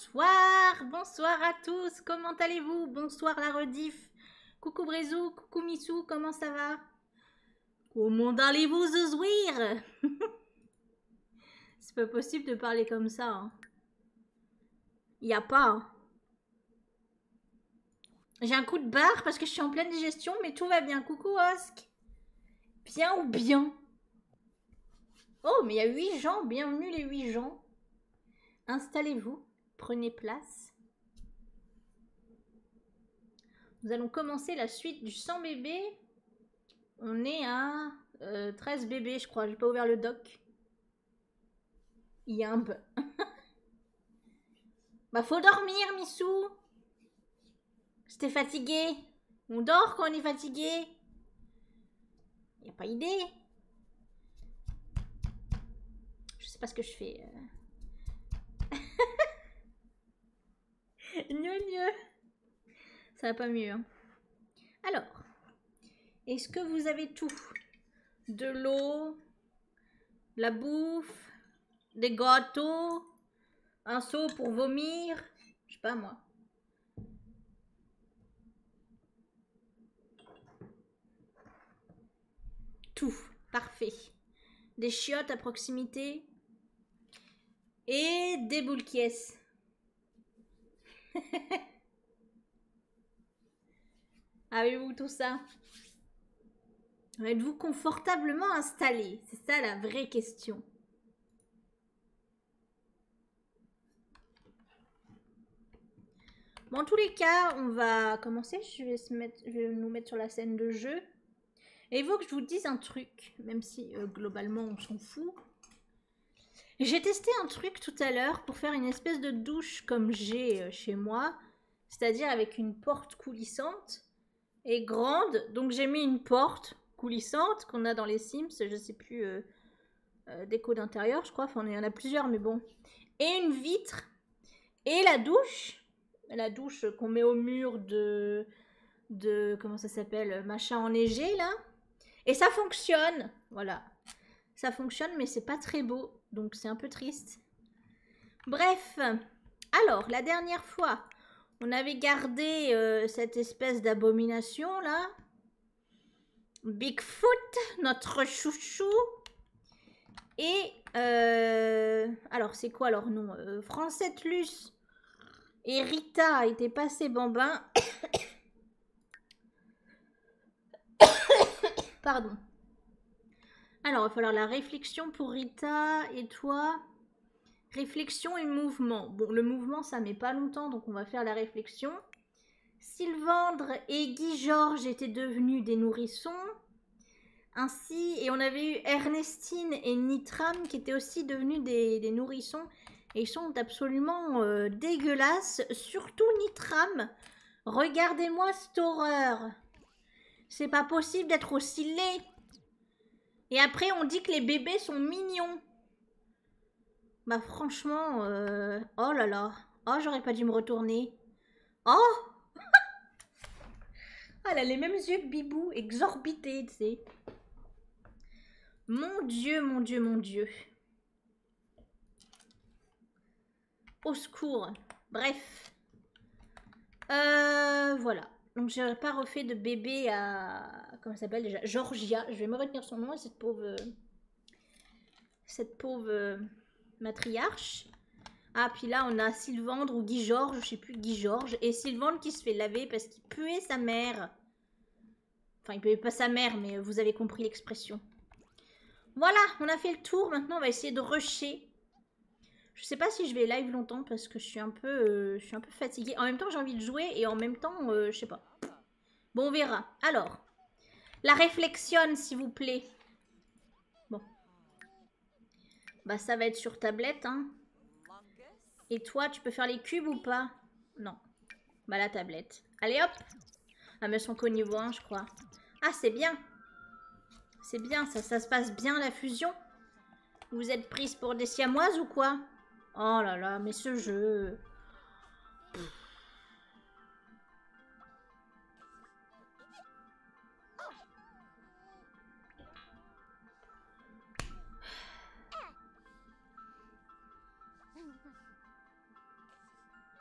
Bonsoir, bonsoir à tous, comment allez-vous Bonsoir la rediff. Coucou Brézou, coucou Missou, comment ça va Comment allez-vous zouir C'est pas possible de parler comme ça. Hein. il Y a pas. Hein. J'ai un coup de barre parce que je suis en pleine digestion, mais tout va bien. Coucou Osk. Bien ou bien Oh, mais il y a huit gens. Bienvenue les huit gens. Installez-vous, prenez place. Nous allons commencer la suite du 100 bébés. On est à 13 euh, bébés, je crois. J'ai pas ouvert le doc. un peu bah faut dormir, Missou. J'étais fatigué On dort quand on est fatigué. Il a pas idée. Je sais pas ce que je fais. mieux, mieux. Ça va pas mieux. Hein. Alors, est-ce que vous avez tout De l'eau, la bouffe, des gâteaux, un seau pour vomir, je sais pas moi. Tout. Parfait. Des chiottes à proximité. Et des boules qui Avez-vous ah tout ça Êtes-vous confortablement installé C'est ça la vraie question. Bon, en tous les cas, on va commencer. Je vais, nous mettre sur la scène de jeu. Et il faut que je vous dise un truc, même si euh, globalement on s'en fout. J'ai testé un truc tout à l'heure pour faire une espèce de douche comme j'ai euh, chez moi, c'est-à-dire avec une porte coulissante et grande. Donc j'ai mis une porte coulissante qu'on a dans les Sims, je sais plus euh, euh, déco d'intérieur, je crois. Enfin, il y en a plusieurs, mais bon. Et une vitre. Et la douche. La douche qu'on met au mur de. de comment ça s'appelle Machin enneigé, là. Et ça fonctionne. Voilà. Ça fonctionne, mais c'est pas très beau. Donc, c'est un peu triste. Bref. Alors, la dernière fois, on avait gardé euh, cette espèce d'abomination, là. Bigfoot, notre chouchou. Et euh, alors, c'est quoi leur nom euh, Francette Luce et Rita étaient passés bambins. Pardon. Alors, il va falloir la réflexion pour Rita et toi. Réflexion et mouvement. Bon, le mouvement, ça met pas longtemps, donc on va faire la réflexion. Sylvandre et Guy Georges étaient devenus des nourrissons. Ainsi, et on avait eu Ernestine et Nitram qui étaient aussi devenus des, nourrissons. Et ils sont absolument euh, dégueulasses, surtout Nitram. Regardez-moi cette horreur. C'est pas possible d'être aussi laid. Et après, on dit que les bébés sont mignons. Bah franchement, euh, oh là là. Oh, j'aurais pas dû me retourner. Oh ah, Elle a les mêmes yeux de Bibou, exorbités, tu sais. Mon Dieu, mon Dieu, mon Dieu. Au secours. Bref. Euh, voilà. Donc, j'ai pas refait de bébé à... Comment ça s'appelle déjà Georgia. Je vais me retenir son nom, cette pauvre... Euh, cette pauvre euh, matriarche. Ah, puis là, on a Sylvandre ou Guy Georges, je sais plus, Guy Georges. Et Sylvandre qui se fait laver parce qu'il puait sa mère. Enfin, il puait pas sa mère, mais euh, vous avez compris l'expression. Voilà, on a fait le tour. Maintenant, on va essayer de rusher. Je ne sais pas si je vais live longtemps parce que je suis un peu, euh, un peu fatiguée. En même temps, j'ai envie de jouer et en même temps, je je sais pas. Bon, on verra. Alors, la réflexion, s'il vous plaît. Bon. Bah, ça va être sur tablette, hein. Et toi, tu peux faire les cubes ou pas Non. Bah, la tablette. Allez, hop Ah, mais elles sont qu'au niveau 1, je crois. Ah, c'est bien C'est bien, ça, ça se passe bien, la fusion Vous êtes prise pour des siamoises ou quoi Oh là là, mais ce jeu...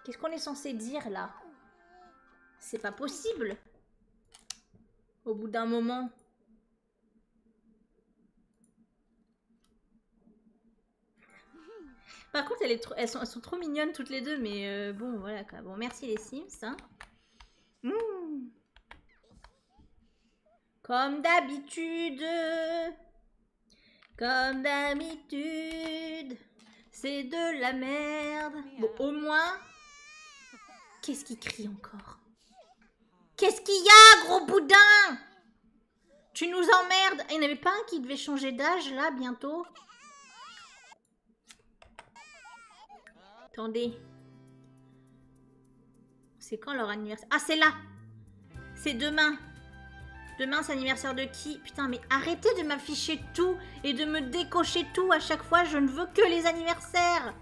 Qu'est-ce qu'on est censé dire là C'est pas possible Au bout d'un moment. Par contre, elles, sont, trop mignonnes toutes les deux, mais euh, bon, voilà Bon, merci les Sims. Hein. Mmh. Comme d'habitude. Comme d'habitude. C'est de la merde. Bon, au moins. Qu'est-ce qui crie encore Qu'est-ce qu'il y a, gros boudin Tu nous emmerdes Il n'y avait pas un qui devait changer d'âge là bientôt Attendez. C'est quand leur anniversaire Ah, c'est là C'est demain Demain, c'est l'anniversaire de qui Putain, mais arrêtez de m'afficher tout et de me décocher tout à chaque fois. Je ne veux que les anniversaires.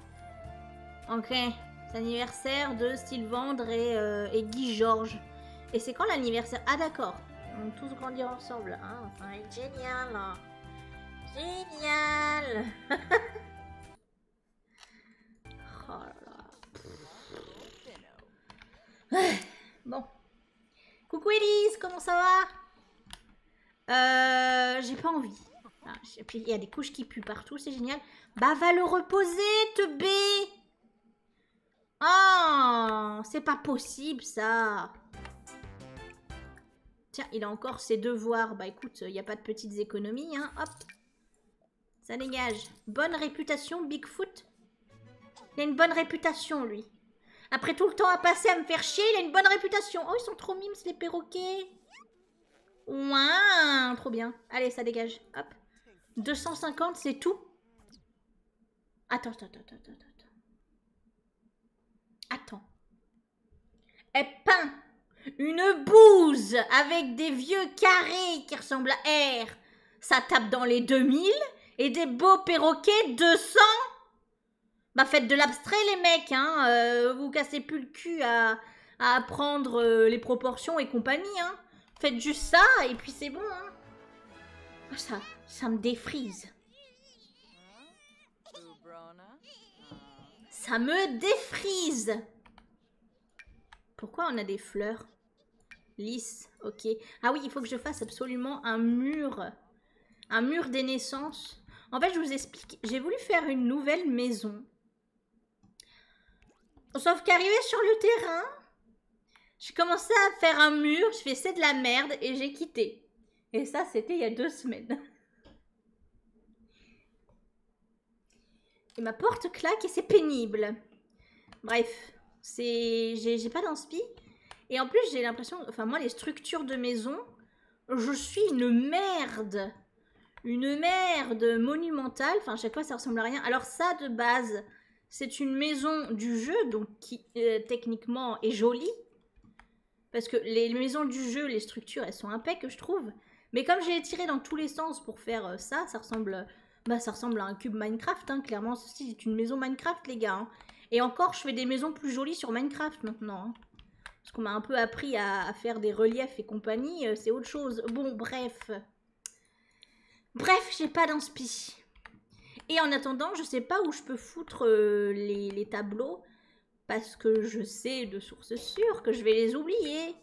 Ok, c'est anniversaire de Sylvandre et, euh, et Guy Georges. Et c'est quand l'anniversaire Ah d'accord, on tous grandir ensemble. génial. Génial. bon. Coucou Elise, comment ça va euh, J'ai pas envie. Ah, il y a des couches qui puent partout, c'est génial. Bah va le reposer, te b Oh C'est pas possible, ça Tiens, il a encore ses devoirs. Bah écoute, il n'y a pas de petites économies, hein. Hop Ça dégage. Bonne réputation, Bigfoot. Il a une bonne réputation, lui. Après tout le temps à passer à me faire chier, il a une bonne réputation. Oh, ils sont trop mimes, les perroquets Ouah, Trop bien. Allez, ça dégage. Hop. 250, c'est tout Attends, attends, attends, attends, attends. Attends. Elle peint une bouse avec des vieux carrés qui ressemblent à R. Ça tape dans les 2000 et des beaux perroquets 200. Bah faites de l'abstrait les mecs, hein. Euh, vous cassez plus le cul à, à apprendre euh, les proportions et compagnie, hein. Faites juste ça et puis c'est bon, hein. ah, Ça, ça me défrise. Ça me défrise Pourquoi on a des fleurs Lisse, ok. Ah oui, il faut que je fasse absolument un mur. Un mur des naissances. En fait, je vous explique. J'ai voulu faire une nouvelle maison. Sauf qu'arriver sur le terrain, j'ai commencé à faire un mur, je fais de la merde et j'ai quitté. Et ça, c'était il y a deux semaines. Et ma porte claque et c'est pénible. Bref, c'est j'ai pas d'inspi. Et en plus, j'ai l'impression, enfin moi, les structures de maison, je suis une merde. Une merde monumentale. Enfin, à chaque fois, ça ressemble à rien. Alors ça, de base, c'est une maison du jeu, donc qui euh, techniquement est jolie. Parce que les maisons du jeu, les structures, elles sont impeccables, je trouve. Mais comme j'ai tiré dans tous les sens pour faire euh, ça, ça ressemble, bah, ça ressemble à un cube Minecraft. Hein. Clairement, ceci est une maison Minecraft, les gars. Hein. Et encore, je fais des maisons plus jolies sur Minecraft maintenant. Hein. Parce qu'on m'a un peu appris à, faire des reliefs et compagnie, euh, c'est autre chose. Bon, bref. Bref, j'ai pas d'inspi. Et en attendant, je sais pas où je peux foutre euh, les, tableaux. Parce que je sais de source sûre que je vais les oublier.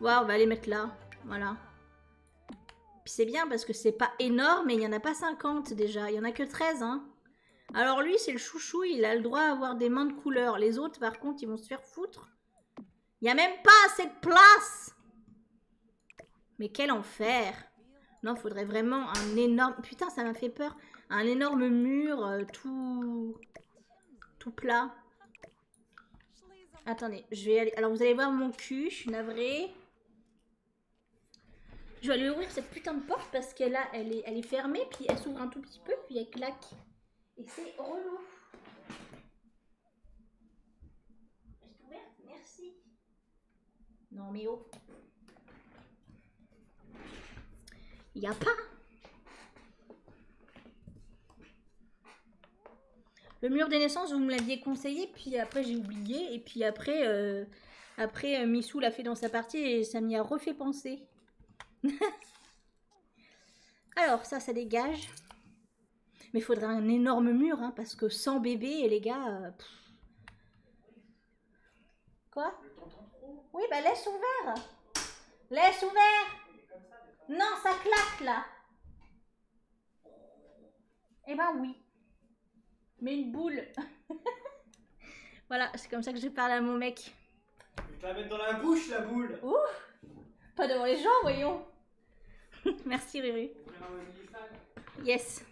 Voilà, on va les mettre là. Voilà. Puis c'est bien parce que c'est pas énorme et il n'y en a pas 50 déjà. Il y en a que 13, hein. Alors lui, c'est le chouchou, il a le droit à avoir des mains de couleur. Les autres, par contre, ils vont se faire foutre. Il y a même pas assez de place mais quel enfer Non, faudrait vraiment un énorme... Putain, ça m'a fait peur. Un énorme mur euh, tout... Tout plat. Attendez, je vais aller... Alors, vous allez voir mon cul, je suis navrée. Je vais aller ouvrir cette putain de porte parce qu'elle là, elle est, fermée, puis elle s'ouvre un tout petit peu, puis elle claque. Et c'est relou. Est ouverte Merci. Non mais oh. n'y a pas. Le mur des naissances, vous me l'aviez conseillé, puis après j'ai oublié, et puis après, euh, après euh, Missou l'a fait dans sa partie et ça m'y a refait penser. Alors ça, ça dégage. Mais il faudrait un énorme mur, hein, parce que sans bébé, les gars... Euh, Quoi Oui, bah laisse ouvert. Laisse ouvert. Non, ça claque là. Eh ben oui. Mais une boule. voilà, c'est comme ça que je parle à mon mec. Je vais la mettre dans la bouche la boule. Ouh Pas devant les gens, voyons. Merci Ruru. Yes.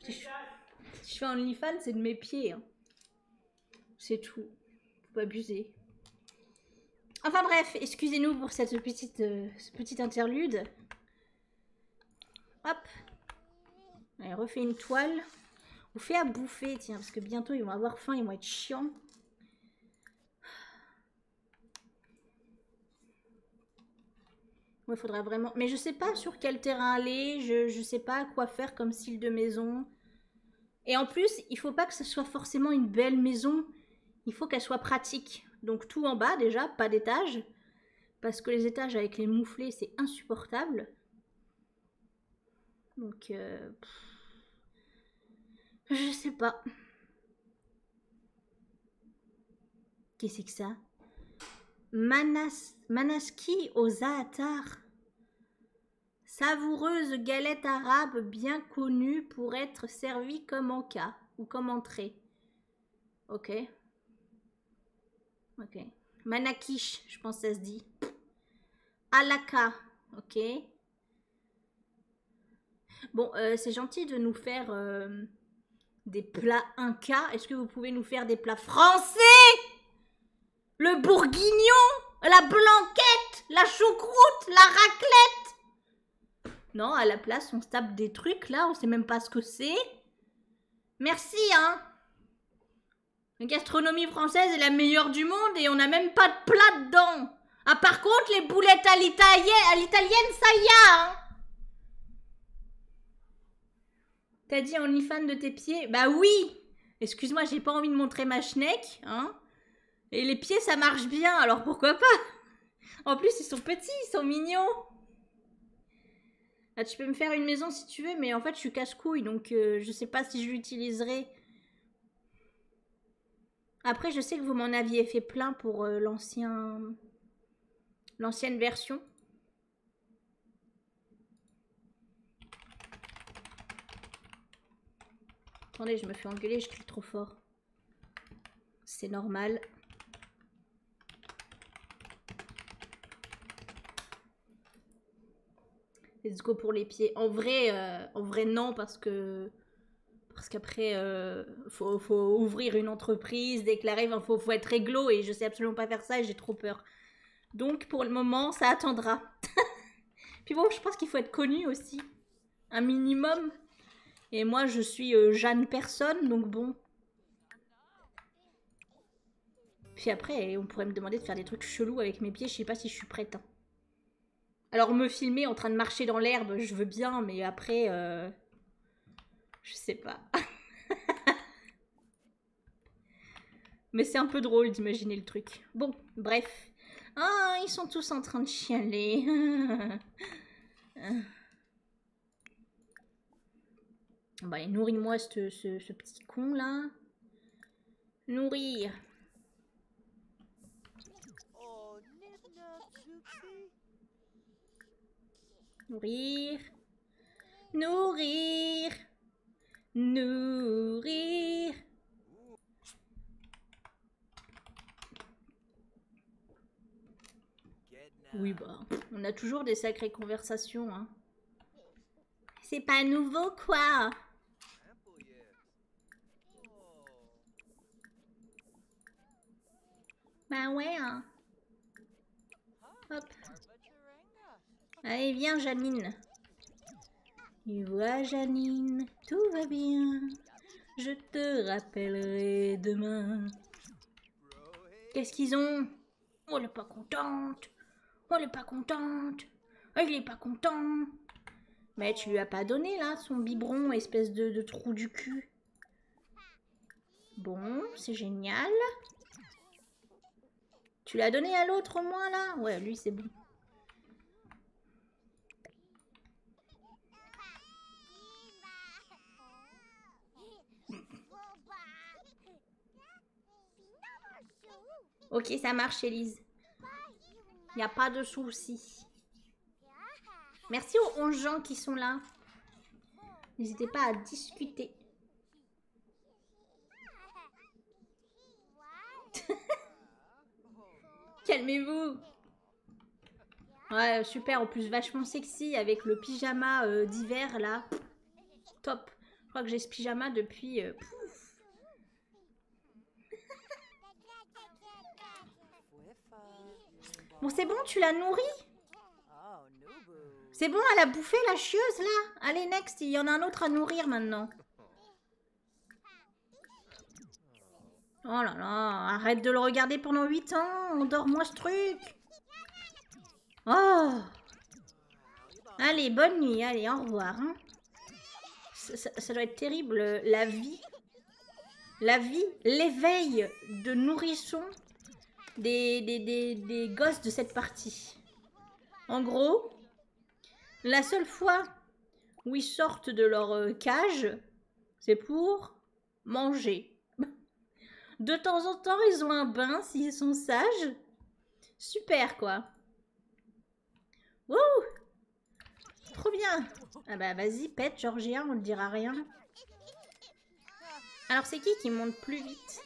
Si je, fais un OnlyFans, c'est de mes pieds. Hein. C'est tout. Faut pas abuser. Enfin bref, excusez-nous pour cette petite, euh, interlude. Hop. Allez, refait une toile. On fait à bouffer, tiens, parce que bientôt ils vont avoir faim, ils vont être chiants il vraiment... Mais je sais pas sur quel terrain aller, je, sais pas quoi faire comme style de maison. Et en plus, il faut pas que ce soit forcément une belle maison, il faut qu'elle soit pratique. Donc tout en bas déjà, pas d'étage, parce que les étages avec les mouflés, c'est insupportable. Donc... Euh, je sais pas. Qu'est-ce que ça Manas, Manaski aux Aatars. Savoureuse galette arabe bien connue pour être servie comme cas ou comme entrée. Ok. Ok. Manakish, je pense que ça se dit. Alaka, ok. Bon, euh, c'est gentil de nous faire euh, des plats inca Est-ce que vous pouvez nous faire des plats français Le bourguignon La blanquette La choucroute La raclette Non, à la place, on se tape des trucs là, on sait même pas ce que c'est. Merci, hein La gastronomie française est la meilleure du monde et on n'a même pas de plat dedans. Ah, par contre, les boulettes à l'italienne, ça y a, hein T'as dit fan de tes pieds Bah oui Excuse-moi, j'ai pas envie de montrer ma schneck, hein Et les pieds, ça marche bien, alors pourquoi pas En plus, ils sont petits, ils sont mignons ah, tu peux me faire une maison si tu veux, mais en fait, je suis casse-couille, donc euh, je sais pas si je l'utiliserai. Après, je sais que vous m'en aviez fait plein pour euh, l'ancien... l'ancienne version. Attendez, je me fais engueuler, je crie trop fort. C'est normal. Let's go pour les pieds. En vrai, euh, en vrai non, parce que... Parce qu'après, euh, faut, ouvrir une entreprise, déclarer, il faut, être réglo, et je sais absolument pas faire ça, trop peur. Donc pour le moment, ça attendra. Puis bon, je pense qu'il faut être connu aussi, un minimum. Et moi, je suis euh, Jeanne personne, donc bon. Puis après, on pourrait me demander de faire des trucs chelous avec mes pieds, je sais pas si je suis prête. Hein. Alors me filmer en train de marcher dans l'herbe, je veux bien, mais après, euh, je sais pas. Mais c'est un peu drôle d'imaginer le truc. Bon, bref. Ah, ils sont tous en train de chialer. Bah, nourris-moi ce, ce, petit con là. Nourrir. Nourrir. Nourrir. Nourrir. Oui, bah, on a toujours des sacrées conversations, hein. C'est pas nouveau, quoi Bah ouais, hein. Hop. Allez, viens, Janine. Tu vois, Janine, tout va bien. Je te rappellerai demain. Qu'est-ce qu'ils ont Oh, elle est pas contente. Oh, elle est pas contente. Oh, il est pas content. Mais tu lui as pas donné, là, son biberon, espèce de, de trou du cul. Bon, c'est génial. Tu l'as donné à l'autre au moins là Ouais, lui c'est bon. Ok, ça marche, Elise. Il a pas de souci. Merci aux 11 gens qui sont là. N'hésitez pas à discuter. Calmez-vous. Ouais, super. En plus, vachement sexy avec le pyjama euh, d'hiver là. Top. Je crois que j'ai ce pyjama depuis. Euh, bon, c'est bon, tu l'as nourri Oh, C'est bon, elle a bouffé la chieuse là. Allez, next, il y en a un autre à nourrir maintenant. Oh là là, arrête de le regarder pendant 8 ans, on dort ce truc. Oh Allez, bonne nuit, allez, au revoir. Hein. Ça, doit être terrible, la vie. La vie, l'éveil de nourrissons des, gosses de cette partie. En gros, la seule fois où ils sortent de leur euh, cage, c'est pour manger. De temps en temps, ils ont un bain s'ils sont sages. Super, quoi. Wouh Trop bien Ah bah vas-y, pète, Georgien, on ne dira rien. Alors c'est qui qui monte plus vite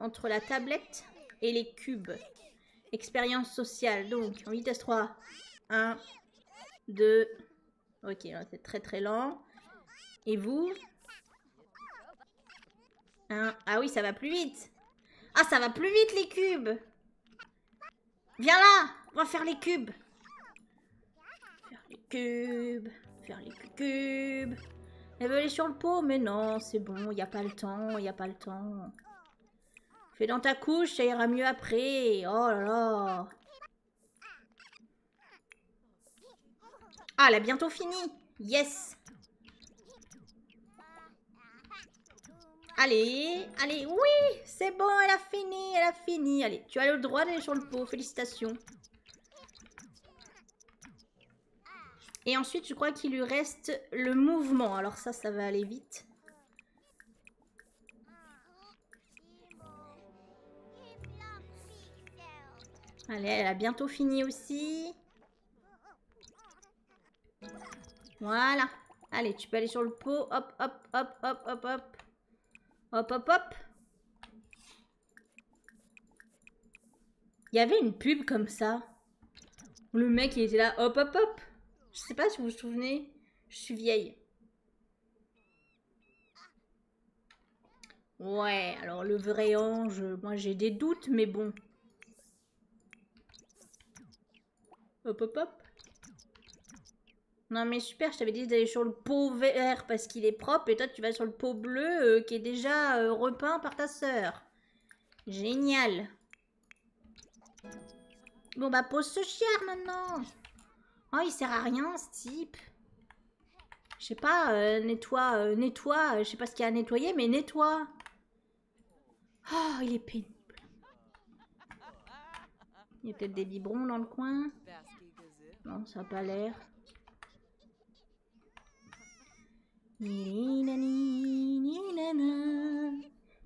Entre la tablette et les cubes. Expérience sociale, donc en vitesse 3. 1, 2. Ok, c'est très très lent. Et vous Un... Ah oui, ça va plus vite. Ah, ça va plus vite les cubes. Viens là, on va faire les cubes. Faire les cubes faire les cubes. elle veut sur le pot, mais non, c'est bon, il n'y a pas le temps, il n'y a pas le temps. Fais dans ta couche, ça ira mieux après. Oh là là. Ah, elle a bientôt fini. Yes. Allez, allez, oui, c'est bon, elle a fini, elle a fini. Allez, tu as le droit d'aller sur le pot, félicitations. Et ensuite, je crois qu'il lui reste le mouvement. Alors ça, ça va aller vite. Allez, elle a bientôt fini aussi. Voilà. Allez, tu peux aller sur le pot. Hop, hop, hop, hop, hop, hop. Hop, hop, hop. Il y avait une pub comme ça. Le mec, il était là, hop, hop, hop. Je sais pas si vous vous souvenez, je suis vieille. Ouais, alors le vrai ange, moi j'ai des doutes, mais bon. Hop, hop, hop. Non mais super, je t'avais dit d'aller sur le pot vert parce qu'il est propre et toi tu vas sur le pot bleu euh, qui est déjà euh, repeint par ta sœur. Génial. Bon bah pose ce chien maintenant. Oh il sert à rien ce type. Je sais pas, euh, nettoie, euh, nettoie, euh, je sais pas ce qu'il y a à nettoyer, mais nettoie. Oh, il est pénible. Il y a peut-être des biberons dans le coin. Non, ça n'a pas l'air.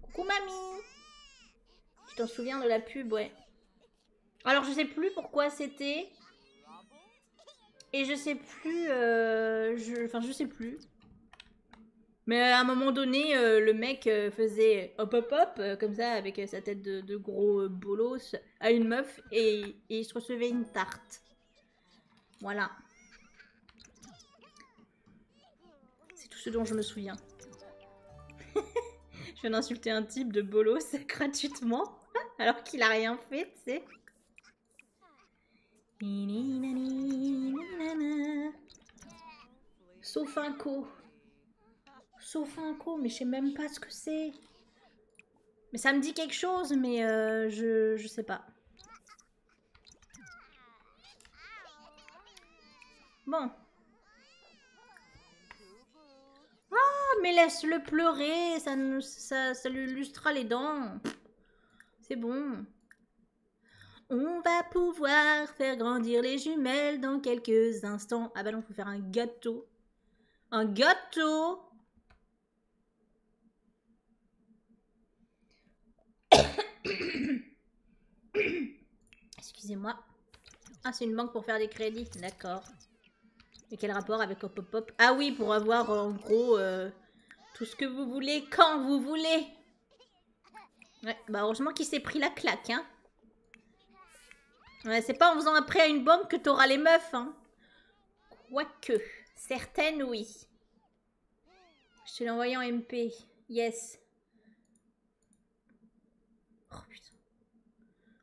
Coucou mamie Tu t'en souviens de la pub, ouais. Alors je sais plus pourquoi c'était. Et je sais plus... Euh, je... Enfin je sais plus. Mais à un moment donné, euh, le mec euh, faisait hop hop hop, comme ça, avec sa tête de, gros bolos, à une meuf, et il se recevait une tarte. Voilà. C'est tout ce dont je me souviens. je viens d'insulter un type de bolos gratuitement, alors qu'il a rien fait, tu sais. Sauf un co. Sauf un co, mais je sais même pas ce que c'est. Mais ça me dit quelque chose, mais euh, je, sais pas. Bon. Ah, mais laisse-le pleurer, ça, lui lustrera les dents. C'est bon. On va pouvoir faire grandir les jumelles dans quelques instants. Ah bah non, faut faire un gâteau. Un gâteau Excusez-moi. Ah, c'est une banque pour faire des crédits. D'accord. Et quel rapport avec Hop Hop Ah oui, pour avoir en gros euh, tout ce que vous voulez, quand vous voulez. Ouais, bah heureusement qu'il s'est pris la claque, hein. c'est pas en faisant un prêt à une banque que t'auras les meufs, hein. Quoique, certaines oui. Je te l'ai en MP. Yes. Oh putain.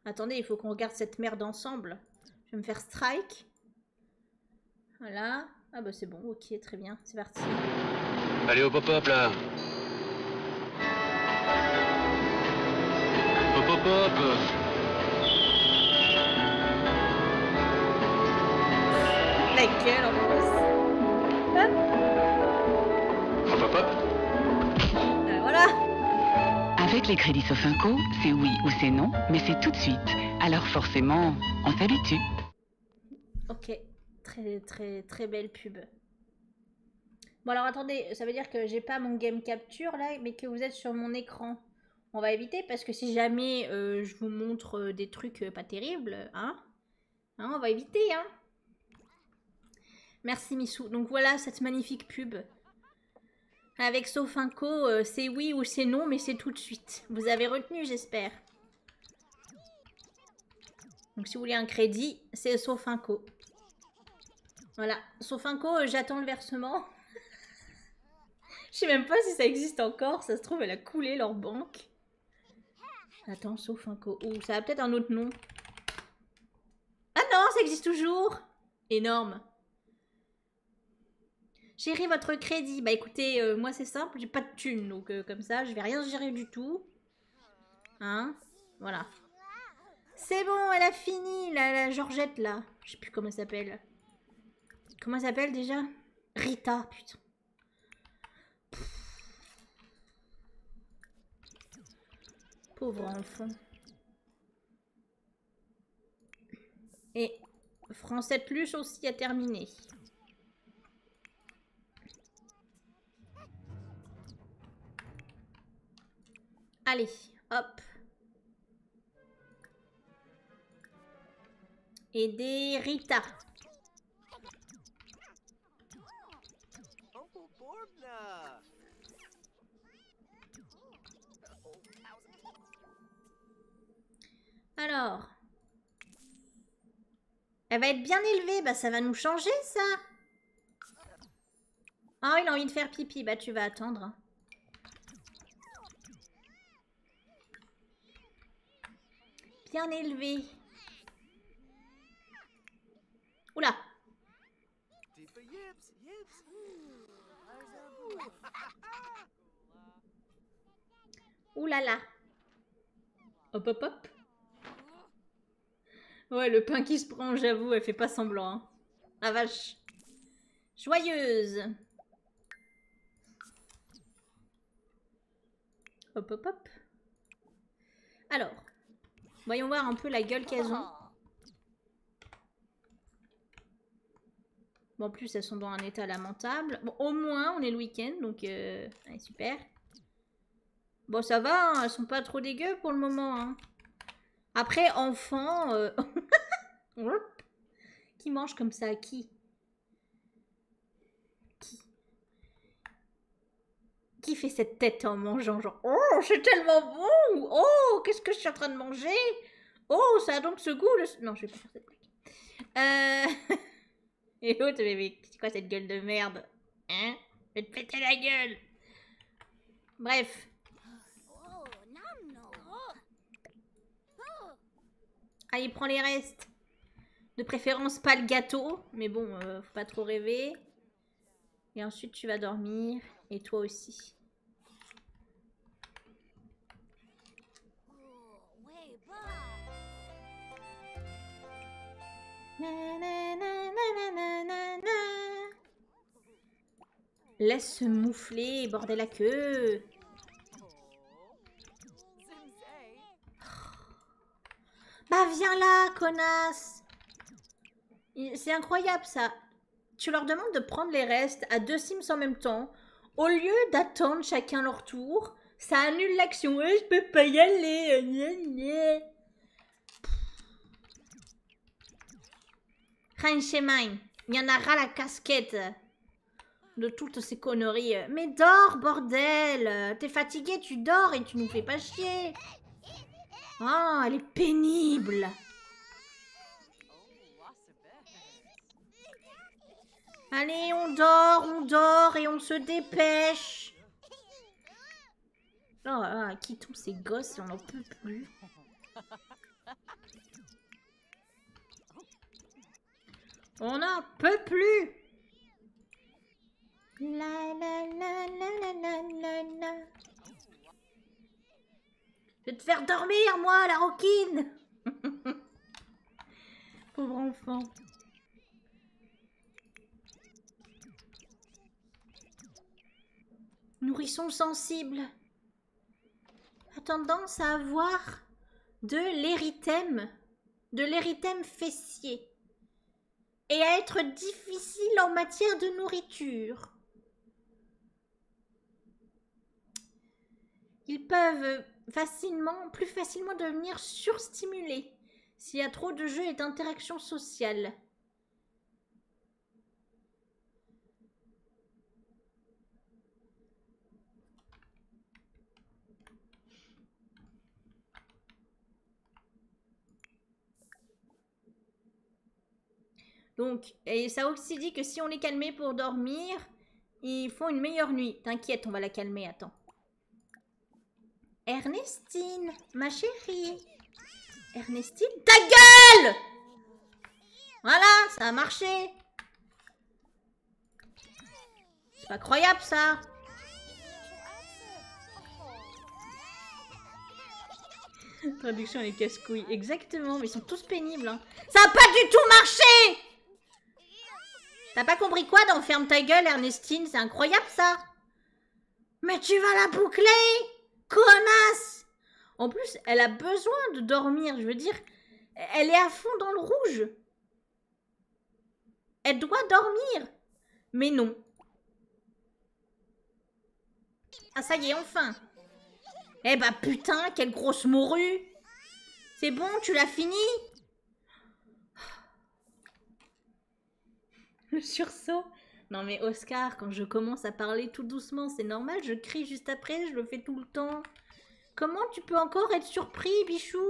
Attendez, il faut qu'on regarde cette merde ensemble. Je vais me faire strike. Voilà. Ah bah c'est bon, ok, très bien. C'est parti. Allez au pop-up là. pop la gueule en plus. Hop Voilà Avec les crédits Sofinco, c'est oui ou c'est non, mais c'est tout de suite. Alors forcément, on s'habitue. Ok, très très très belle pub. Bon alors attendez, ça veut dire que j'ai pas mon game capture là, mais que vous êtes sur mon écran on va éviter parce que si jamais euh, je vous montre euh, des trucs euh, pas terribles, hein, hein, on va éviter, hein. Merci Missou. Donc voilà cette magnifique pub. Avec Sofinko, c'est oui ou c'est non, mais c'est tout de suite. Vous avez retenu, j'espère. Donc si vous voulez un crédit, c'est Sofinco. Voilà, Sofinko, j'attends le versement. Je sais même pas si ça existe encore. Ça se trouve, elle a coulé leur banque. Attends, sauf un co... ça a peut-être un autre nom. Ah non, ça existe toujours Énorme. Gérer votre crédit. Bah écoutez, euh, moi c'est simple, j'ai pas de thunes Donc euh, comme ça, je vais rien gérer du tout. Hein Voilà. C'est bon, elle a fini, la, la Georgette là. Je sais plus comment elle s'appelle. Comment elle s'appelle déjà Rita, putain. Pauvre enfant. Et Français Pluche aussi a terminé. Allez, hop. Et des Alors. Elle va être bien élevée. Bah, ça va nous changer, ça. oh, il a envie de faire pipi. Bah, tu vas attendre. Bien élevé. Oula. Oula là. Hop hop hop. Ouais, le pain qui se prend, j'avoue, elle fait pas semblant. Hein. Ah, vache. Joyeuse. Hop hop hop. Alors, voyons voir un peu la gueule qu'elles ont. Bon, en plus, elles sont dans un état lamentable. au moins, on est le week-end, donc euh, super. Bon, ça va, hein, elles sont pas trop dégueu pour le moment. Hein. Après, enfant... Euh, qui mange comme ça Qui qui fait cette tête en mangeant genre Oh, c'est tellement bon Oh, qu'est-ce que je suis en train de manger Oh, ça a donc ce goût Non, je vais pas faire cette blague. Euh, et l'autre, mais, c'est quoi cette gueule de merde Hein Je vais te péter la gueule Bref. Oh, ah, il prend les restes. De préférence, pas le gâteau. Mais bon, euh, faut pas trop rêver. Et ensuite, tu vas dormir. Et toi aussi. Laisse se moufler bordel border la queue. Bah viens là, connasse C'est incroyable ça. Tu leur demandes de prendre les restes à deux Sims en même temps. Au lieu d'attendre chacun leur tour, ça annule l'action. je peux pas y aller. Euh, Rien chez il y en aura la casquette de toutes ces conneries. Mais dors, bordel T'es fatigué, tu dors et tu nous fais pas chier. Ah, elle est pénible. Allez, on dort, on dort et on se dépêche. Oh, qui tous ces gosses, on n'en peut plus. On n'en peut plus Je vais te faire dormir, moi, la roquine Pauvre enfant. Nourrissons sensibles a tendance à avoir de l'érythème, de l'érythème fessier, et à être difficile en matière de nourriture. Ils peuvent facilement, plus facilement devenir surstimulés s'il y a trop de jeux et d'interactions sociales. Donc, et ça aussi dit que si on est calmé pour dormir, ils font une meilleure nuit. T'inquiète, on va la calmer, attends. Ernestine, ma chérie. Ernestine, ta gueule Voilà, ça a marché. C'est pas croyable ça Traduction et casse-couilles. Exactement, mais ils sont tous pénibles. Hein. Ça a pas du tout marché T'as pas compris quoi dans Ferme ta gueule, Ernestine C'est incroyable ça Mais tu vas la boucler Connasse En plus, elle a besoin de dormir, je veux dire. Elle est à fond dans le rouge. Elle doit dormir Mais non. Ah ça y est, enfin Eh bah putain, quelle grosse morue C'est bon, tu l'as fini Le sursaut Non mais Oscar, quand je commence à parler tout doucement, c'est normal, je crie juste après, je le fais tout le temps. Comment tu peux encore être surpris, Bichou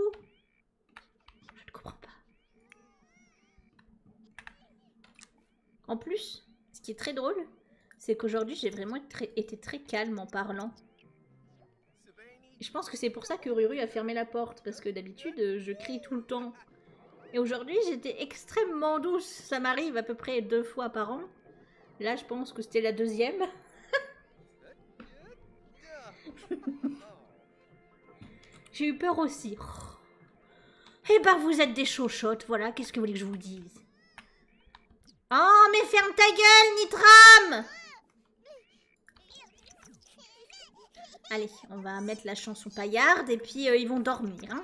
Je ne comprends pas. En plus, ce qui est très drôle, c'est qu'aujourd'hui, j'ai vraiment été très calme en parlant. Je pense que c'est pour ça que Ruru a fermé la porte, parce que d'habitude, je crie tout le temps. Et aujourd'hui, j'étais extrêmement douce. Ça m'arrive à peu près deux fois par an. Là, je pense que c'était la deuxième. J'ai eu peur aussi. Oh. Eh ben, vous êtes des chauchottes, voilà, qu'est-ce que vous voulez que je vous dise Oh, mais ferme ta gueule, Nitram Allez, on va mettre la chanson paillarde et puis euh, ils vont dormir. Hein.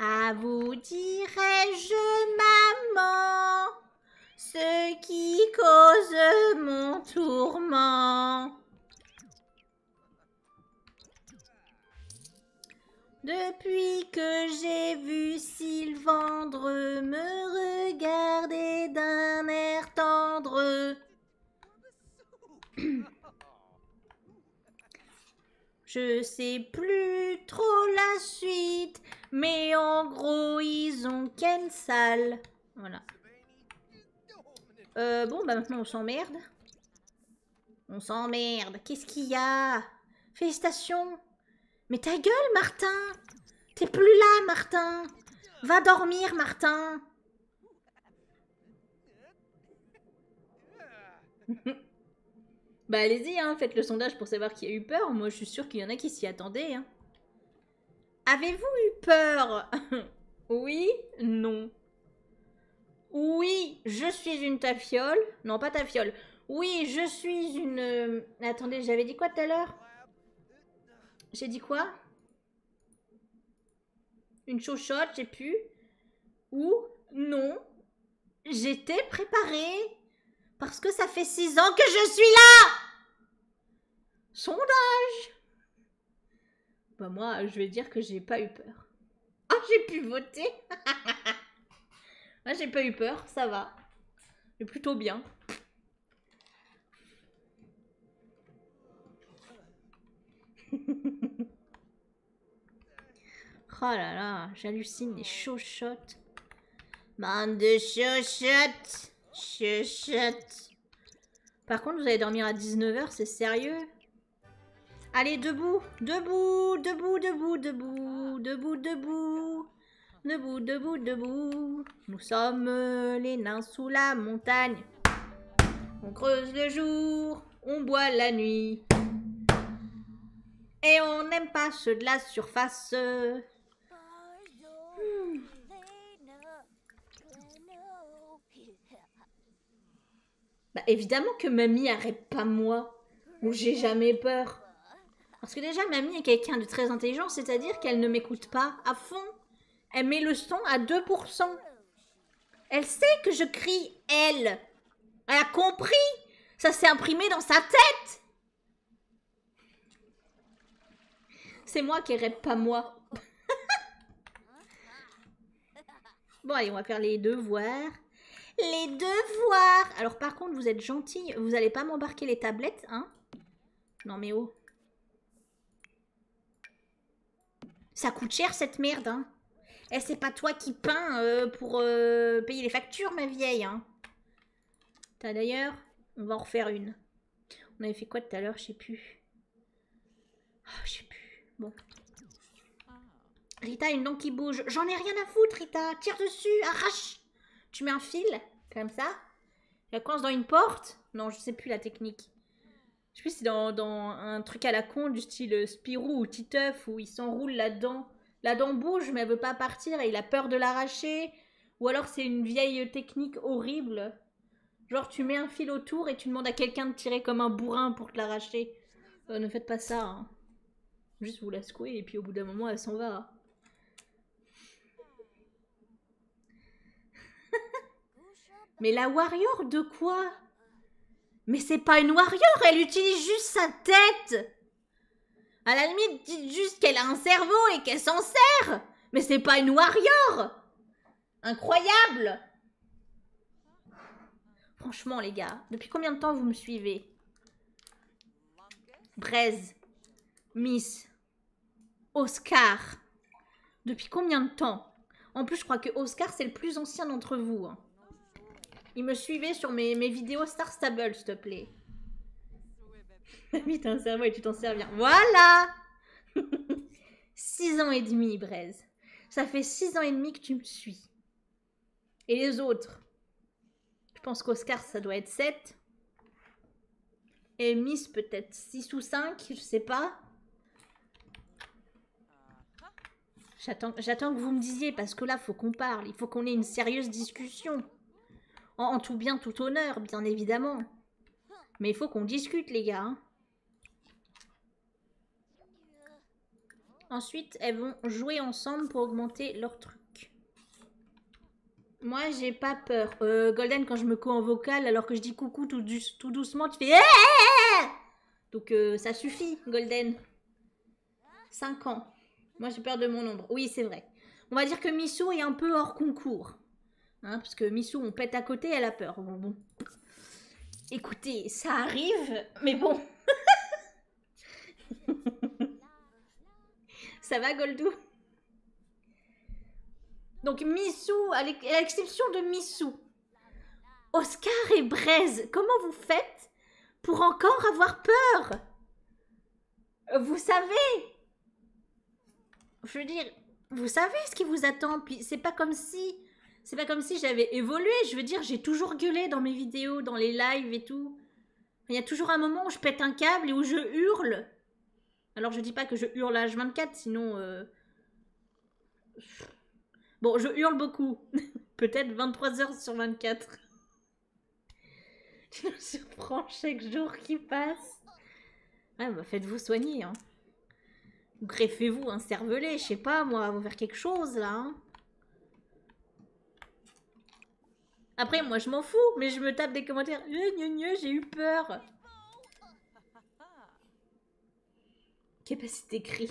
À vous dirai-je, maman ce qui cause mon tourment. Depuis que j'ai vu Sylvandre me regarder d'un air tendre, je sais plus trop la suite mais en gros, ils ont qu'une salle. Voilà. Euh, bon, bah maintenant on s'emmerde. On s'emmerde. Qu'est-ce qu'il y a Félicitations. Mais ta gueule, Martin T'es plus là, Martin Va dormir, Martin Bah allez-y, hein, faites le sondage pour savoir qui a eu peur. Moi, je suis sûre qu'il y en a qui s'y attendaient. Hein. Avez-vous eu peur Oui, non. Oui, je suis une tafiole. Non, pas tafiole. Oui, je suis une... Euh, attendez, j'avais dit quoi tout à l'heure J'ai dit quoi Une chochotte, j'ai pu. Ou non, j'étais préparée. Parce que ça fait six ans que je suis là Sondage Bah moi, je vais dire que j'ai pas eu peur. Ah, j'ai pu voter Ah, j'ai pas eu peur, ça va. Mais plutôt bien. oh là là, j'hallucine les chochottes. Bande de chuchot chuchot Par contre, vous allez dormir à 19h, c'est sérieux Allez, debout Debout Debout, debout, debout Debout, debout Debout, debout, debout Nous sommes les nains sous la montagne On creuse le jour, on boit la nuit et on n'aime pas ceux de la surface. Bah évidemment que mamie arrête pas moi. Ou j'ai jamais peur. Parce que déjà, mamie est quelqu'un de très intelligent, c'est-à-dire qu'elle ne m'écoute pas à fond. Elle met le son à 2%. Elle sait que je crie elle. Elle a compris. Ça s'est imprimé dans sa tête. C'est moi qui rêve, pas moi. bon, allez, on va faire les devoirs. Les devoirs Alors, par contre, vous êtes gentille, Vous allez pas m'embarquer les tablettes, hein Non, mais oh. Ça coûte cher, cette merde, hein et eh, c'est pas toi qui peins euh, pour euh, payer les factures, ma vieille, hein T'as d'ailleurs On va en refaire une. On avait fait quoi tout à l'heure Je sais plus. Oh, je sais plus. Bon. Rita, une dent qui bouge. J'en ai rien à foutre, Rita. Tire dessus, arrache. Tu mets un fil, comme ça. La coince dans une porte. Non, je sais plus la technique. Je sais plus si c'est dans, un truc à la con du style Spirou ou Titeuf où il s'enroule la dent. La dent bouge, mais elle veut pas partir et il a peur de l'arracher. Ou alors c'est une vieille technique horrible. Genre tu mets un fil autour et tu demandes à quelqu'un de tirer comme un bourrin pour te l'arracher. Euh, ne faites pas ça. Hein. Juste vous la secouez et puis au bout d'un moment elle s'en va. Mais la warrior de quoi Mais c'est pas une warrior, elle utilise juste sa tête à la limite, dites juste qu'elle a un cerveau et qu'elle s'en sert. Mais c'est pas une warrior. Incroyable. Franchement, les gars, depuis combien de temps vous me suivez Braise, Miss, Oscar. Depuis combien de temps En plus, je crois que Oscar, c'est le plus ancien d'entre vous. Hein. Il me suivait sur mes, mes vidéos Star Stable, s'il te plaît. Bah. un cerveau et tu t'en sers bien. Voilà 6 ans et demi, Braise. Ça fait 6 ans et demi que tu me suis. Et les autres Je pense qu'Oscar, ça doit être 7. Et Miss, peut-être 6 ou 5, je sais pas. J'attends que vous me disiez, parce que là, faut qu'on parle. Il faut qu'on ait une sérieuse discussion. En, tout bien, tout honneur, bien évidemment. Mais il faut qu'on discute, les gars. Hein. Ensuite, elles vont jouer ensemble pour augmenter leur truc. Moi, j'ai pas peur. Euh, Golden, quand je me co en vocal, alors que je dis coucou tout, doucement, tu fais... Eh, eh, eh, Donc euh, ça suffit, Golden. 5 ans. Moi, j'ai peur de mon ombre. Oui, c'est vrai. On va dire que Missou est un peu hors concours. Hein, parce que Missou, on pète à côté, elle a peur. Bon, bon. Écoutez, ça arrive, mais bon. ça va, Goldou Donc, Missou, à l'exception de Missou, Oscar et Braise, comment vous faites pour encore avoir peur vous savez Je veux dire, vous savez ce qui vous attend. Puis c'est pas comme si. C'est pas comme si j'avais évolué. Je veux dire, j'ai toujours gueulé dans mes vidéos, dans les lives et tout. Il y a toujours un moment où je pète un câble et où je hurle. Alors je dis pas que je hurle à H24, sinon. Euh, bon, je hurle beaucoup. Peut-être 23 heures sur 24. Tu nous surprends chaque jour qui passe. Ouais, bah faites-vous soigner, hein. Greffez-vous un cervelet, je sais pas, moi, vous faire quelque chose, là, hein. Après, moi, je m'en fous, mais je me tape des commentaires. j'ai eu peur. Capacité cri.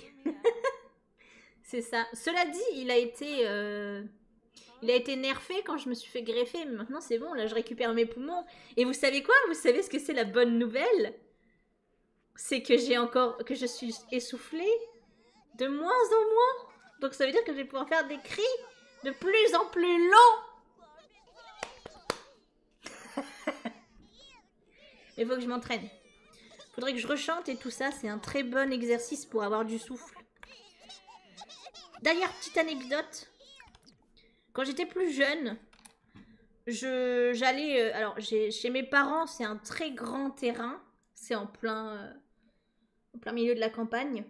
C'est ça. Cela dit, il a été... Euh, il a été nerfé quand je me suis fait greffer, mais maintenant c'est bon, là je récupère mes poumons. Et vous savez quoi Vous savez ce que c'est la bonne nouvelle C'est que j'ai encore, que je suis essoufflée de moins en moins. Donc ça veut dire que je vais pouvoir faire des cris de plus en plus longs. Il faut que je m'entraîne. Faudrait que je rechante et tout ça, c'est un très bon exercice pour avoir du souffle. D'ailleurs, petite anecdote. Quand j'étais plus jeune, j'allais... Euh, alors, chez mes parents, c'est un très grand terrain. C'est en plein, euh, plein milieu de la campagne.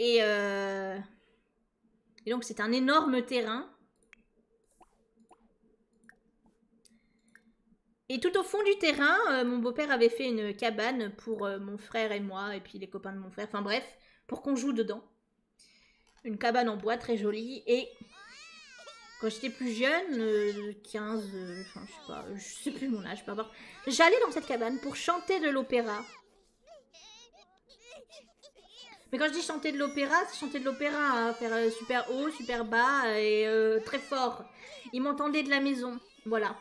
Euh, et, donc, c'est un énorme terrain. Et tout au fond du terrain, mon beau-père avait fait une cabane pour mon frère et moi et puis les copains de mon frère. Enfin bref, pour qu'on joue dedans. Une cabane en bois très jolie. Et quand j'étais plus jeune, 15, euh, euh, je sais sais plus mon âge, pas avoir... J'allais dans cette cabane pour chanter de l'opéra. Mais quand je dis chanter de l'opéra, c'est chanter de l'opéra, hein, faire euh, super haut, super bas et très fort. Ils m'entendaient de la maison, voilà.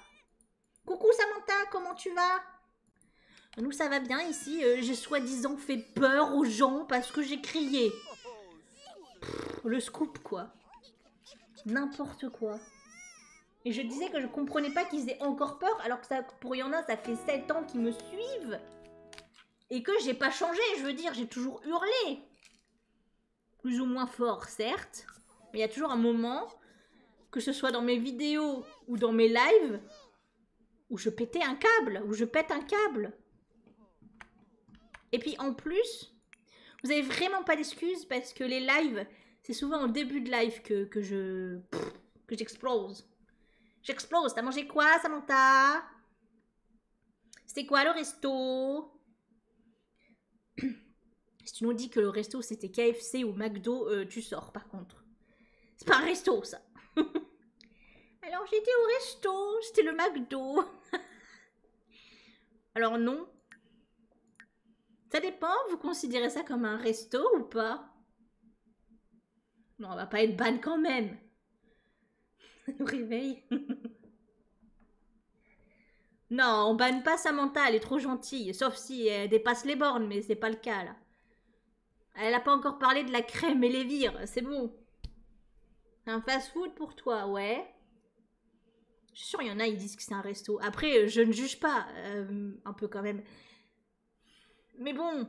Coucou Samantha, comment tu vas Nous ça va bien ici, euh, j'ai soi-disant fait peur aux gens parce que j'ai crié. le scoop quoi. N'importe quoi. Et je disais que je comprenais pas qu'ils aient encore peur alors que y en a, ça fait 7 ans qu'ils me suivent. Et que j'ai pas changé, je veux dire, j'ai toujours hurlé. Plus ou moins fort, certes. Mais il y a toujours un moment que ce soit dans mes vidéos ou dans mes lives, où je pétais un câble, ou je pète un câble. Et puis en plus, vous avez vraiment pas d'excuses parce que les lives, c'est souvent au début de live que, que je. que j'explose. J'explose. T'as mangé quoi, Samantha C'était quoi le resto si tu nous dis que le resto c'était KFC ou McDo, euh, tu sors par contre. C'est pas un resto ça. Alors j'étais au resto, c'était le McDo. Alors non. Ça dépend, vous considérez ça comme un resto ou pas Non, on va pas être ban quand même. Ça nous réveille. non, on banne pas Samantha, elle est trop gentille elle dépasse les bornes, mais c'est pas le cas là. Elle n'a pas encore parlé de la crème et les vires, c'est bon. Un fast-food pour toi, ouais. Je suis il y en a, ils disent que c'est un resto. Après, euh, je ne juge pas, euh, un peu quand même. Mais bon.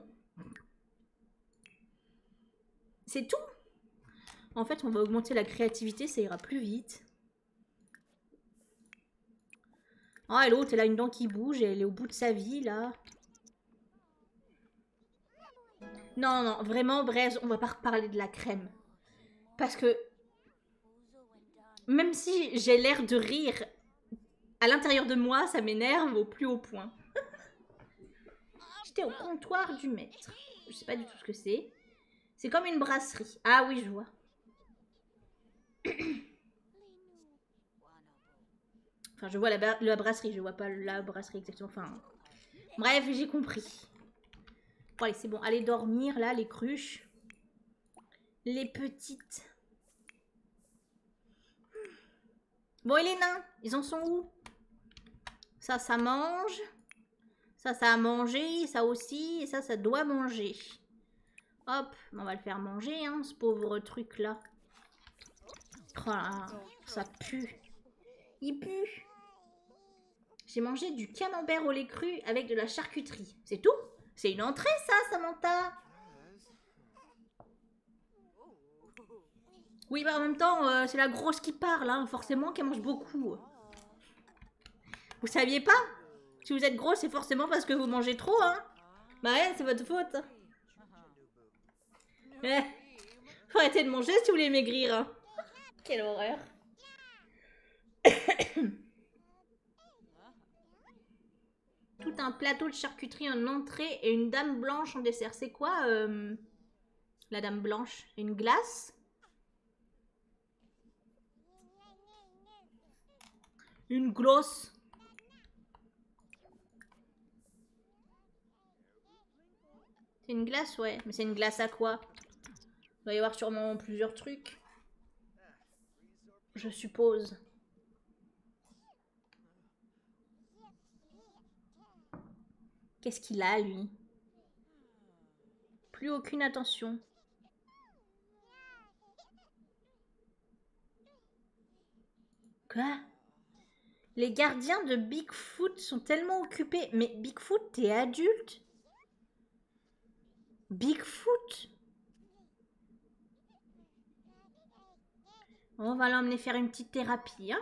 C'est tout. En fait, on va augmenter la créativité, ça ira plus vite. Ah, l'autre, elle a une dent qui bouge elle est au bout de sa vie, là. Non, non, vraiment, Braise, on va pas reparler de la crème. Parce que... Même si j'ai l'air de rire, à l'intérieur de moi, ça m'énerve au plus haut point. J'étais au comptoir du maître. Je sais pas du tout ce que c'est. C'est comme une brasserie. Ah oui, je vois. Enfin, je vois la, brasserie, je vois pas la brasserie exactement. Enfin, bref, j'ai compris. ouais oh, c'est bon. Allez dormir, là, les cruches. Les petites. Bon, et les nains Ils en sont où Ça, ça mange. Ça, ça a mangé. Ça aussi. Et ça, ça doit manger. Hop, on va le faire manger, hein, ce pauvre truc-là. Oh, ça pue. Il pue. J'ai mangé du camembert au lait cru avec de la charcuterie. C'est tout C'est une entrée, ça, Samantha Oui, bah en même temps, euh, c'est la grosse qui parle, hein, forcément, qui mange beaucoup. Vous saviez pas si vous êtes gros, c'est forcément parce que vous mangez trop, hein Bah, c'est votre faute. Mais, faut arrêter de manger si vous voulez maigrir. Hein. Quelle horreur. Tout un plateau de charcuterie en entrée et une dame blanche en dessert. C'est quoi euh, la dame blanche Une glace une glosse C'est une glace, ouais. Mais c'est une glace à quoi Il va y avoir sûrement plusieurs trucs. Je suppose. Qu'est-ce qu'il a, lui Plus aucune attention. Quoi Les gardiens de Bigfoot sont tellement occupés. Mais Bigfoot, t'es adulte Bigfoot On va l'emmener faire une petite thérapie, hein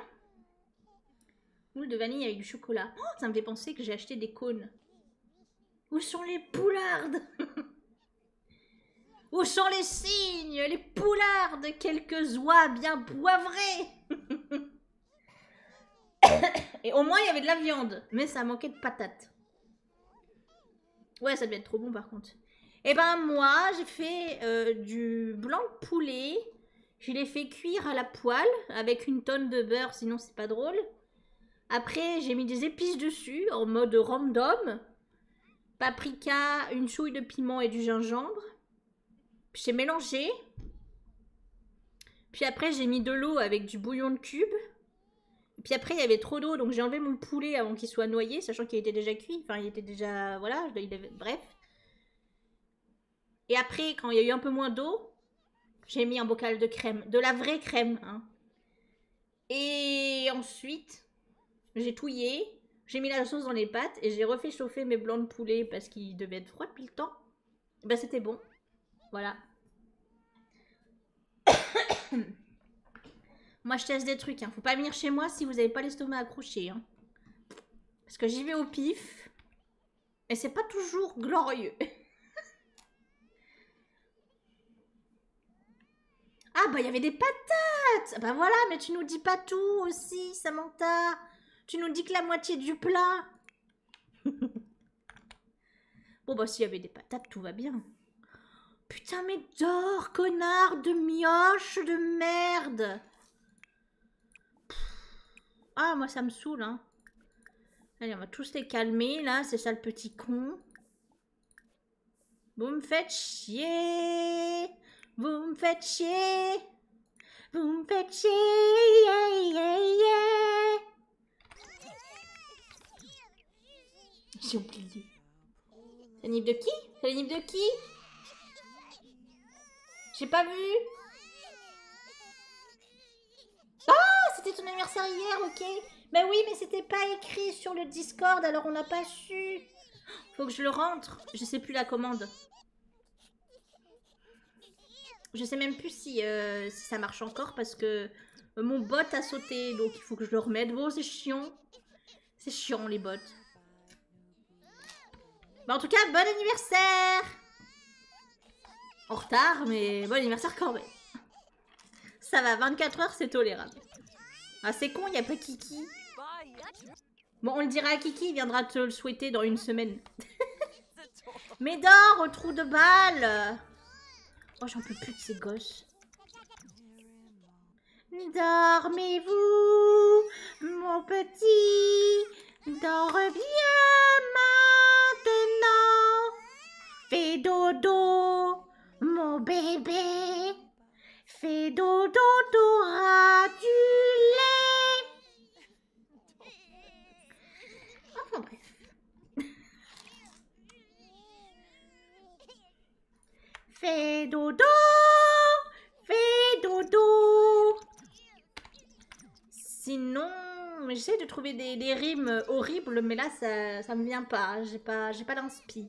Moule de vanille avec du chocolat. Oh, ça me fait penser que j'ai acheté des cônes. Où sont les poulardes Où sont les cygnes, les poulardes, quelques oies bien poivrées Et au moins il y avait de la viande, mais ça manquait de patates. Ouais, ça devait être trop bon par contre. Et eh ben moi, j'ai fait euh, du blanc poulet. Je l'ai fait cuire à la poêle avec une tonne de beurre, sinon c'est pas drôle. Après, j'ai mis des épices dessus en mode random. Paprika, une chouille de piment et du gingembre. J'ai mélangé. Puis après, j'ai mis de l'eau avec du bouillon de cube. Puis après, il y avait trop d'eau, donc j'ai enlevé mon poulet avant qu'il soit noyé, sachant qu'il était déjà cuit. Enfin, il était déjà. Voilà, bref. Et après, quand il y a eu un peu moins d'eau, j'ai mis un bocal de crème. De la vraie crème, hein. Et ensuite, j'ai touillé, j'ai mis la sauce dans les pâtes et j'ai refait chauffer mes blancs de poulet parce qu'ils devaient être froids depuis le temps. Bah c'était bon. Voilà. moi je teste des trucs, hein. faut pas venir chez moi si vous n'avez pas l'estomac accroché. Hein. Parce que j'y vais au pif. Et c'est pas toujours glorieux. Ah bah il y avait des patates Bah voilà, mais tu nous dis pas tout aussi, Samantha. Tu nous dis que la moitié du plat. bon bah s'il y avait des patates, tout va bien. Putain mais dors, connard de mioche de merde Ah moi ça me saoule hein. Allez, on va tous les calmer là, c'est ça le petit con. Vous me faites chier. Vous me faites chier. Vous me faites chier. J'ai oublié. C'est nipe de qui C'est nipe de qui J'ai pas vu. Ah, c'était ton anniversaire hier, ok. Mais oui, mais c'était pas écrit sur le Discord, alors on n'a pas su. Faut que je le rentre. Je sais plus la commande. Je sais même plus si, euh, si ça marche encore parce que euh, mon bot a sauté, donc il faut que je le remette. Bon, c'est chiant. C'est chiant, les bots. Bah, en tout cas, bon anniversaire En retard, mais bon anniversaire quand même. Ça va, 24 heures, c'est tolérable. Ah, c'est con, il a pas Kiki. Bon, on le dira à Kiki, il viendra te le souhaiter dans une semaine. dors au trou de balle Oh, j'en peux plus de ces gosses. Dormez-vous, mon petit Dors bien maintenant Fais dodo mon bébé. Fais dodo, dodo, du Enfin Fais dodo, fais dodo. Sinon, j'essaie de trouver des, rimes horribles, mais là, ça, ça me vient pas. J'ai pas, j'ai pas d'inspi.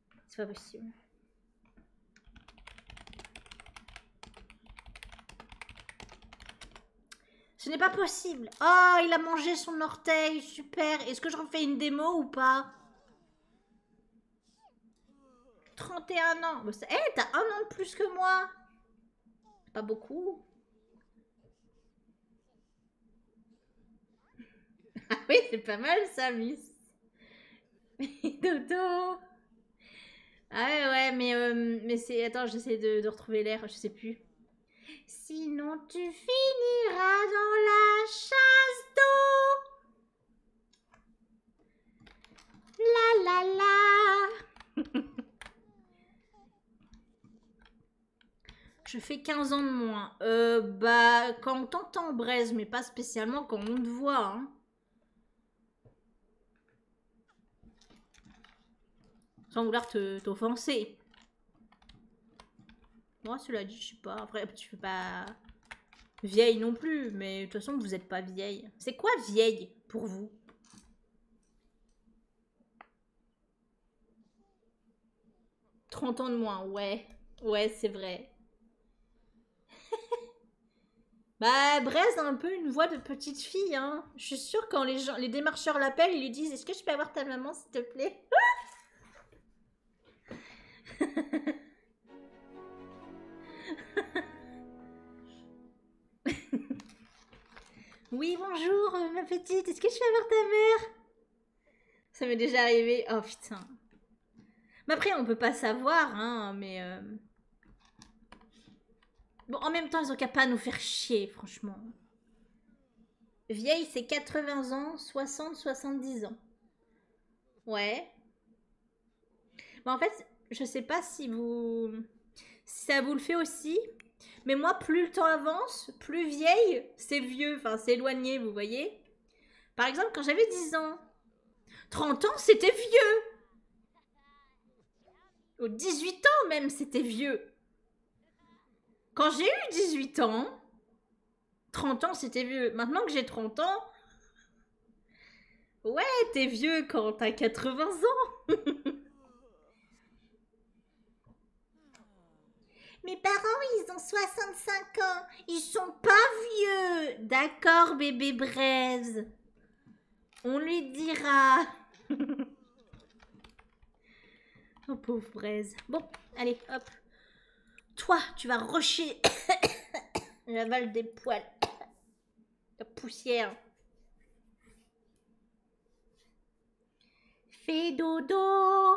c'est pas possible. Ce n'est pas possible. Oh, il a mangé son orteil. Super. Est-ce que je refais une démo ou pas 31 ans. Bah, eh, t'as un an de plus que moi. Pas beaucoup. Ah oui, c'est pas mal ça, Miss. dodo Ah ouais, ouais, mais, euh, mais c'est... Attends, j'essaie de, de retrouver l'air, je sais plus. Sinon tu finiras dans la chasse d'eau. La la la. Je fais 15 ans de moins. Euh, bah, quand on t'entend, Braise, mais pas spécialement quand on te voit. Hein. Sans vouloir t'offenser. Moi, cela dit, je sais pas. Après, tu fais pas vieille non plus, mais de toute façon, vous êtes pas vieille. C'est quoi vieille pour vous 30 ans de moins, ouais. Ouais, c'est vrai. bah, Brez a un peu une voix de petite fille, hein. Je suis sûre quand les, gens, les démarcheurs l'appellent, ils lui disent Est-ce que je peux avoir ta maman, s'il te plaît Oui, bonjour, ma petite. Est-ce que je peux avoir ta mère ça m'est déjà arrivé. Oh putain. Mais après, on peut pas savoir, hein, mais. Euh, bon, en même temps, ils ont qu'à pas nous faire chier, franchement. Vieille, c'est 80 ans, 60, 70 ans. Ouais. en fait, je sais pas si vous. Si ça vous le fait aussi. Mais moi, plus le temps avance, plus vieille, c'est vieux, enfin, c'est éloigné, vous voyez. Par exemple, quand j'avais 10 ans. 30 ans, c'était vieux. Ou 18 ans même, c'était vieux. Quand j'ai eu 18 ans, 30 ans, c'était vieux. Maintenant que j'ai 30 ans, ouais, t'es vieux quand t'as 80 ans. Mes parents, ils ont 65 ans. Ils sont pas vieux. D'accord, bébé Braise. On lui dira. oh, pauvre Braise. Bon, allez, hop. Toi, tu vas rocher. J'avale des poils. La poussière. Fais dodo,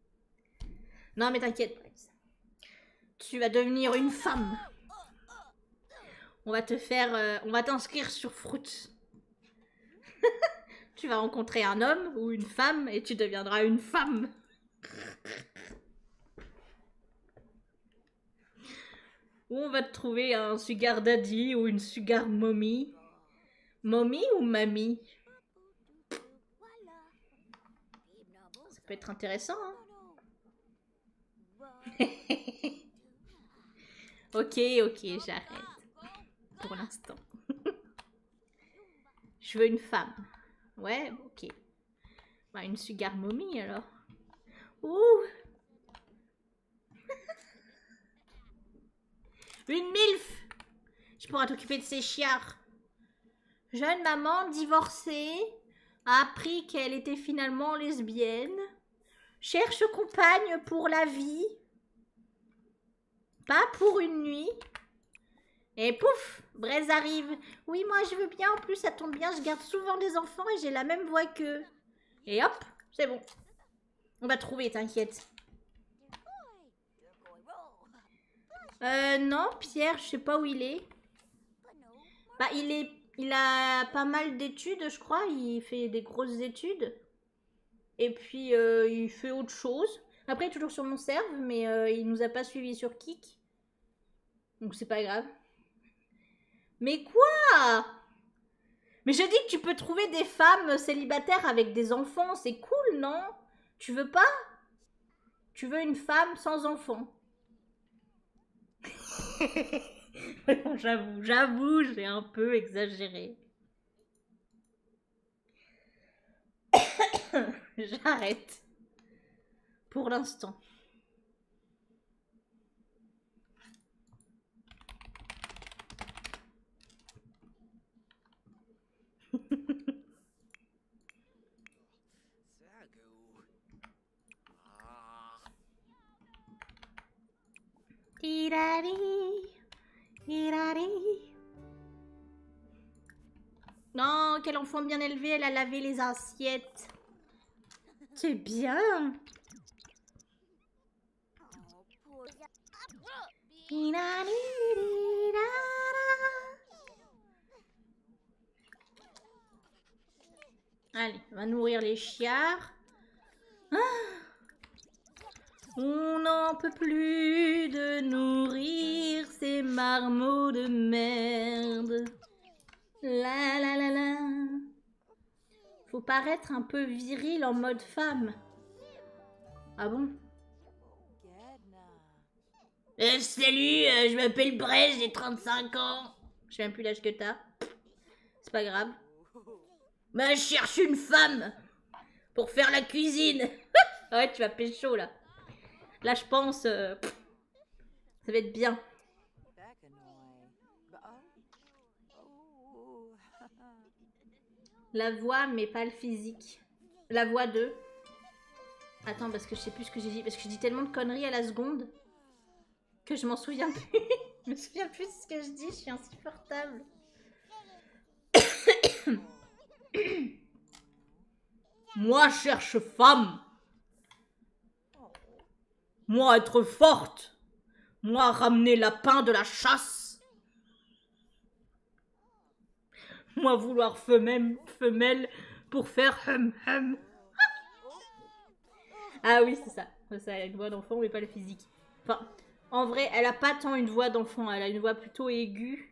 non, mais t'inquiète. Tu vas devenir une femme. On va te faire... Euh, on va t'inscrire sur Fruit. tu vas rencontrer un homme ou une femme et tu deviendras une femme. Ou on va te trouver un sugar daddy ou une sugar mommy. Mommy ou mamie ça peut être intéressant, hein. Ok, ok, j'arrête. Pour l'instant. Je veux une femme. Ouais, ok. Bah, une sugar mommy, alors. Ouh une MILF Je pourrais t'occuper de ces chiards. Jeune maman divorcée a appris qu'elle était finalement lesbienne. Cherche compagne pour la vie. Pas pour une nuit. Et pouf Braise arrive. Oui, moi je veux bien, en plus ça tombe bien, je garde souvent des enfants et j'ai la même voix qu'eux. Et hop, c'est bon. On va trouver, t'inquiète. Euh, non, Pierre, je sais pas où il est. Bah, il est, il a pas mal d'études, je crois. Il fait des grosses études. Et puis, euh, il fait autre chose. Après, il est toujours sur mon serve, mais euh, il nous a pas suivis sur Kik. Donc, c'est pas grave. Mais quoi Mais je dis que tu peux trouver des femmes célibataires avec des enfants. C'est cool, non tu veux pas Tu veux une femme sans enfant J'avoue, j'avoue, j'ai un peu exagéré. J'arrête. Pour l'instant. Non, quel enfant bien élevé, elle a lavé les assiettes. C'est bien. Allez, on va nourrir les chiards. on n'en peut plus de nourrir ces marmots de merde. La la la la. Faut paraître un peu viril en mode femme. Ah bon euh, salut, euh, je m'appelle Bres, j'ai 35 ans. Je suis même plus l'âge que t'as. C'est pas grave. mais je cherche une femme pour faire la cuisine. ouais, tu vas pécho là. Là, je pense, euh, ça va être bien. La voix, mais pas le physique. La voix de... Attends, parce que je sais plus ce que j'ai dit. Parce que je dis tellement de conneries à la seconde que je m'en souviens plus. je me souviens plus de ce que je dis, je suis insupportable. Moi, cherche femme. Moi, être forte. Moi, ramener lapin de la chasse. Moi vouloir femelle, femelle pour faire hum hum. ah oui, c'est ça. Ça, a une voix d'enfant, mais pas le physique. Enfin, en vrai, elle a pas tant une voix d'enfant, elle a une voix plutôt aiguë.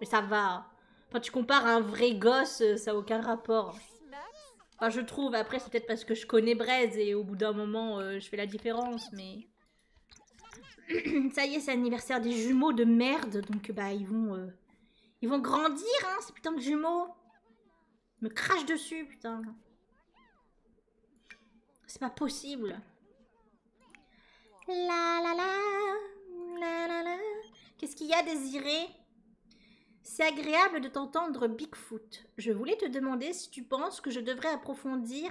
Mais ça va. Enfin, tu compares un vrai gosse, euh, ça n'a aucun rapport. Enfin, je trouve, après, c'est peut-être parce que je connais Braise et au bout d'un moment, euh, je fais la différence, mais... ça y est, c'est l'anniversaire des jumeaux de merde, donc euh, bah ils vont, euh, ils vont grandir, hein, ces putains de jumeaux. Ils me crache dessus, putain. C'est pas possible. la, Qu'est-ce qu'il y a, Désiré C'est agréable de t'entendre, Bigfoot. Je voulais te demander si tu penses que je devrais approfondir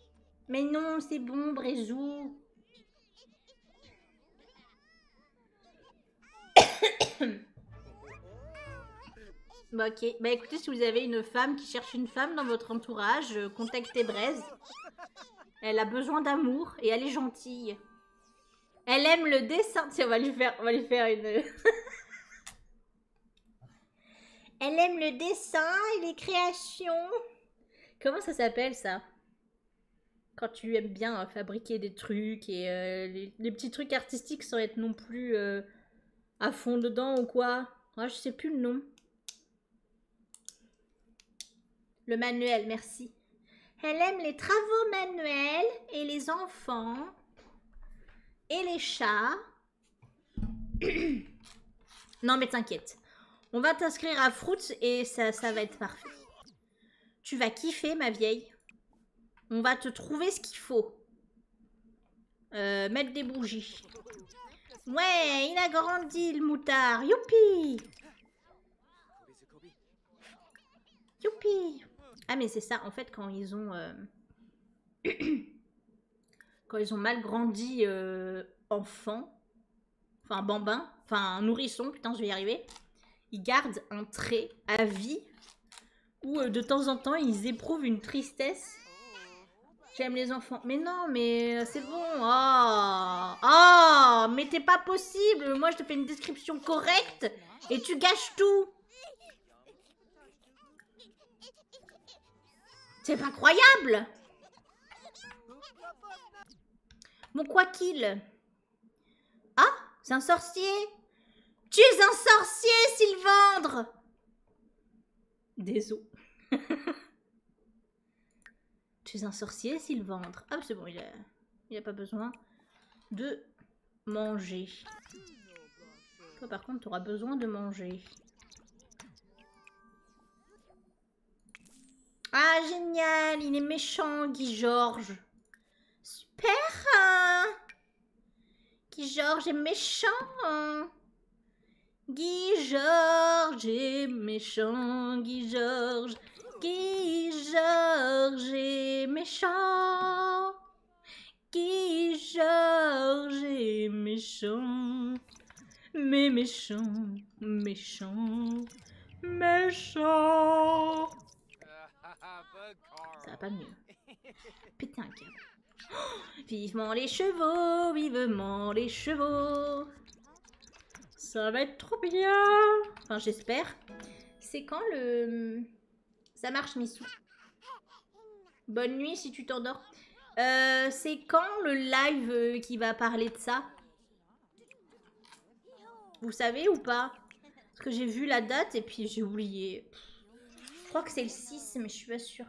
Mais non, c'est bon, Brézou. Bah, ok. Bah écoutez, si vous avez une femme qui cherche une femme dans votre entourage, euh, contactez Braise. Elle a besoin d'amour et elle est gentille. Elle aime le dessin. Tiens, faire, on va lui faire une... Elle aime le dessin et les créations. Comment ça s'appelle ça Quand tu aimes bien hein, fabriquer des trucs et euh, les, petits trucs artistiques sans être non plus euh, à fond dedans ou quoi ah, Je sais plus le nom. Le manuel, merci. Elle aime les travaux manuels et les enfants et les chats non, mais t'inquiète. On va t'inscrire à Fruits et ça, va être parfait. Tu vas kiffer, ma vieille. On va te trouver ce qu'il faut. Euh, mettre des bougies. Ouais, il a grandi, le moutard. Youpi Youpi Ah, mais c'est ça, en fait, quand ils ont... Euh, quand ils ont mal grandi euh, enfant, enfin bambin, enfin nourrisson, putain, je vais y arriver, ils gardent un trait à vie où euh, de temps en temps ils éprouvent une tristesse. J'aime les enfants. Mais non, mais euh, c'est bon. Ah, ah, mais t'es pas possible. Moi, je te fais une description correcte et tu gâches tout. C'est pas croyable Mon quoi qu'il Ah, c'est un sorcier Tu es un sorcier, Sylvandre Désolé. tu es un sorcier, Sylvandre. Ah, c'est bon, il a, a pas besoin de manger. Toi, par contre, tu auras besoin de manger. Ah, génial, il est méchant, Guy Georges. Super hein. Guy Georges est méchant Guy Georges est méchant, Guy Georges. Guy Georges est méchant. Guy Georges est méchant. Mais méchant, méchant, méchant. Ça va pas mieux. Putain, oh, Vivement les chevaux, vivement les chevaux. Ça va être trop bien. Enfin, j'espère. C'est quand le... Ça marche, Missou Bonne nuit si tu t'endors. Euh, c'est quand le live euh, qui va parler de ça Vous savez ou pas Parce que j'ai vu la date et puis j'ai oublié. Je crois que c'est le 6, mais je suis pas sûre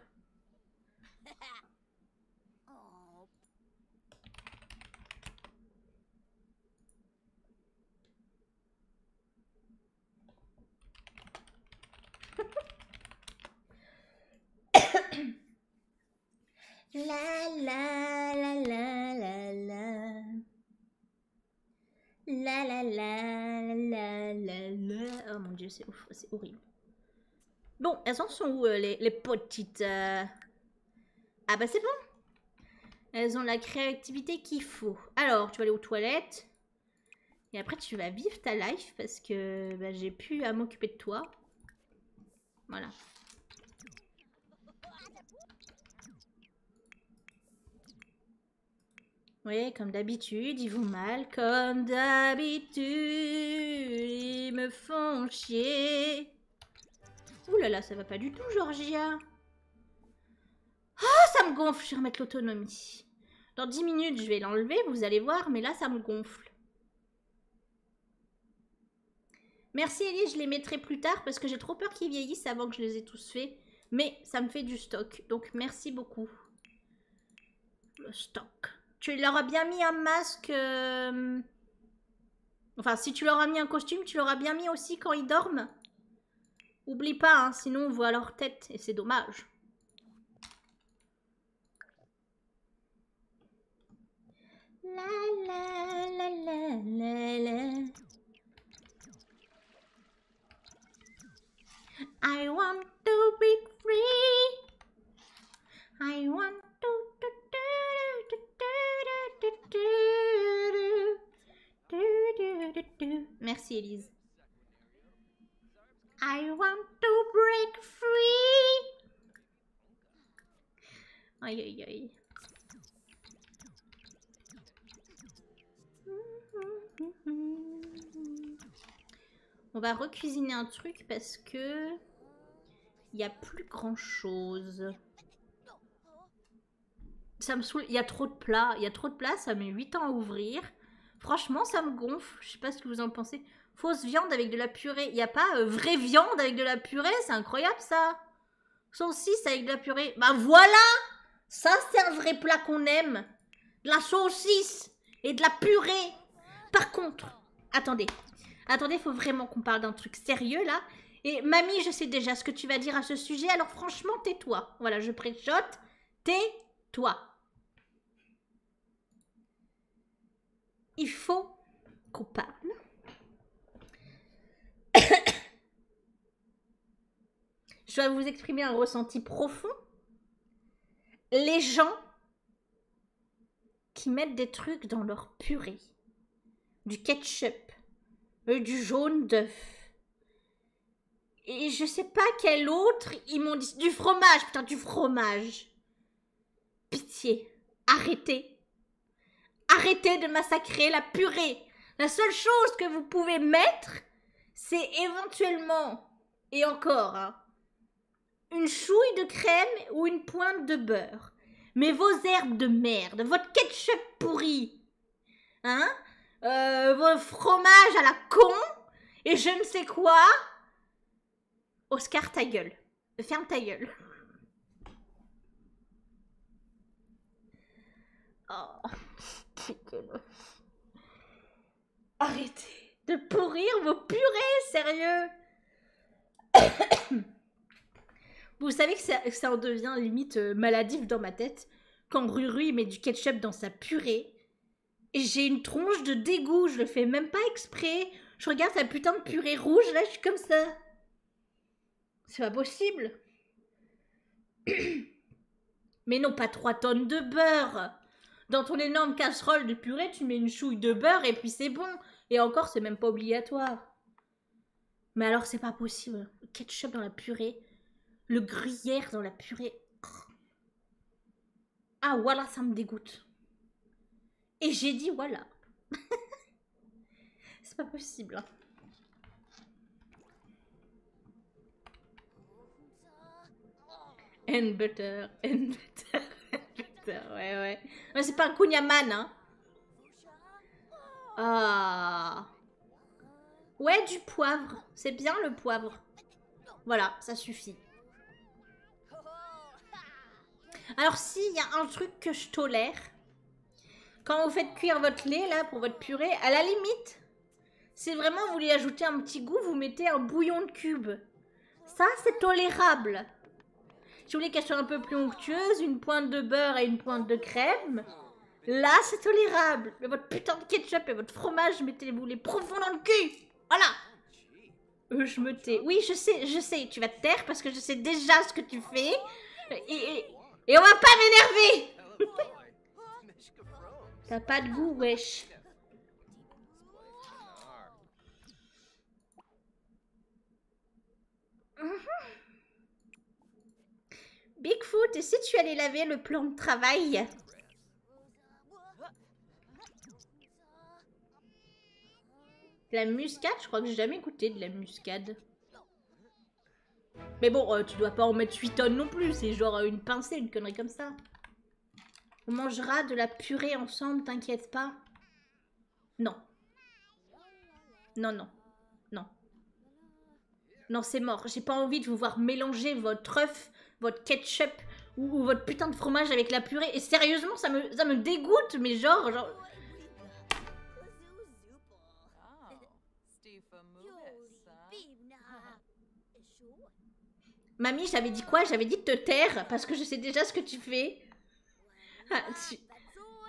la la la la la la. La la la la la la. Oh mon dieu, c'est horrible. Bon, elles sont où euh, les, petites euh? Ah bah c'est bon. Elles ont la créativité qu'il faut. Alors, tu vas aller aux toilettes. Et après, tu vas vivre ta life parce que bah, j'ai plus à m'occuper de toi. Voilà. Oui, comme d'habitude, ils vous mal. Comme d'habitude, ils me font chier. Ouh là là, ça va pas du tout, Georgia. Oh, ça me gonfle, je vais remettre l'autonomie. Dans 10 minutes, je vais l'enlever, vous allez voir, mais là, ça me gonfle. Merci Ellie, je les mettrai plus tard parce que j'ai trop peur qu'ils vieillissent avant que je les ai tous faits. Mais ça me fait du stock, donc merci beaucoup. Le stock. Tu leur as bien mis un masque... Euh, enfin, si tu leur as mis un costume, tu leur bien mis aussi quand ils dorment. Oublie pas, hein, sinon on voit leur tête et c'est dommage. La la la la la la. I want to be free. I want to do do do do do do do do do do do. Merci Elise. I want to break free. Aïe On va recuisiner un truc parce que il a plus grand chose. Ça me il y a trop de plats, il y trop de plats, ça met 8 ans à ouvrir. Franchement, ça me gonfle, je sais pas ce que vous en pensez fausse viande avec de la purée. Il n'y a pas euh, vraie viande avec de la purée, c'est incroyable ça. Saucisse avec de la purée. Bah voilà Ça c'est un vrai plat qu'on aime. De la saucisse et de la purée. Par contre, attendez. Attendez, faut vraiment qu'on parle d'un truc sérieux là. Et mamie, je sais déjà ce que tu vas dire à ce sujet, alors franchement, tais-toi. Voilà, je prêchotte, Tais-toi. Il faut qu'on parle. Je dois vous exprimer un ressenti profond. Les gens qui mettent des trucs dans leur purée, du ketchup, euh, du jaune d'œuf, et je sais pas quel autre, ils m'ont dit du fromage, putain, du fromage. Pitié, arrêtez. Arrêtez de massacrer la purée. La seule chose que vous pouvez mettre, c'est éventuellement, et encore, hein, une chouille de crème ou une pointe de beurre. Mais vos herbes de merde, votre ketchup pourri, hein, euh, fromage à la con, et je ne sais quoi, Oscar, ta gueule. Ferme ta oh, gueule. Arrêtez de pourrir vos purées, sérieux Vous savez que ça, en devient limite euh, maladif dans ma tête quand Ruru met du ketchup dans sa purée j'ai une tronche de dégoût, je le fais même pas exprès. Je regarde sa putain de purée rouge, là, je suis comme ça. C'est pas possible. Mais non, pas trois tonnes de beurre. Dans ton énorme casserole de purée, tu mets une chouille de beurre et puis c'est bon. Et encore, c'est même pas obligatoire. Mais alors, c'est pas possible. Le ketchup dans la purée, le gruyère dans la purée. Ah voilà, ça me dégoûte. Et j'ai dit voilà. C'est pas possible. And hein. butter, and butter, and butter. Ouais, ouais. Mais c'est pas un Kunyaman, hein. Ah. Ouais, du poivre. C'est bien le poivre. Voilà, ça suffit. Alors si, y a un truc que je tolère. Quand vous faites cuire votre lait, là, pour votre purée, à la limite, si vraiment vous voulez ajouter un petit goût, vous mettez un bouillon de cube. Ça, c'est tolérable. Si vous voulez qu'elle soit un peu plus onctueuse, une pointe de beurre et une pointe de crème, là, c'est tolérable. Mais votre putain de ketchup et votre fromage, mettez-vous les profonds dans le cul. Voilà. Euh, je me tais. Oui, je sais, je sais. Tu vas te taire parce que je sais déjà ce que tu fais. Et, on va pas m'énerver T'as pas de goût, wesh. Bigfoot, et si tu allais laver le plan de travail la muscade, je crois que j'ai jamais goûté de la muscade. Mais bon, euh, tu dois pas en mettre 8 tonnes non plus, c'est genre euh, une pincée, une connerie comme ça. On mangera de la purée ensemble, t'inquiète pas. Non. Non, non. Non. Non, c'est mort. J'ai pas envie de vous voir mélanger votre œuf, votre ketchup, ou, votre putain de fromage avec la purée. Et sérieusement, ça me, me dégoûte, mais genre, genre... Mamie, j'avais dit quoi J'avais dit de te taire parce que je sais déjà ce que tu fais. Ah,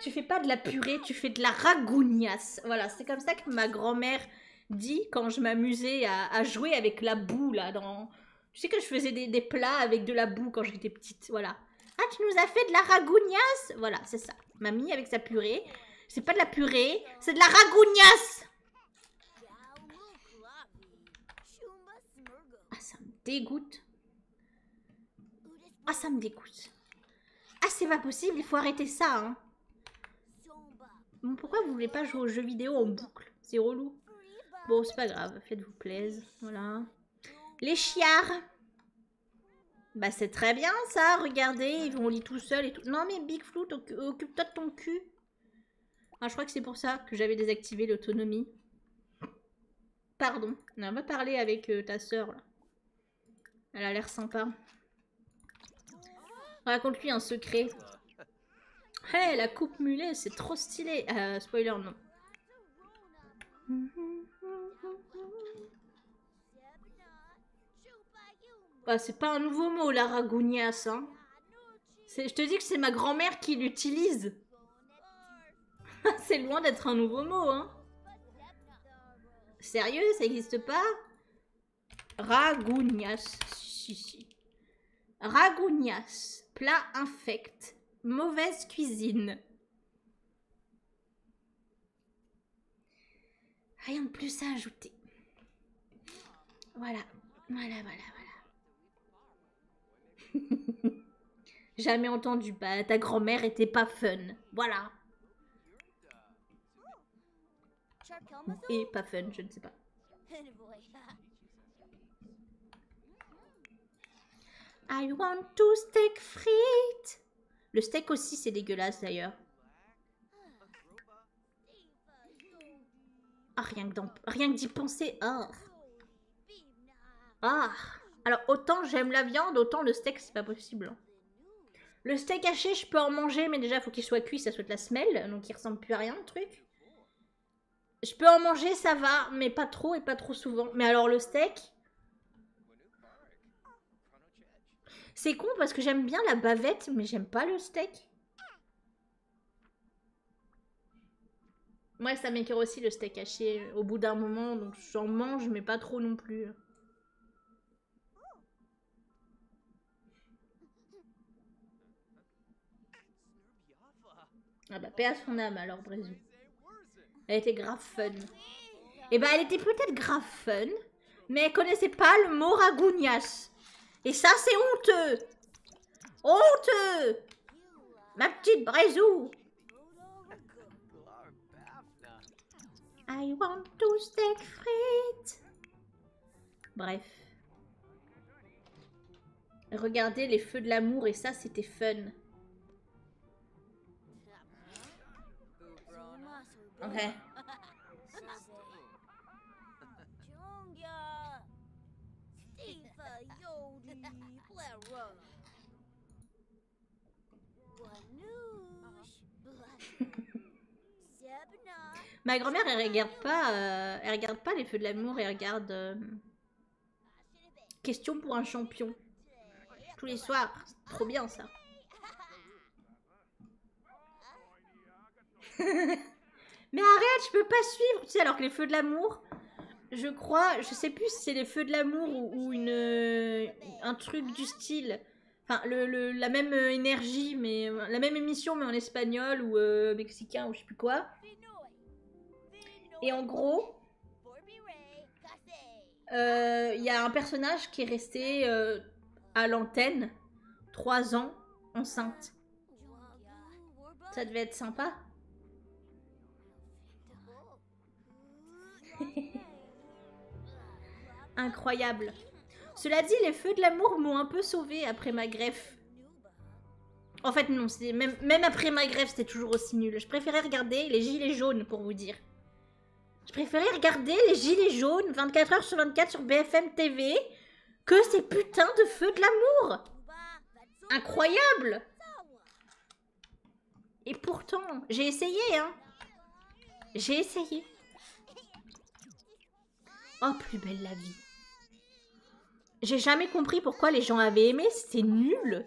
tu, fais pas de la purée, tu fais de la ragounias Voilà, c'est comme ça que ma grand-mère dit quand je m'amusais à, à, jouer avec la boue là dans, je sais que je faisais des, plats avec de la boue quand j'étais petite, voilà. Ah, tu nous as fait de la ragounias Voilà, c'est ça. Mamie avec sa purée. C'est pas de la purée, c'est de la ragounias Ah, ça me dégoûte. Ah, ça me dégoûte. Ah, c'est pas possible, il faut arrêter ça, hein. pourquoi vous voulez pas jouer aux jeux vidéo en boucle C'est relou. Bon, c'est pas grave, faites-vous plaisir. Voilà. Les chiards. Bah, c'est très bien ça, regardez, ils vont lit tout seul et tout. Non, mais Big Flou, occupe-toi de ton cul. Ah, je crois que c'est pour ça que j'avais désactivé l'autonomie. Pardon. On va parler avec euh, ta sœur. Là. Elle a l'air sympa. Raconte-lui un secret. Hé, la coupe mulet, c'est trop stylé. Euh, spoiler, non. Ah, c'est pas un nouveau mot, la ça Hein. Je te dis que c'est ma grand-mère qui l'utilise. c'est loin d'être un nouveau mot. Hein. Sérieux, ça n'existe pas ragounias Ragounias, plat infect, mauvaise cuisine. Rien de plus à ajouter. Voilà, voilà, voilà, voilà. Jamais entendu, bah, ta grand-mère était pas fun. Voilà. Et pas fun, je ne sais pas. I want to steak frites. Le steak aussi, c'est dégueulasse d'ailleurs. Ah, rien que d'y penser. Alors, autant j'aime la viande, autant le steak, c'est pas possible. Hein. Le steak haché, je peux en manger, mais déjà, faut qu'il soit cuit, ça soit la semelle, donc il ressemble plus à rien, le truc. Je peux en manger, ça va, mais pas trop et pas trop souvent. Mais alors le steak C'est con parce que j'aime bien la bavette, mais j'aime pas le steak. Moi, ça m'écœure aussi le steak haché au bout d'un moment, donc j'en mange, mais pas trop non plus. Ah bah paix à son âme alors Brézou. Elle était grave fun. Et eh bah elle était peut-être grave fun, mais elle connaissait pas le mot ragounias. Et ça c'est honteux Honteux Ma petite Brézou I want to steak Bref. Regardez les feux de l'amour et ça, c'était fun. Ma grand-mère, elle regarde pas, euh, elle regarde pas les feux de l'amour, elle regarde euh, Question pour un champion. Tous les soirs, trop bien ça. Mais arrête, je peux pas suivre, tu sais, alors que les feux de l'amour, je crois, je sais plus si c'est les feux de l'amour ou, une, euh, un truc du style. Enfin, le, la même énergie, mais la même émission, mais en espagnol ou euh, mexicain ou je sais plus quoi. Et en gros, il euh, y a un personnage qui est resté euh, à l'antenne trois ans enceinte. Ça devait être sympa. Incroyable. Cela dit, les feux de l'amour m'ont un peu sauvé après ma greffe. En fait, non, même, même après ma grève, c'était toujours aussi nul. Je préférais regarder les gilets jaunes, pour vous dire. Je préférais regarder les gilets jaunes 24h sur 24 sur BFM TV que ces putains de feux de l'amour. Incroyable Et pourtant, j'ai essayé, hein. J'ai essayé. Oh, plus belle la vie. J'ai jamais compris pourquoi les gens avaient aimé, c'était nul.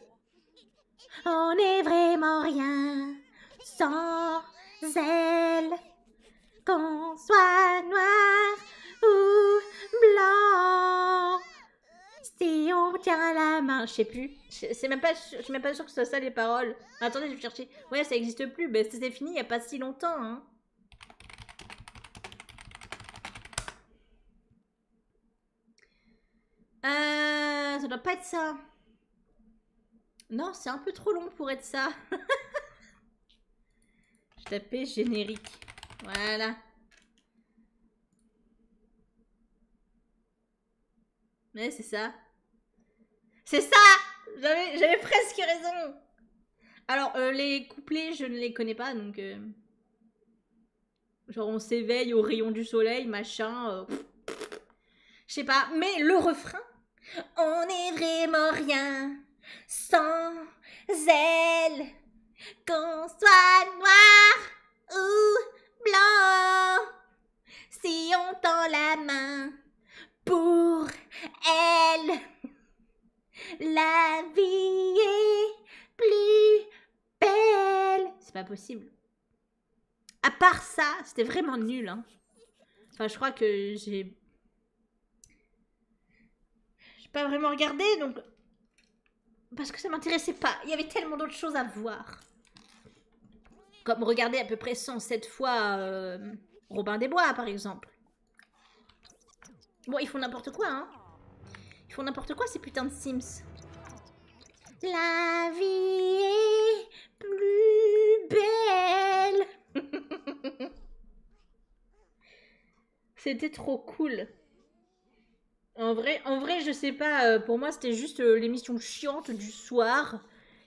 On n'est vraiment rien sans elle, qu'on soit noir ou blanc. Si on tient la main, je sais plus. C'est même je suis même pas sûr que ce soit ça les paroles. Attendez, je vais chercher. Ouais, ça existe plus. Ben, c'était fini il n'y a pas si longtemps. Hein. Euh, ça doit pas être ça. Non, c'est un peu trop long pour être ça. Je tapais générique. Voilà. Mais c'est ça. C'est ça J'avais presque raison. Alors, euh, les couplets, je ne les connais pas, donc... Euh, Genre on s'éveille au rayon du soleil, machin. Euh, Je sais pas, mais le refrain. On est vraiment rien sans elle, qu'on soit noir ou blanc, si on tend la main pour elle, la vie est plus belle. C'est pas possible. À part ça, c'était vraiment nul. Hein. Enfin, je crois que j'ai. J'ai pas vraiment regardé, donc. Parce que ça m'intéressait pas. Il y avait tellement d'autres choses à voir. Comme regarder à peu près 107 fois euh, Robin des Bois, par exemple. Bon, ils font n'importe quoi, hein. Ils font n'importe quoi, ces putains de Sims. La vie est plus belle. c'était trop cool. En vrai, en vrai, je sais pas. Euh, pour moi, c'était juste euh, l'émission chiante du soir.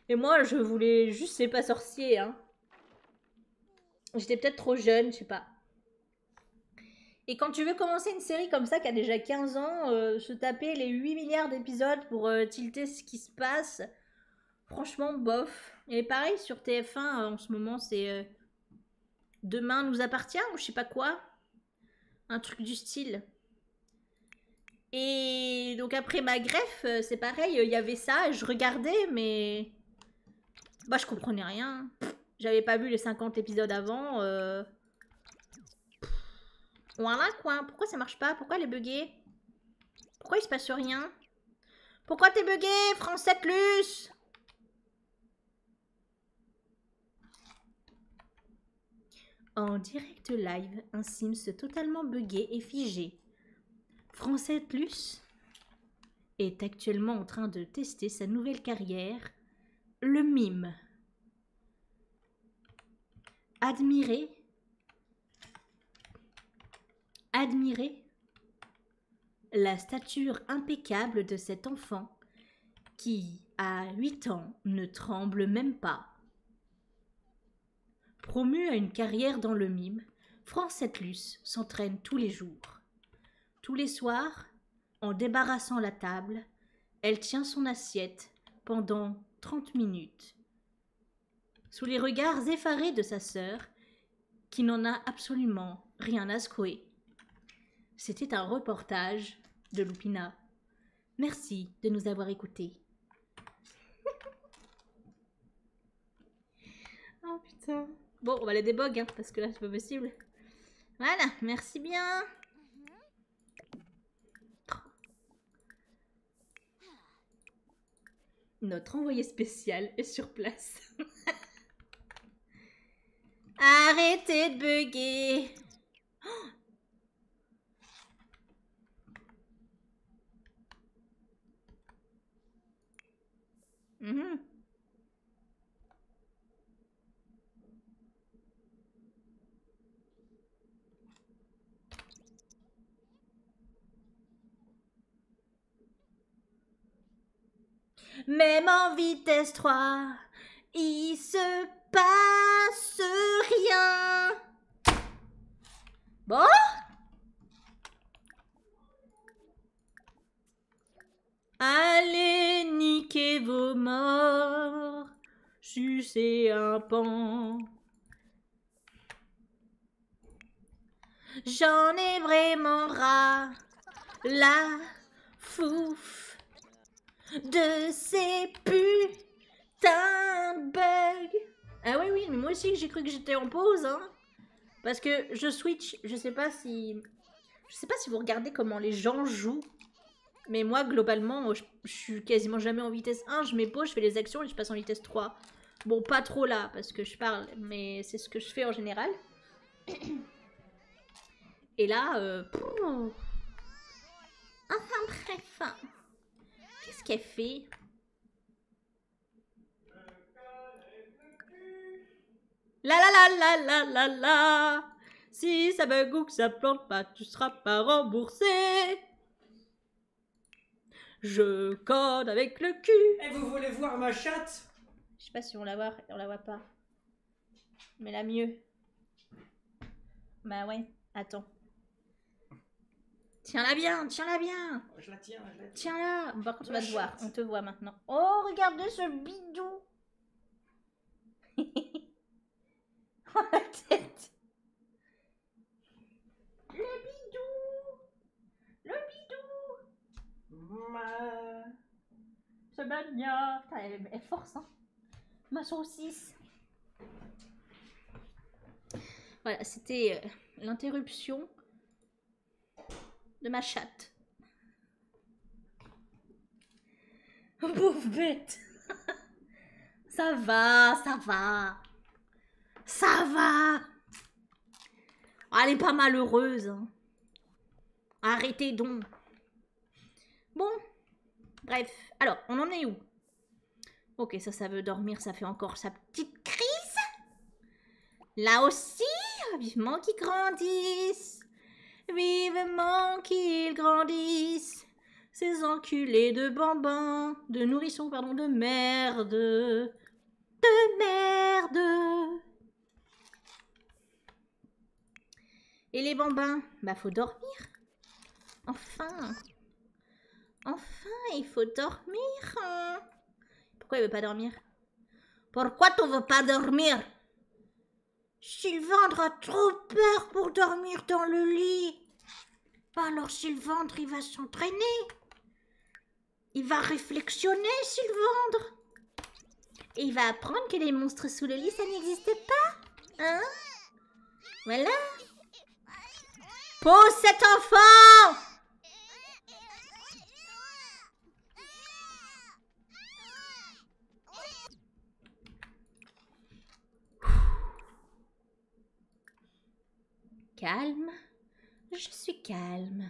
Et moi, je voulais juste c'est pas sorcier. Hein. J'étais peut-être trop jeune, je sais pas. Et quand tu veux commencer une série comme ça qui a déjà 15 ans, euh, se taper les 8 milliards d'épisodes pour euh, tilter ce qui se passe, franchement, bof. Et pareil, sur TF1 euh, en ce moment, c'est Demain nous appartient ou je sais pas quoi. Un truc du style. Et donc après ma greffe, c'est pareil, il y avait ça, je regardais, mais... Bah je comprenais rien. J'avais pas vu les 50 épisodes avant. Voilà euh, quoi. Pourquoi ça marche pas Pourquoi elle est buggée Pourquoi il se passe rien Pourquoi t'es buggée, Français Plus En direct live, un Sims totalement buggé et figé. Français Plus est actuellement en train de tester sa nouvelle carrière, le mime. Admirez, admirez la stature impeccable de cet enfant qui, à huit ans, ne tremble même pas. Promu à une carrière dans le mime, Luce s'entraîne tous les jours. Tous les soirs, en débarrassant la table, elle tient son assiette pendant trente minutes. Sous les regards effarés de sa sœur, qui n'en a absolument rien à secouer. C'était un reportage de Lupina. Merci de nous avoir écoutés. oh putain. Bon, on va les déboguer hein, parce que là, c'est pas possible. Voilà, merci bien. Mhm. Notre envoyé spécial est sur place. Arrêtez de bugger mhm. Même en vitesse 3, il se passe rien. Bon Allez, niquez vos morts, sucez un pan. J'en ai vraiment ras, la fouf, de ces putains de bugs. Ah oui, oui, mais moi aussi j'ai cru que j'étais en pause, hein. Parce que je switch, je sais pas si... Je sais pas si vous regardez comment les gens jouent mais moi, globalement, je, suis quasiment jamais en vitesse 1. Je mets je fais les actions et je passe en vitesse 3. Bon, pas trop là, parce que je parle, mais c'est ce que je fais en général. Et là, un euh, Enfin bref. Hein. Qu'est-ce qu'elle fait La la la la la la la si ça me que ça plante pas, tu seras pas remboursé. Je code avec le cul. Et eh, vous voulez voir ma chatte Je sais pas si on la voit, on la voit pas. Mais la mieux. Bah ouais, attends. Tiens-la bien, tiens-la bien. Je la tiens, je la tiens. Tiens-la. on va te voir, on te voit maintenant. Oh, regardez ce bidou. Oh, la tête Le bidou Le bidou c'est bagna elle, force, hein Ma saucisse Voilà, c'était euh, l'interruption de ma chatte. Bouf bête. ça va, ça va. Ça va. Ah, elle est pas malheureuse. Hein. Arrêtez donc. Bon. Bref. Alors, on en est où Ok, ça, ça veut dormir. Ça fait encore sa petite crise. Là aussi, vivement qu'ils grandissent. Vivement qu'ils grandissent ces enculés de bambins, de nourrissons, pardon, de merde, de merde. Et les bambins, bah faut dormir. Enfin, enfin, il faut dormir. Pourquoi il veut pas dormir Pourquoi tu veux pas dormir Sylvandre a trop peur pour dormir dans le lit. Alors Sylvandre, il va s'entraîner. Il va réflexionner, Sylvandre. Et il va apprendre que les monstres sous le lit, ça n'existait pas. Hein Voilà. Pour cet enfant Calme, je suis calme.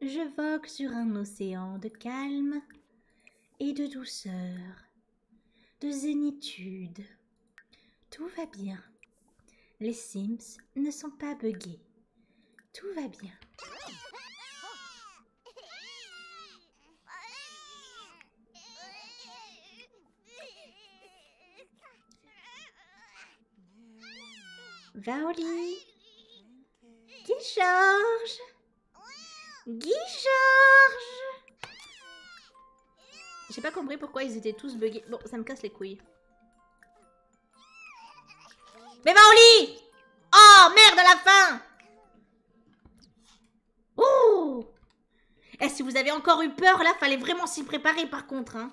Je vogue sur un océan de calme et de douceur, de zénitude. Tout va bien. Les Sims ne sont pas buggés. Tout va bien. Va au lit. Guy George J'ai pas compris pourquoi ils étaient tous buggés. Bon, ça me casse les couilles. Mais va lit Oh, merde la fin Oh Eh, si vous avez encore eu peur, là, fallait vraiment s'y préparer, par contre, hein.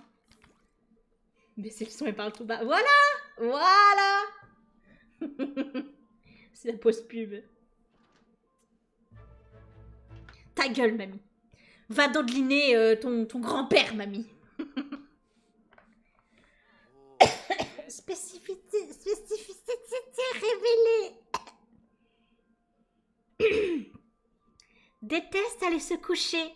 Baissez le son et parle tout bas. Voilà Voilà C'est la pause pub. Ta gueule, mamie. Va dodeliner euh, ton, grand-père, mamie. spécificité révélée. Déteste aller se coucher.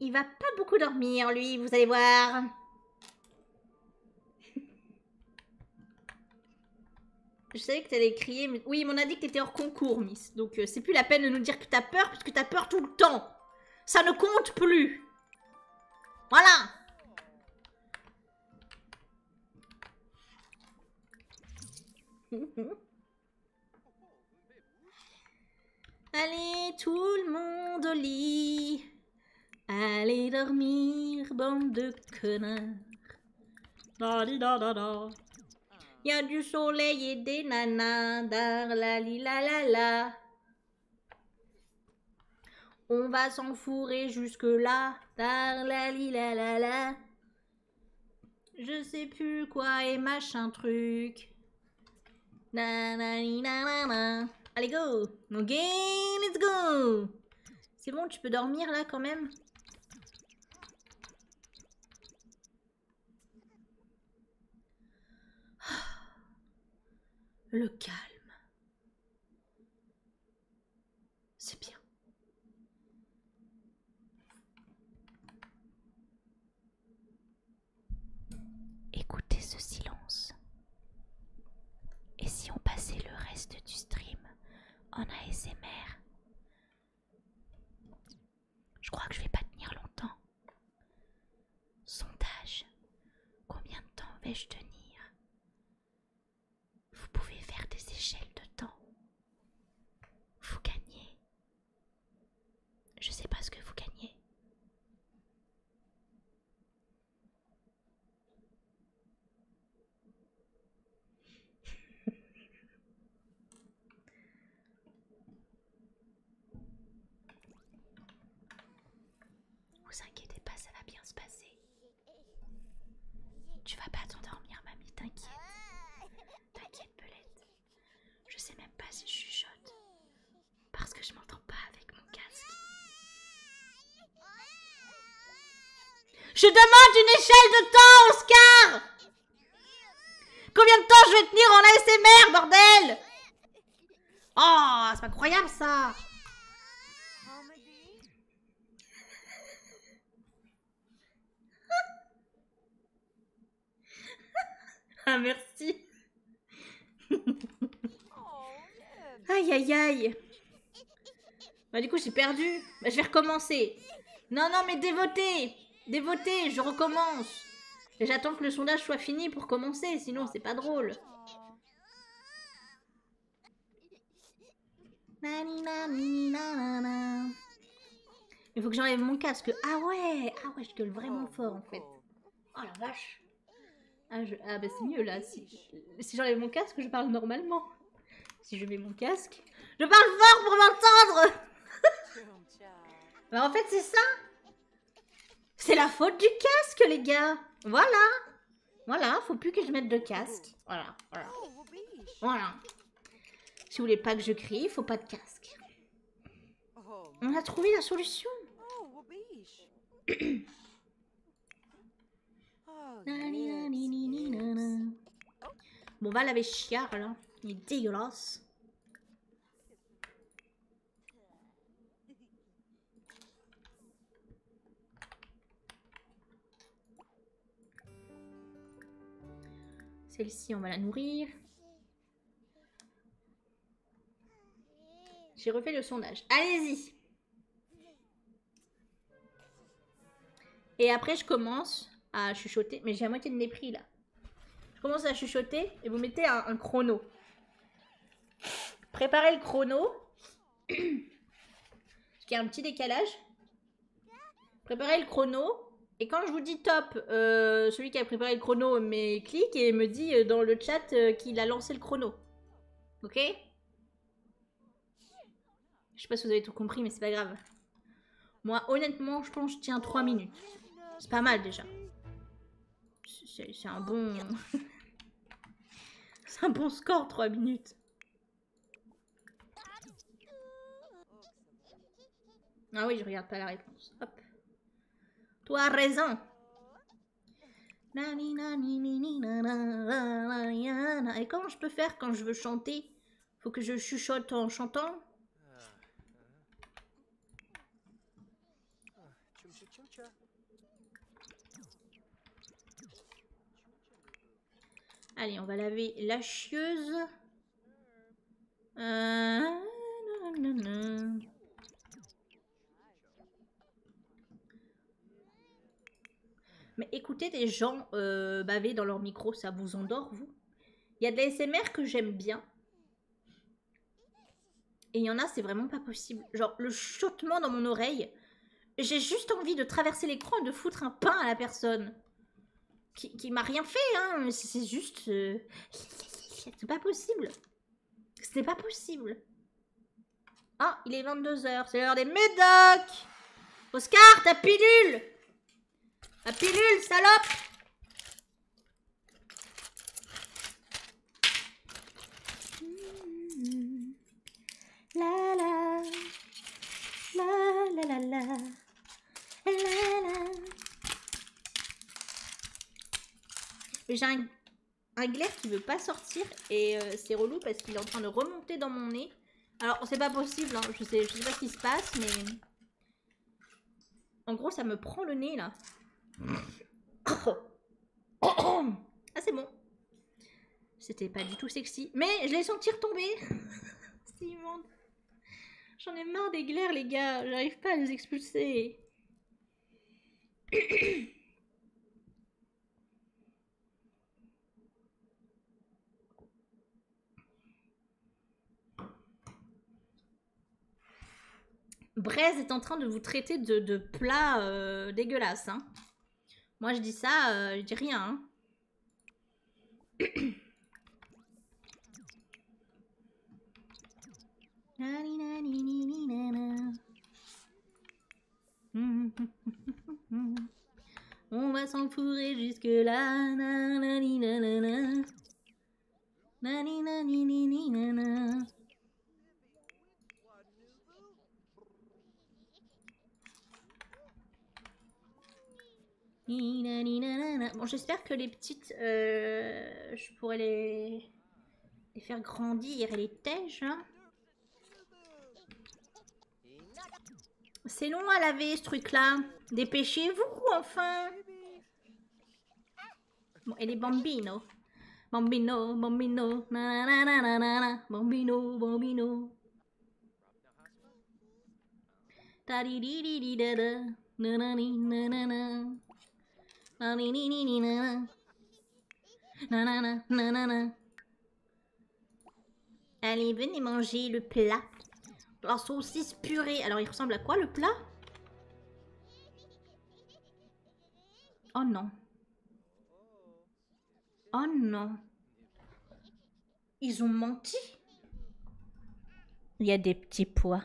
Il va pas beaucoup dormir, lui, vous allez voir. Je savais que t'allais crier, Oui, mais on a dit que t'étais hors concours, Miss. Donc euh, c'est plus la peine de nous dire que t'as peur, puisque que t'as peur tout le temps. Ça ne compte plus. Voilà. Allez, tout le monde au lit. Allez dormir, bande de connards. Da Y a du soleil et des nanas. la li la la la. On va s'enfourrer jusque là. la la la la. Je sais plus quoi et machin truc. Na na na na Allez go. game, let's go. C'est bon, tu peux dormir là quand même. Le calme. C'est bien. Écoutez ce silence. Et si on passait le reste du stream en ASMR Je crois que je vais pas tenir longtemps. Sondage. Combien de temps vais-je tenir vous pouvez faire des échelles de temps. Vous gagnez. Je sais pas ce que vous gagnez. Vous inquiétez pas, ça va bien se passer. Tu vas pas t'endormir, mamie, t'inquiète. T'inquiète, Belette. Je sais même pas si je chuchote. Parce que je m'entends pas avec mon casque. Je demande une échelle de temps, Oscar Combien de temps je vais tenir en ASMR, bordel Oh, c'est incroyable, ça Ah, merci. aïe, aïe, aïe. Bah, du coup, j'ai perdu. Bah, je vais recommencer. Non, non, mais dévotez. Dévotez, je recommence. J'attends que le sondage soit fini pour commencer, sinon c'est pas drôle. Il faut que j'enlève mon casque. Ah ouais Ah ouais, je gueule vraiment oh, fort en fait. Oh, oh la vache Ah, ah bah, c'est mieux là. Si, si j'enlève mon casque, je parle normalement. Si je mets mon casque, je parle fort pour m'entendre Bah en fait c'est ça C'est la faute du casque les gars Voilà voilà, faut plus que je mette de casque. Voilà, voilà. Oh, voilà. Si vous voulez pas que je crie, faut pas de casque. Oh. On a trouvé la solution. Bon, va laver chiard, là. Il est dégueulasse. Celle-ci, on va la nourrir. J'ai refait le sondage. Allez-y Et après, je commence à chuchoter. Mais j'ai à moitié de mépris là. Je commence à chuchoter et vous mettez un chrono. Préparez le chrono il y a un petit décalage. Préparez le chrono. Et quand je vous dis top, euh, celui qui a préparé le chrono mais clique et me dit euh, dans le chat euh, qu'il a lancé le chrono. Ok Je sais pas si vous avez tout compris, mais c'est pas grave. Moi, honnêtement, je pense que je tiens 3 minutes. C'est pas mal déjà. C'est un bon... c'est un bon score, 3 minutes. Ah oui, je regarde pas la réponse. Toi raison. Et comment je peux faire quand je veux chanter Faut que je chuchote en chantant Allez, on va laver la chieuse. Euh, Mais écoutez des gens euh, bavés dans leur micro, ça vous endort, vous Il y a de S.M.R que j'aime bien. Et il y en a, c'est vraiment pas possible. Genre, le chottement dans mon oreille, j'ai juste envie de traverser l'écran et de foutre un pain à la personne. Qui, m'a rien fait, hein. C'est juste... Euh, c'est pas possible. C'est pas possible. Ah, il est 22h. C'est l'heure des médocs. Oscar, ta pilule Ta pilule, salope mmh. La la la la la la J'ai un, glaire qui veut pas sortir et euh, c'est relou parce qu'il est en train de remonter dans mon nez. Alors c'est pas possible, hein. je, sais, je sais pas ce qui se passe mais... En gros ça me prend le nez là. ah c'est bon. C'était pas du tout sexy. Mais je l'ai senti tomber Simon, J'en ai marre des glaires, les gars. J'arrive pas à nous expulser. Braise est en train de vous traiter de, plat euh, dégueulasse. Hein. Moi, je dis ça, euh, je dis rien. Hein. On va s'enfourrer jusque là. Bon, j'espère que les petites, euh, je pourrais les... les faire grandir et les tèges. Hein. C'est long à laver ce truc-là. Dépêchez-vous, enfin. Bon, et les bambino. Bambino, bambino, na, bambino, bambino. Allez, venez manger le plat. La saucisse purée. Alors, il ressemble à quoi le plat Oh non. Oh non. Ils ont menti. Il y a des petits pois.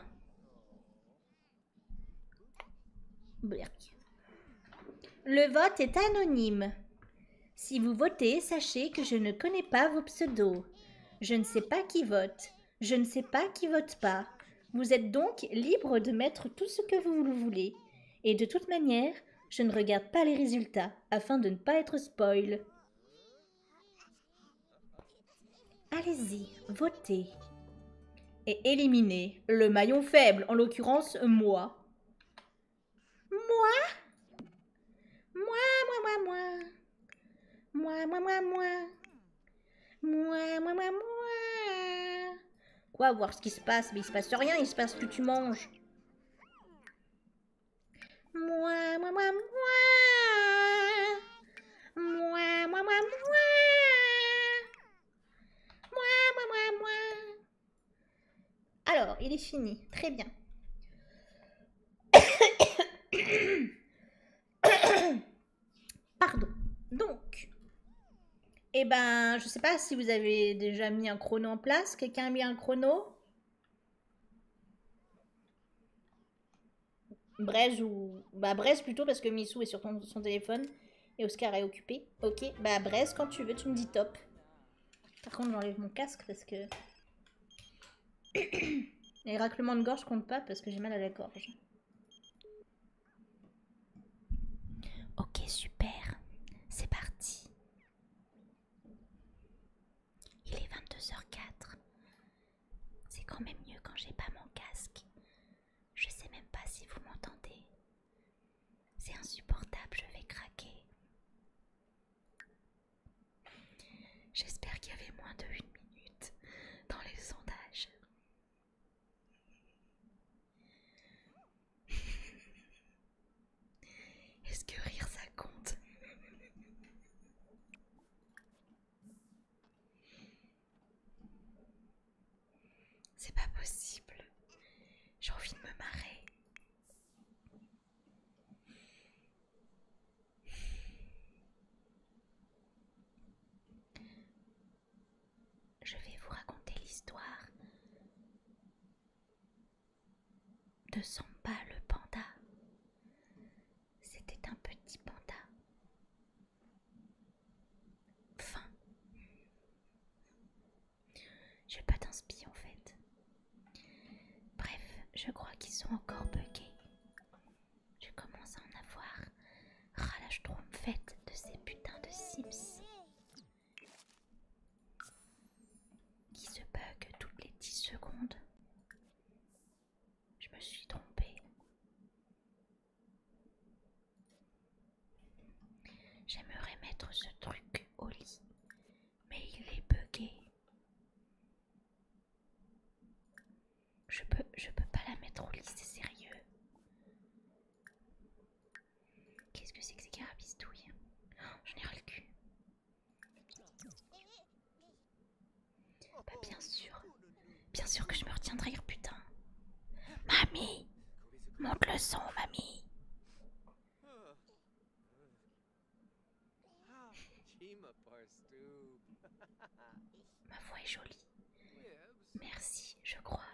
Le vote est anonyme. Si vous votez, sachez que je ne connais pas vos pseudos. Je ne sais pas qui vote. Je ne sais pas qui vote pas. Vous êtes donc libre de mettre tout ce que vous voulez. Et de toute manière, je ne regarde pas les résultats afin de ne pas être spoil. Allez-y, votez. Et éliminez le maillon faible, en l'occurrence moi. Moi Moi, moi, moi, moi. Moi, moi, moi, moi. Moi, moi, moi, moi. Quoi, voir ce qui se passe Mais il se passe rien, il se passe que tu manges. Moi, moi, moi, moi. Moi, moi, moi, moi. Moi, Alors, il est fini. Très bien. Pardon. Donc, eh ben, je sais pas si vous avez déjà mis un chrono en place. Quelqu'un a mis un chrono Braise ou... Bah Braise plutôt parce que Missou est sur son téléphone et Oscar est occupé. Ok, bah Braise quand tu veux, tu me dis top. Par contre j'enlève mon casque parce que... Les raclements de gorge comptent pas parce que j'ai mal à la gorge. Ok, super. C'est parti. Il est 22h04. C'est quand même mieux quand j'ai pas mon casque. Je sais même pas si vous m'entendez. C'est insupportable, je vais craquer. J'espère qu'il y avait moins de une minute dans les sondages. Est-ce que rire ça compte C'est pas possible. J'ai envie de me marrer. Je vais vous raconter l'histoire de pas le panda. C'était un petit panda. Fin. Je pas d'inspi en fait. Bref, je crois qu'ils sont encore buggés. Je commence à en avoir Ralâche-toi en fait de ces putains de Sims qui se bug toutes les 10 secondes. Je me suis trompée. J'aimerais mettre ce truc au lit, mais il est bugué. Je peux, pas la mettre au lit, c'est sérieux. Qu'est-ce que c'est que ces carabistouilles oh, J'en ai rien le cul. Bah, bien sûr. Bien sûr que je me retiendrai, putain. Mamie Monte le son, mamie Ma voix est jolie. Merci, je crois.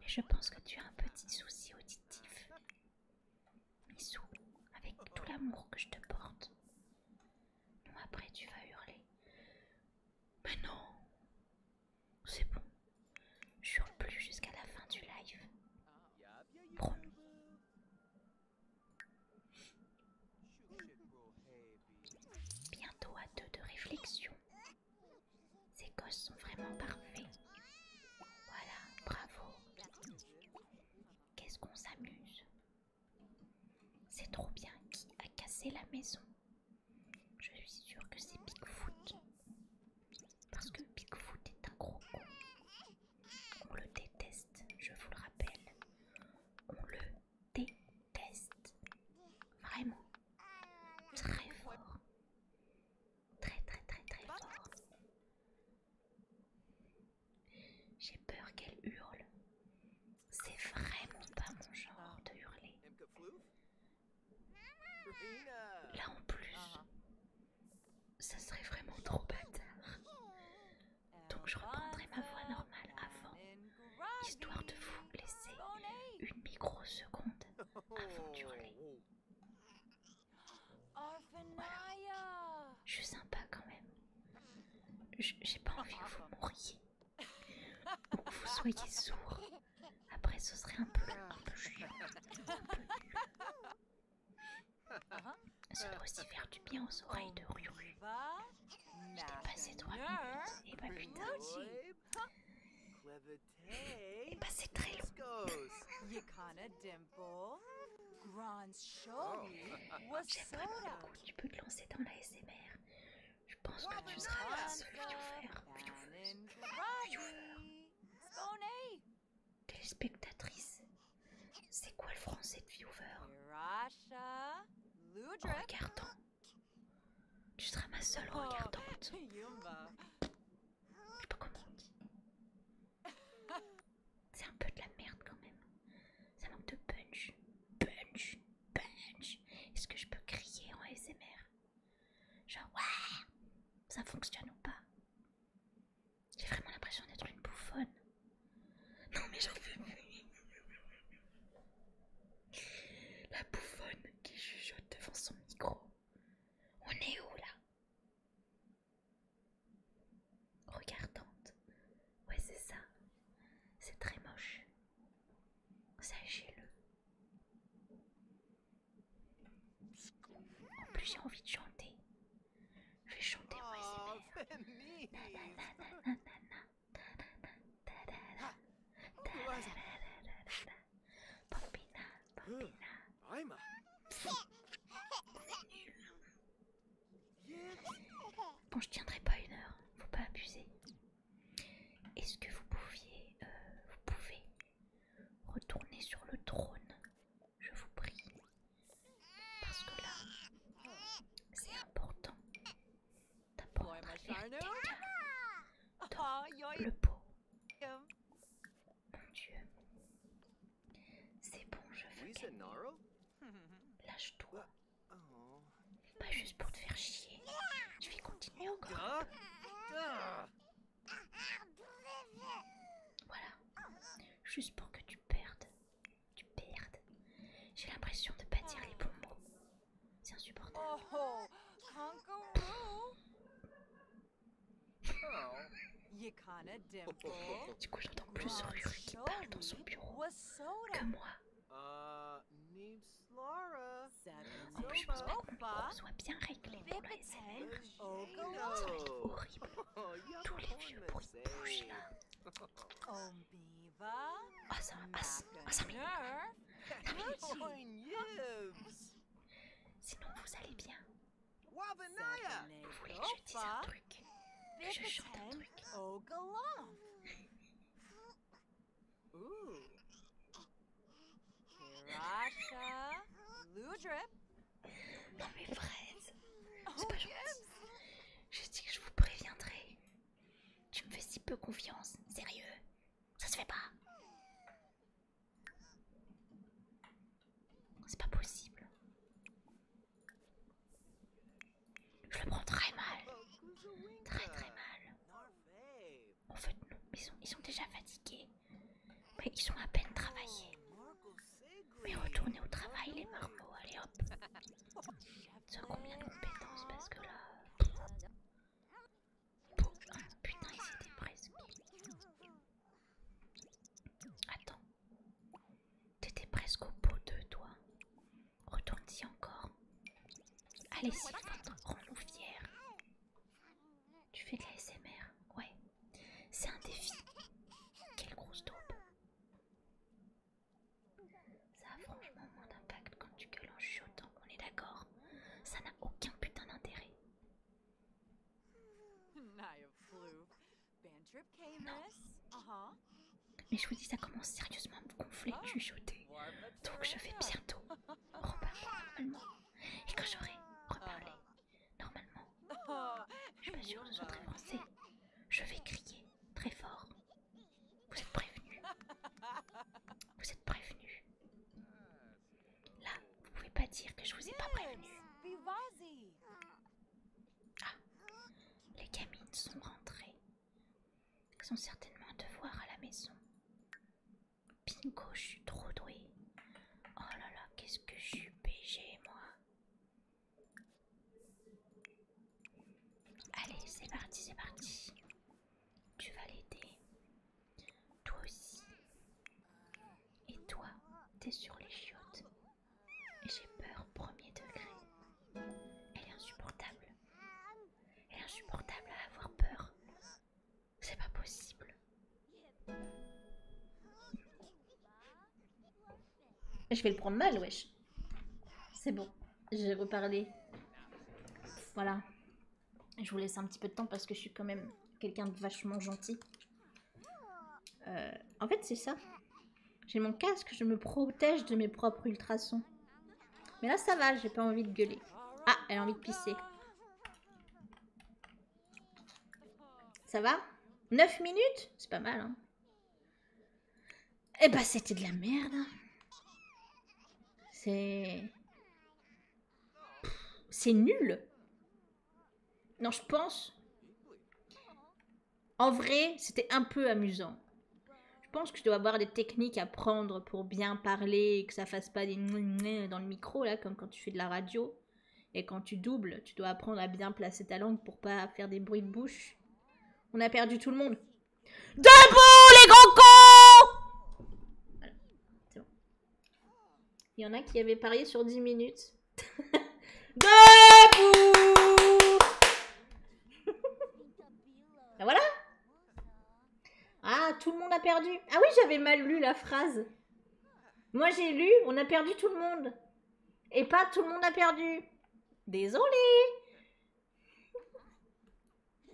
Mais je pense que tu as un petit souci auditif. Missou, avec tout l'amour que je te porte. Non, après tu vas hurler. Mais non, c'est bon. je hurle plus jusqu'à la fin du live. Promis. Bientôt à deux de réflexion. Ces gosses sont vraiment parfaits. Voilà, bravo. Qu'est-ce qu'on s'amuse. C'est trop bien qui a cassé la maison. Je suis sûre que c'est Bigfoot. Parce que Bigfoot est un gros con. On le déteste, je vous le rappelle. On le déteste. Vraiment. Très fort. Très très très très fort. J'ai peur qu'elle hurle. C'est vraiment pas mon genre de hurler. Là en plus, ça serait vraiment trop bâtard. Donc je reprendrai ma voix normale avant, histoire de vous laisser une microseconde avant d'hurler. Je suis sympa quand même. J'ai pas envie que vous mouriez. Ou que vous soyez sourd. Après, ce serait un peu, un peu chiant. Cela aussi faire du bien aux oreilles de Ryu. Je t'ai passé trois minutes. Et eh bah ben, putain. Et eh bah ben, c'est très long. J'aime vraiment quand tu peux te lancer dans la SMR. Je pense que tu seras la seule viewfer. Téléspectatrice. C'est quoi le français de viewer Regardant. Tu seras ma seule oh. regardante. Je peux pas c'est un peu de la merde quand même. Ça manque de punch. Punch. Punch. Est-ce que je peux crier en ASMR Genre, ouais Ça fonctionne ou pas J'ai vraiment l'impression d'être une bouffonne. Non mais j'en fais plus. La bouffonne qui jugeote devant son micro. On est où là Regardante. Ouais, c'est ça. C'est très moche. Sachez-le. En plus, j'ai envie de chanter. Je vais chanter oh, moi, Bon, je tiendrai pas une heure, faut pas abuser. Est-ce que vous pouviez, euh, vous pouvez retourner sur le trône, je vous prie, parce que là, c'est important d'apprendre à le pot. Mon Dieu, c'est bon, je veux Lâche-toi. Ah, pas juste pour te faire chier. Je vais continuer encore. Ah, ah. Voilà. Juste pour que tu perdes. Tu perdes. J'ai l'impression de pas dire les bons C'est insupportable. Oh, oh. Oh. du coup, j'entends plus rire qui parle dans son bureau que moi. Euh, en plus, je pense pas que tout soit bien réglé pour Ça être horrible. Oh, Tous les vieux bruits de bouche là. Oh, ça, ah, ça ah, Sinon, vous allez bien. Wabanaya! Opa! Je chante un truc. Oh, Au Ludrip. Non mais Fred C'est oh, pas gentil. Je dis que je vous préviendrai. Tu me fais si peu confiance, sérieux. Ça se fait pas. C'est pas possible. Je le prends très mal. Très très mal. En fait, non, ils sont, déjà fatigués. Mais ils sont à peine travaillés. Mais retournez au travail les marmots, allez hop. Ça combien de compétences parce que là... putain, ils étaient presque. Attends. T'étais presque au bout de toi. retourne encore. Allez, Sylvain, rends-nous fiers. Tu fais de la SMR Ouais. C'est un défi. Quelle grosse taupe. Ça a franchement moins d'impact quand tu gueules en chute, on est d'accord Ça n'a aucun putain d'intérêt. Uh-huh. Mais je vous dis, ça commence sérieusement à me gonfler, ah. chuchoter. Donc je vais bientôt reparler normalement. Et quand j'aurai reparlé uh-huh. normalement, je suis pas sûre de soit très Je vais crier très fort. Vous êtes prévenus. Vous êtes prévenus. Là, vous pouvez pas dire que je vous ai pas prévenu. Ah, les gamines sont rentrées. Elles ont certainement un devoir à la maison. Bingo je suis trop douée. Oh là là, qu'est-ce que je suis BG, moi. Allez, c'est parti, c'est parti. Tu vas l'aider. Toi aussi. Et toi, t'es sur les chiottes j'ai peur au premier degré. Elle est insupportable. Elle est insupportable à avoir peur. C'est pas possible. Je vais le prendre mal, wesh. C'est bon, je vais reparler. Voilà. Je vous laisse un petit peu de temps parce que je suis quand même quelqu'un de vachement gentil. Euh, en fait, c'est ça. J'ai mon casque, je me protège de mes propres ultrasons. Mais là, ça va, j'ai pas envie de gueuler. Ah, elle a envie de pisser. Ça va 9 minutes C'est pas mal, hein. Eh bah, c'était de la merde. Hein. C'est... C'est nul non, je pense. En vrai, c'était un peu amusant. Je pense que je dois avoir des techniques à prendre pour bien parler et que ça fasse pas des dans le micro, là, comme quand tu fais de la radio. Et quand tu doubles, tu dois apprendre à bien placer ta langue pour pas faire des bruits de bouche. On a perdu tout le monde. Debout, les GRANDS cons il y en a qui avaient parié sur 10 minutes. Debout ben Voilà Ah, tout le monde a perdu. Ah oui, j'avais mal lu la phrase. Moi, j'ai lu, on a perdu tout le monde. Et pas tout le monde a perdu. Désolé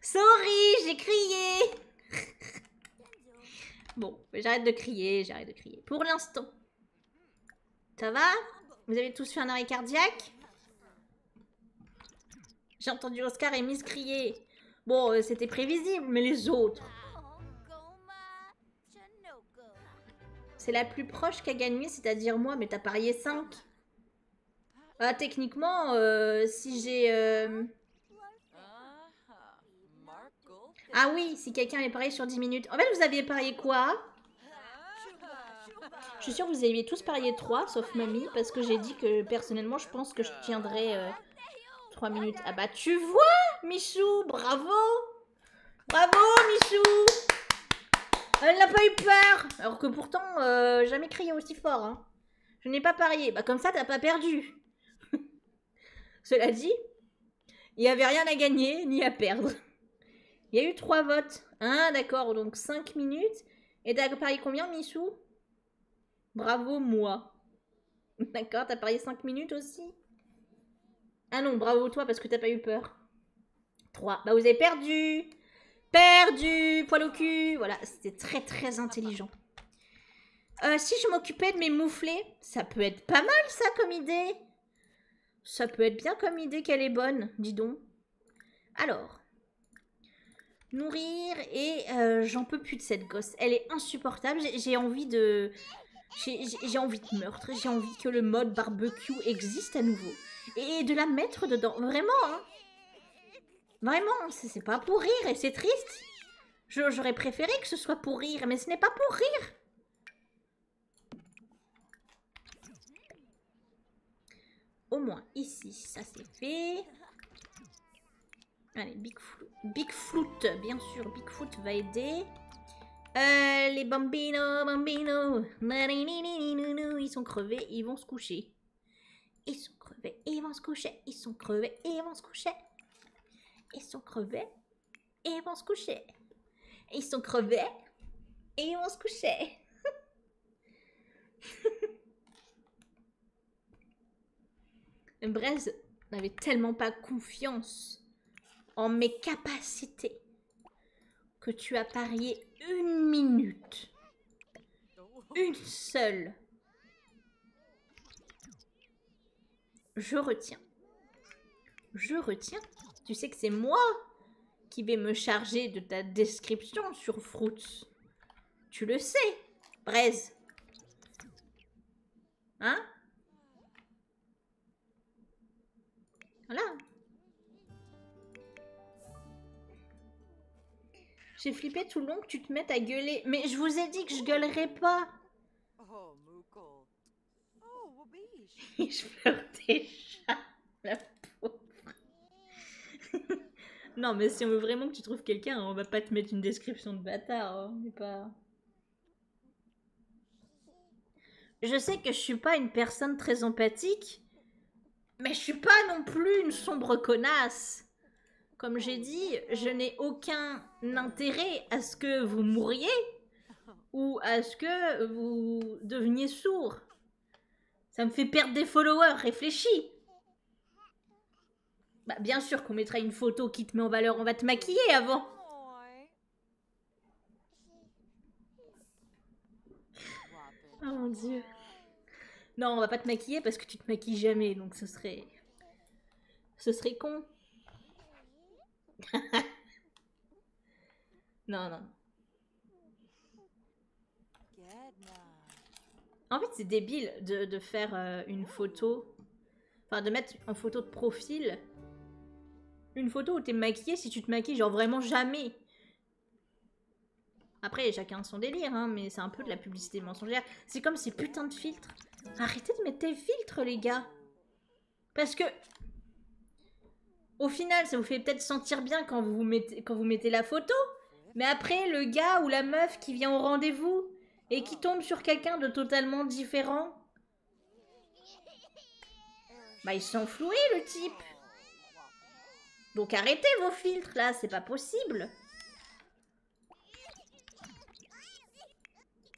Sorry, j'ai crié Bon, j'arrête de crier, j'arrête de crier. Pour l'instant. Ça va Vous avez tous fait un arrêt cardiaque J'ai entendu Oscar et Miss crier. Bon, euh, c'était prévisible, mais les autres... C'est la plus proche qu'a gagné, c'est-à-dire moi, mais t'as parié 5. Ah, techniquement, euh, si j'ai... Euh, ah oui, si quelqu'un est parié sur 10 minutes. En fait, vous aviez parié quoi Je suis sûr que vous aviez tous parié 3, sauf mamie, parce que j'ai dit que personnellement, je pense que je tiendrais 3 euh, minutes. Ah bah, tu vois, Michou Bravo Bravo, Michou Elle n'a pas eu peur Alors que pourtant, euh, jamais crié aussi fort. Hein. Je n'ai pas parié. Bah, comme ça, t'as pas perdu cela dit, il n'y avait rien à gagner ni à perdre. Il y a eu trois votes. Ah, d'accord, donc 5 minutes. Et t'as parié combien, Missou Bravo, moi. D'accord, t'as parié 5 minutes aussi Ah non, bravo toi parce que t'as pas eu peur. 3. Bah, vous avez perdu Perdu Poil au cul Voilà, c'était très très intelligent. Euh, si je m'occupais de mes mouflets, ça peut être pas mal ça comme idée. Ça peut être bien comme idée qu'elle est bonne, dis donc. Alors, nourrir et euh, j'en peux plus de cette gosse. Elle est insupportable, j'ai envie de... J'ai envie de meurtre, j'ai envie que le mode barbecue existe à nouveau. Et de la mettre dedans, vraiment. Hein. Vraiment, c'est pas pour rire et c'est triste. J'aurais préféré que ce soit pour rire, mais ce n'est pas pour rire. Au moins ici, ça c'est fait. Allez, Bigfoot, Bigfoot, bien sûr, Bigfoot va aider. Euh, les bambino, bambino, ils sont crevés, ils vont se coucher. Ils sont crevés, ils vont se coucher, ils sont crevés, ils vont se coucher. Ils sont crevés, et ils vont se coucher. Ils sont crevés et ils vont se coucher. Brez n'avait tellement pas confiance en mes capacités que tu as parié une minute. Une seule. Je retiens. Je retiens Tu sais que c'est moi qui vais me charger de ta description sur Fruits. Tu le sais, Braise. Hein Voilà. J'ai flippé tout le long que tu te mettes à gueuler. Mais je vous ai dit que je gueulerais pas. Oh, je pleure déjà, la pauvre. non, mais si on veut vraiment que tu trouves quelqu'un, on va pas te mettre une description de bâtard. Hein, pas. Je sais que je suis pas une personne très empathique, mais je suis pas non plus une sombre connasse. Comme j'ai dit, je n'ai aucun intérêt à ce que vous mouriez ou est ce que vous deveniez sourd. Ça me fait perdre des followers, réfléchis. Bah, bien sûr qu'on mettra une photo qui te met en valeur, on va te maquiller avant. Oh, oh mon dieu. Non, on va pas te maquiller parce que tu te maquilles jamais, donc ce serait... Ce serait con. non, non. En fait, c'est débile de, faire euh, une photo. Enfin, de mettre en photo de profil. Une photo où t'es maquillée si tu te maquilles, genre vraiment jamais. Après, chacun son délire, hein, mais c'est un peu de la publicité mensongère. C'est comme ces putains de filtres. Arrêtez de mettre tes filtres, les gars. Parce que au final, ça vous fait peut-être sentir bien quand vous mettez, la photo, mais après, le gars ou la meuf qui vient au rendez-vous et qui tombe sur quelqu'un de totalement différent, bah ils sont le type. Donc arrêtez vos filtres là, c'est pas possible.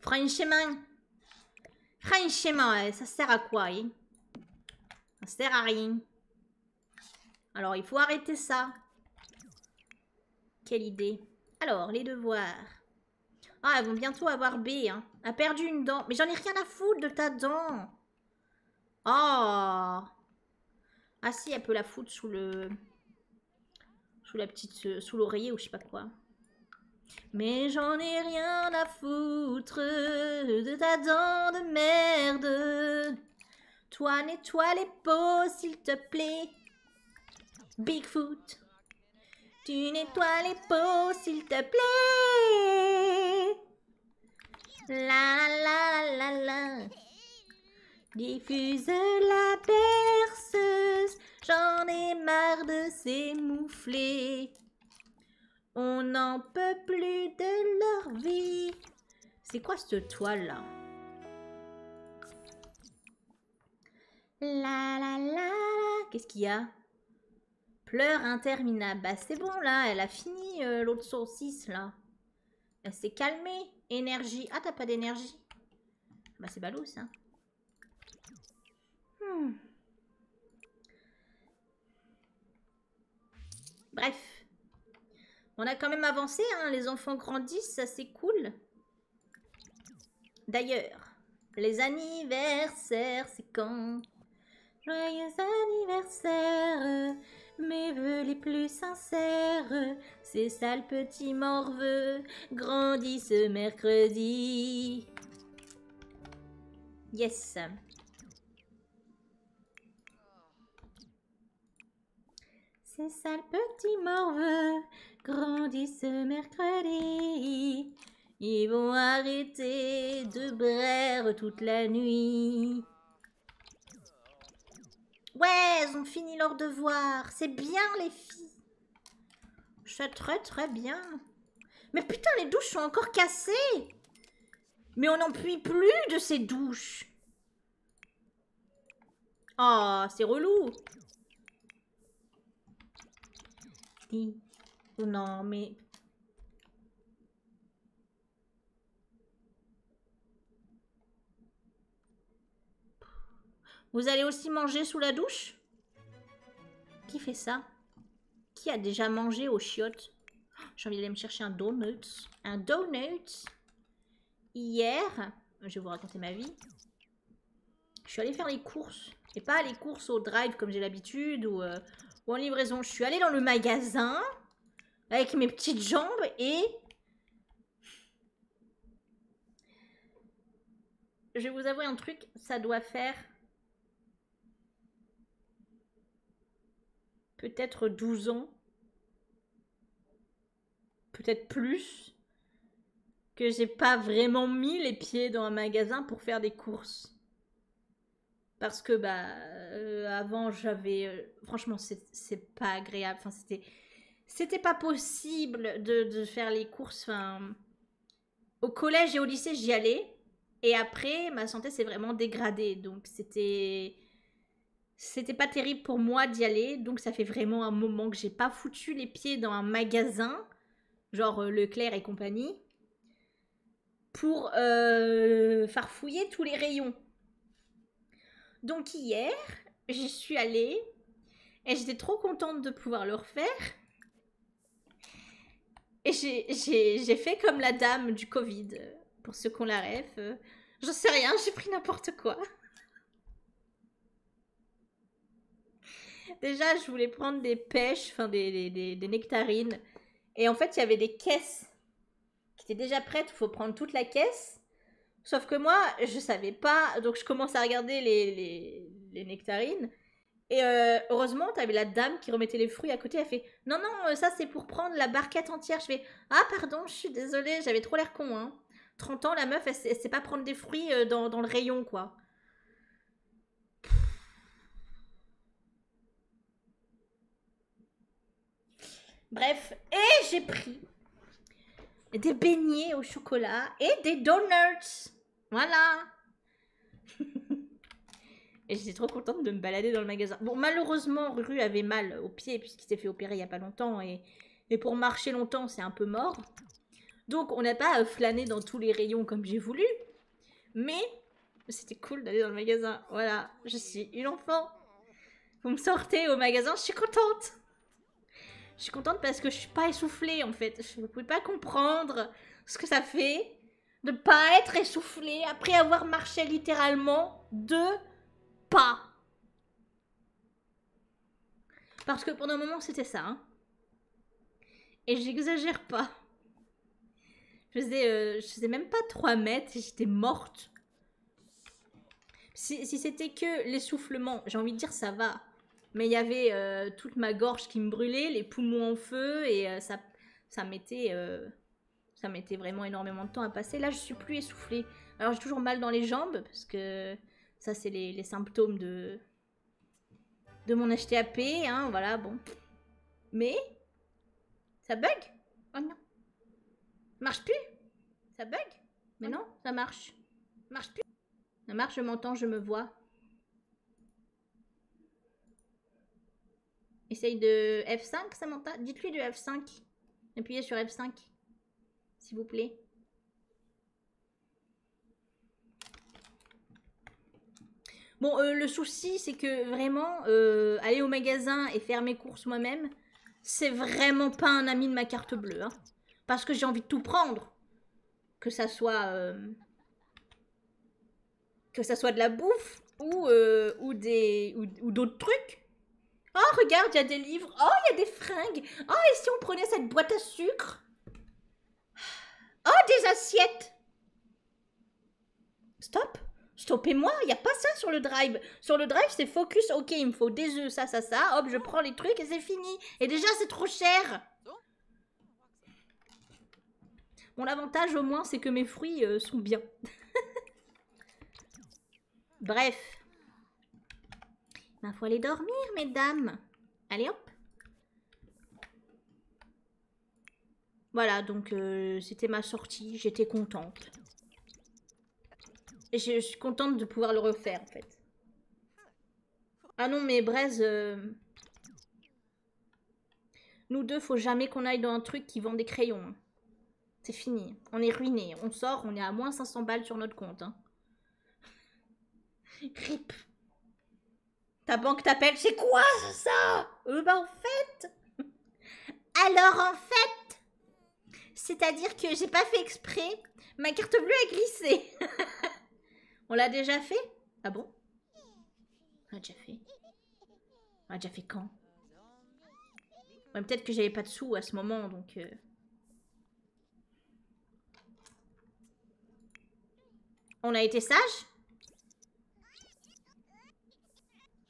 Franchement. Franchement, ça sert à quoi, hein? Ça sert à rien. Alors, il faut arrêter ça. Quelle idée. Alors, les devoirs. Ah, elles vont bientôt avoir B, hein. A perdu une dent. Mais j'en ai rien à foutre de ta dent. Oh Ah si, elle peut la foutre sous le... Sous la petite... Euh, sous l'oreiller ou je sais pas quoi. Mais j'en ai rien à foutre de ta dent de merde. Toi, nettoie les pots, s'il te plaît. Bigfoot. Tu nettoies les peaux s'il te plaît. La la la la Diffuse la perceuse J'en ai marre de ces On n'en peut plus de leur vie. C'est quoi cette toile-là La la la la. Qu'est-ce qu'il y a Pleurs interminables. Bah c'est bon là, elle a fini euh, l'autre saucisse là. Elle s'est calmée. Énergie. Ah t'as pas d'énergie Bah c'est ballot ça. Hmm. Bref. On a quand même avancé, hein. les enfants grandissent, ça c'est cool. D'ailleurs, les anniversaires, c'est quand Joyeux anniversaire, mes voeux les plus sincères, ces sales petits morveux grandissent mercredi. Yes. ça le petits morveux grandissent ce mercredi. Ils vont arrêter de braire toute la nuit. Ouais, ils ont fini leur devoir. C'est bien les filles. C'est très très bien. Mais putain, les douches sont encore cassées Mais on n'en puis plus de ces douches Oh, c'est relou oh Non, mais... Vous allez aussi manger sous la douche qui fait ça Qui a déjà mangé au chiottes J'ai envie d'aller me chercher un donut. Un donut Hier, je vais vous raconter ma vie. Je suis allée faire les courses. Et pas les courses au drive comme j'ai l'habitude ou, euh, ou en livraison. Je suis allée dans le magasin avec mes petites jambes et je vais vous avouer un truc, ça doit faire peut-être 12 ans, peut-être plus, que j'ai pas vraiment mis les pieds dans un magasin pour faire des courses. Parce que bah euh, avant j'avais euh, franchement c'est pas agréable. Enfin c'était c'était pas possible de, de, faire les courses. Enfin au collège et au lycée, j'y allais. Et après, ma santé s'est vraiment dégradée. Donc, c'était. C'était pas terrible pour moi d'y aller. Donc, ça fait vraiment un moment que j'ai pas foutu les pieds dans un magasin, genre euh, Leclerc et compagnie, pour euh, farfouiller tous les rayons. Donc, hier, j'y suis allée. Et j'étais trop contente de pouvoir le refaire. Et j'ai fait comme la dame du Covid, euh, pour ceux qu'on la rêve. Euh, j'en sais rien, j'ai pris n'importe quoi. Déjà, je voulais prendre des pêches, enfin des, nectarines. Et en fait, il y avait des caisses qui étaient déjà prêtes. Il faut prendre toute la caisse. Sauf que moi, je savais pas. Donc, je commence à regarder les, les, les nectarines. Et euh, heureusement, t'avais la dame qui remettait les fruits à côté. Elle fait Non, non, euh, ça c'est pour prendre la barquette entière. Je fais Ah, pardon, je suis désolée, j'avais trop l'air con. 30 hein. ans, la meuf, elle, sait pas prendre des fruits euh, dans, dans le rayon, quoi. Bref, et j'ai pris des beignets au chocolat et des donuts. Voilà. Et j'étais trop contente de me balader dans le magasin. Bon, malheureusement, Ruru avait mal au pied puisqu'il s'est fait opérer il n'y a pas longtemps. Et, pour marcher longtemps, c'est un peu mort. Donc, on n'a pas euh, flâné dans tous les rayons comme j'ai voulu. Mais c'était cool d'aller dans le magasin. Voilà, je suis une enfant. Vous me sortez au magasin, je suis contente. Je suis contente parce que je suis pas essoufflée en fait. Je ne pouvais pas comprendre ce que ça fait de pas être essoufflé après avoir marché littéralement deux pas. Parce que pendant un moment, c'était ça. Hein. Et j'exagère pas. Euh, je faisais, même pas trois mètres et j'étais morte. Si, c'était que l'essoufflement, j'ai envie de dire ça va. Mais il y avait euh, toute ma gorge qui me brûlait, poumons en feu et euh, ça, ça m'était euh, mettait vraiment énormément de temps à passer. Là, je suis plus essoufflée. Alors, j'ai toujours mal dans les jambes parce que ça, c'est les, symptômes de de mon HTAP, hein, voilà, bon. Mais ça bug Oh non. Marche plus Ça bug Mais non, ça marche. Marche plus. Ça marche, je m'entends, je me vois. Essaye de F5, Samantha. Dites-lui de F5. Appuyez sur F5. S'il vous plaît. Bon, euh, le souci, c'est que vraiment, euh, aller au magasin et faire mes courses moi-même, c'est vraiment pas un ami de ma carte bleue. Hein. Parce que j'ai envie de tout prendre. Que ça soit... Euh, que ça soit de la bouffe ou, euh, ou des ou, d'autres trucs. Oh, regarde, il y a des livres. Oh, il y a des fringues. Oh, et si on prenait cette boîte à sucre Oh, des assiettes. Stop. Stoppez-moi, il n'y a pas ça sur le drive. Sur le drive, c'est focus, ok, il me faut des œufs, ça, ça, ça. Hop, je prends les trucs et c'est fini. Et déjà, c'est trop cher. Bon, l'avantage au moins, c'est que mes fruits euh, sont bien. Bref. ma faut aller dormir, mesdames. Allez, hop. Voilà, donc euh, c'était ma sortie. J'étais contente. Et je, suis contente de pouvoir le refaire, en fait. Ah non, mais Braise... Euh, nous deux, faut jamais qu'on aille dans un truc qui vend des crayons. Hein. C'est fini. On est ruiné. On sort, on est à moins 500 balles sur notre compte. Hein. RIP. Ta banque t'appelle, c'est quoi ça Euh bah en fait... Alors en fait... C'est-à-dire que j'ai pas fait exprès, ma carte bleue a glissé. on l'a déjà fait Ah bon on a déjà fait. On a déjà fait quand Ouais, peut-être que j'avais pas de sous à ce moment, donc... Euh. On a été sage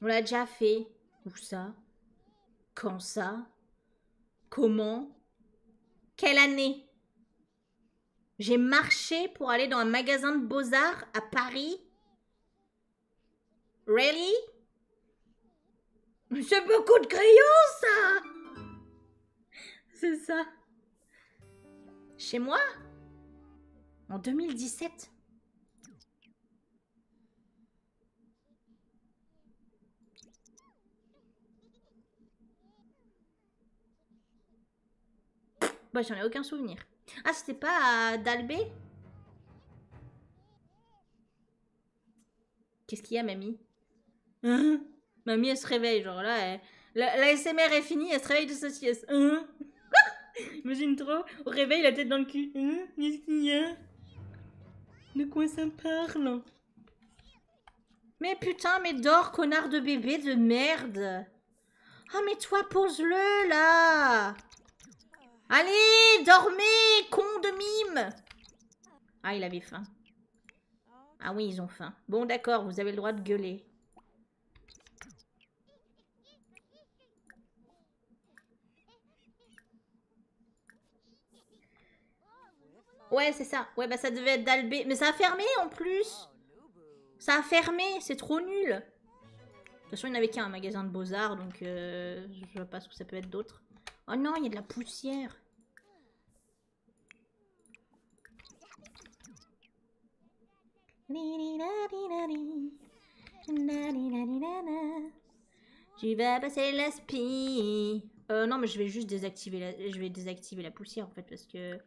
On l'a déjà fait. Où ça Quand ça Comment Quelle année j'ai marché pour aller dans un magasin de beaux-arts à Paris. Really? C'est beaucoup de crayons, ça! C'est ça. Chez moi? En 2017. Bah, j'en ai aucun souvenir. Ah, c'était pas à Dalbé Qu'est-ce qu'il y a, mamie Mamie, elle se réveille, genre là, la, SMR est finie, elle se réveille de sa sieste. Imagine trop, au réveil, la tête dans le cul. Qu'est-ce qu'il y a De quoi ça parle Mais putain, mais dors, connard de bébé de merde ah, mais toi, pose-le, là Allez, dormez, con de mime Ah, il avait faim. Ah oui, ils ont faim. Bon, d'accord, vous avez le droit de gueuler. Ouais, c'est ça. Ouais, bah ça devait être d'Albé. Mais ça a fermé en plus ça a fermé, c'est trop nul. De toute façon, il n'y avait qu'un magasin de beaux-arts, donc je euh, je vois pas ce que ça peut être d'autre. Oh non, il y a de la poussière. Tu vais passer la spie. Euh, non, mais je vais juste désactiver la, je vais désactiver la poussière en fait parce que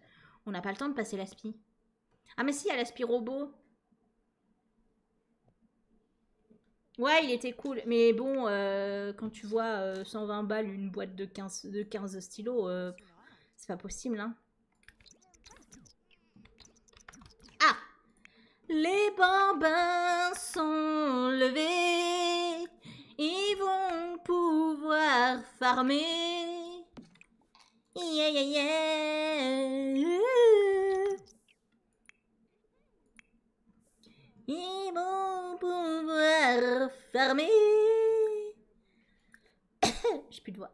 on n'a pas le temps de passer la spie. Ah mais si, il y a Ouais, il était cool. Mais bon, euh, quand tu vois 120 euh, balles une boîte de 15, de stylos, euh, c'est pas possible, hein. Ah Les bambins sont levés. Ils vont pouvoir farmer. Yeah, bon yeah. fermé vont pouvoir fermer. J'ai plus de voix.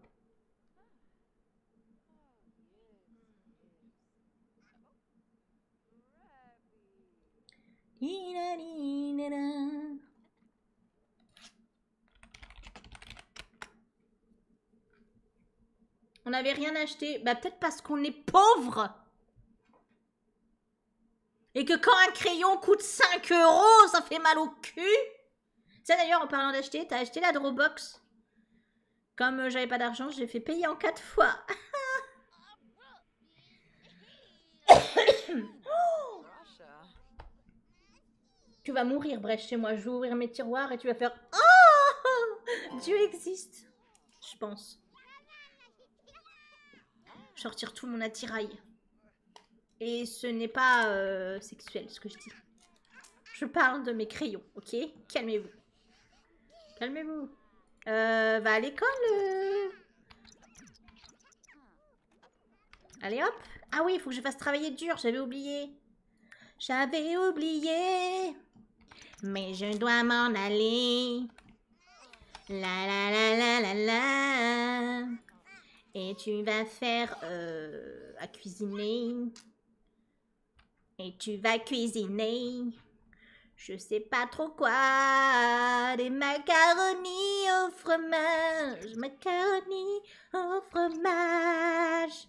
On n'avait rien acheté. Bah peut-être parce qu'on est pauvre. Et que quand un crayon coûte 5 euros, ça fait mal au cul. Ça d'ailleurs, en parlant d'acheter, t'as acheté la Dropbox. Comme j'avais pas d'argent, j'ai fait payer en 4 fois. Tu vas mourir, bref chez moi. Je vais ouvrir mes tiroirs et tu vas faire Oh Dieu existe Je pense. Sortir tout mon attirail. Et ce n'est pas euh, sexuel ce que je dis. Je parle de mes crayons, ok Calmez-vous. Calmez-vous. Euh, va à l'école. Euh. Allez hop Ah oui, il faut que je fasse travailler dur, j'avais oublié. J'avais oublié. Mais je dois m'en aller. La la la la la la. Et tu vas faire euh, à cuisiner. Et tu vas cuisiner. Je sais pas trop quoi. Des macaronis au fromage. Macaronis au fromage.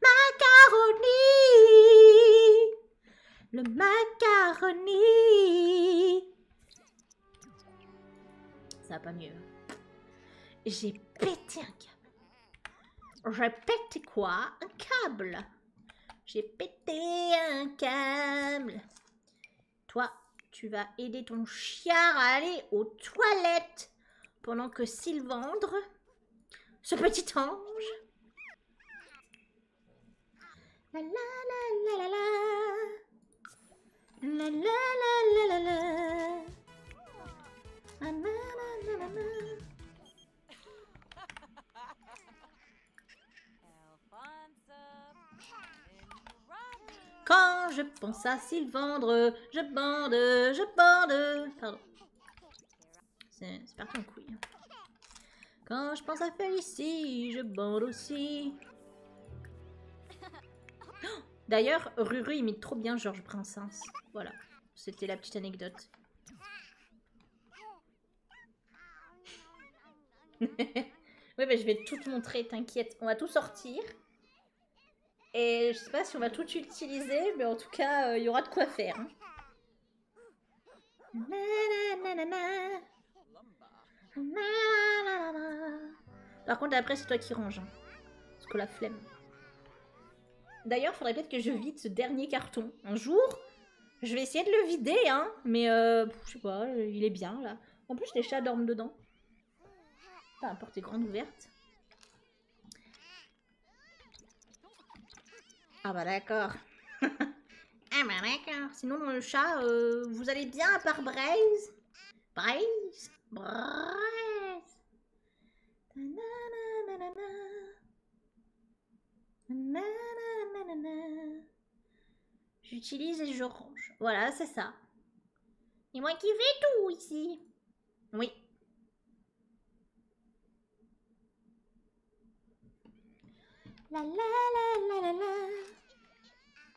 Macaroni, le macaroni. Ça va pas mieux. Hein. J'ai pété un câble. J'ai pété quoi Un câble. J'ai pété un câble. Toi, tu vas aider ton chien à aller aux toilettes. Pendant que Sylvandre, ce petit ange... Quand je pense à Sylvandre, je bande, je bande. Pardon. C'est parti en couille. Quand je pense à Félicie, je bande aussi. D'ailleurs, Ruru imite trop bien Georges Princesse. Voilà, c'était la petite anecdote. oui, mais je vais tout montrer, t'inquiète. On va tout sortir. Et je sais pas si on va tout utiliser, mais en tout cas, euh, il y aura de quoi faire. Par contre, après, c'est toi qui range. Hein. Parce que la flemme. D'ailleurs, faudrait peut-être que je vide ce dernier carton. Un jour, je vais essayer de le vider, hein. Mais euh, je sais pas, euh, il est bien là. En plus, les chats dorment dedans. Pas importe, est grande ouverte. Ah bah d'accord. ah bah d'accord. Sinon le chat, euh, vous allez bien à part Braise Braise Braise J'utilise et je range. Voilà, c'est ça. Et moi qui fais tout ici. Oui.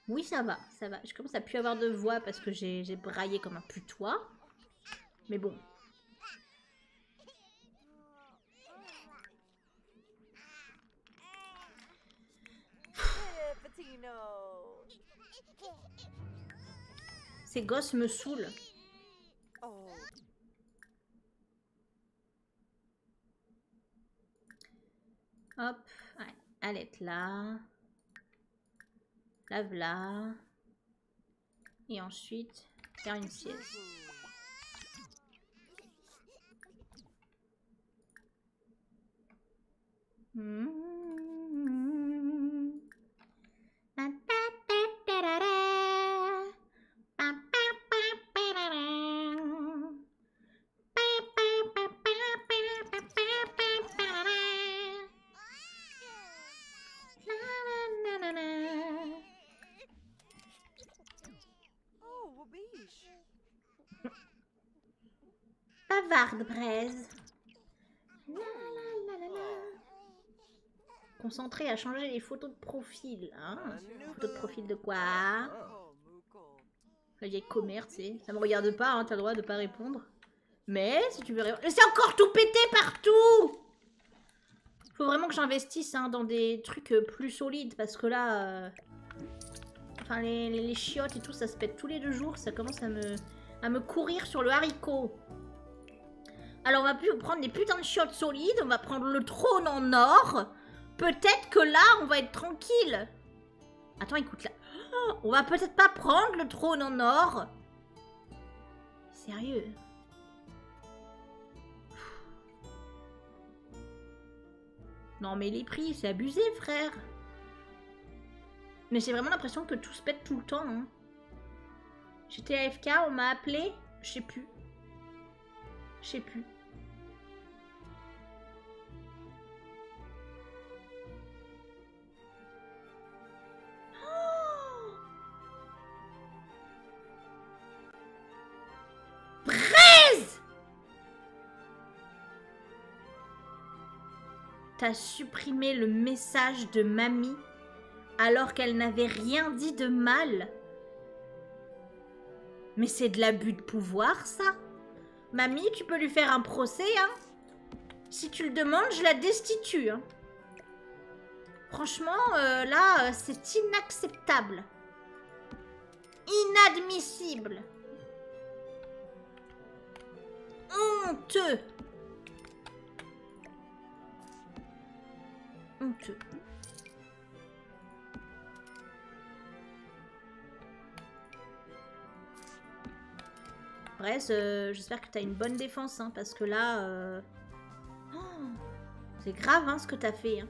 Oui, ça va, ça va. Je commence à plus avoir de voix parce que j'ai braillé comme un putois. Mais bon. Ces gosses me saoulent. Oh. Hop, allez, là. Lave là. Et ensuite, faire une pièce de braise. Concentré à changer les photos de profil. Hein ah, photos de profil de quoi La vieille commerce, tu sais. Ça me regarde pas, hein, t'as le droit de pas répondre. Mais si tu veux C'est encore tout pété partout Il Faut vraiment que j'investisse hein, dans des trucs euh, plus solides parce que là. Euh, enfin, les, chiottes et tout, ça se pète tous les deux jours. Ça commence à me courir sur le haricot. Alors on va prendre des putains de chiottes solides, on va prendre le trône en or. Peut-être que là, on va être tranquille. Attends, écoute là. Oh, on va peut-être pas prendre le trône en or. Sérieux Non mais les prix, c'est abusé frère. Mais j'ai vraiment l'impression que tout se pète tout le temps. Hein. J'étais J'étais AFK, on m'a appelé, je sais plus. Je sais plus. Oh Braise T'as supprimé le message de mamie alors qu'elle n'avait rien dit de mal. Mais c'est de l'abus de pouvoir, ça. Mamie, tu peux lui faire un procès, hein Si tu le demandes, je la destitue. Hein. Franchement, euh, là, euh, c'est inacceptable. Inadmissible. Honteux. Honteux. Bref, euh, j'espère que t'as une bonne défense, hein, parce que là... Euh, oh, c'est grave, hein, ce que t'as fait. Hein.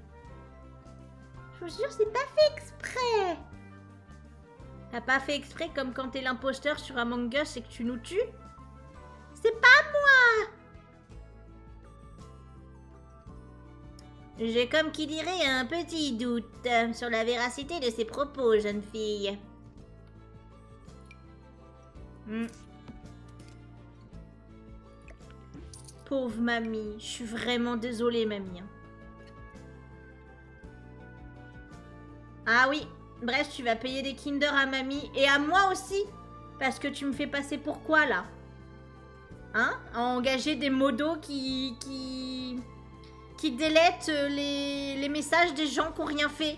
Je vous jure, c'est pas fait exprès T'as pas fait exprès comme quand t'es l'imposteur sur Among Us et que tu nous tues c'est pas moi J'ai comme qui dirait un petit doute euh, sur la véracité de ses propos, jeune fille. Hmm. Pauvre mamie, je suis vraiment désolée, mamie. Hein. Ah oui, Bref, tu vas payer des Kinder à mamie et à moi aussi. Parce que tu me fais passer pour quoi là Hein engager des modos qui. qui. qui délètent euh, les, messages des gens qui n'ont rien fait.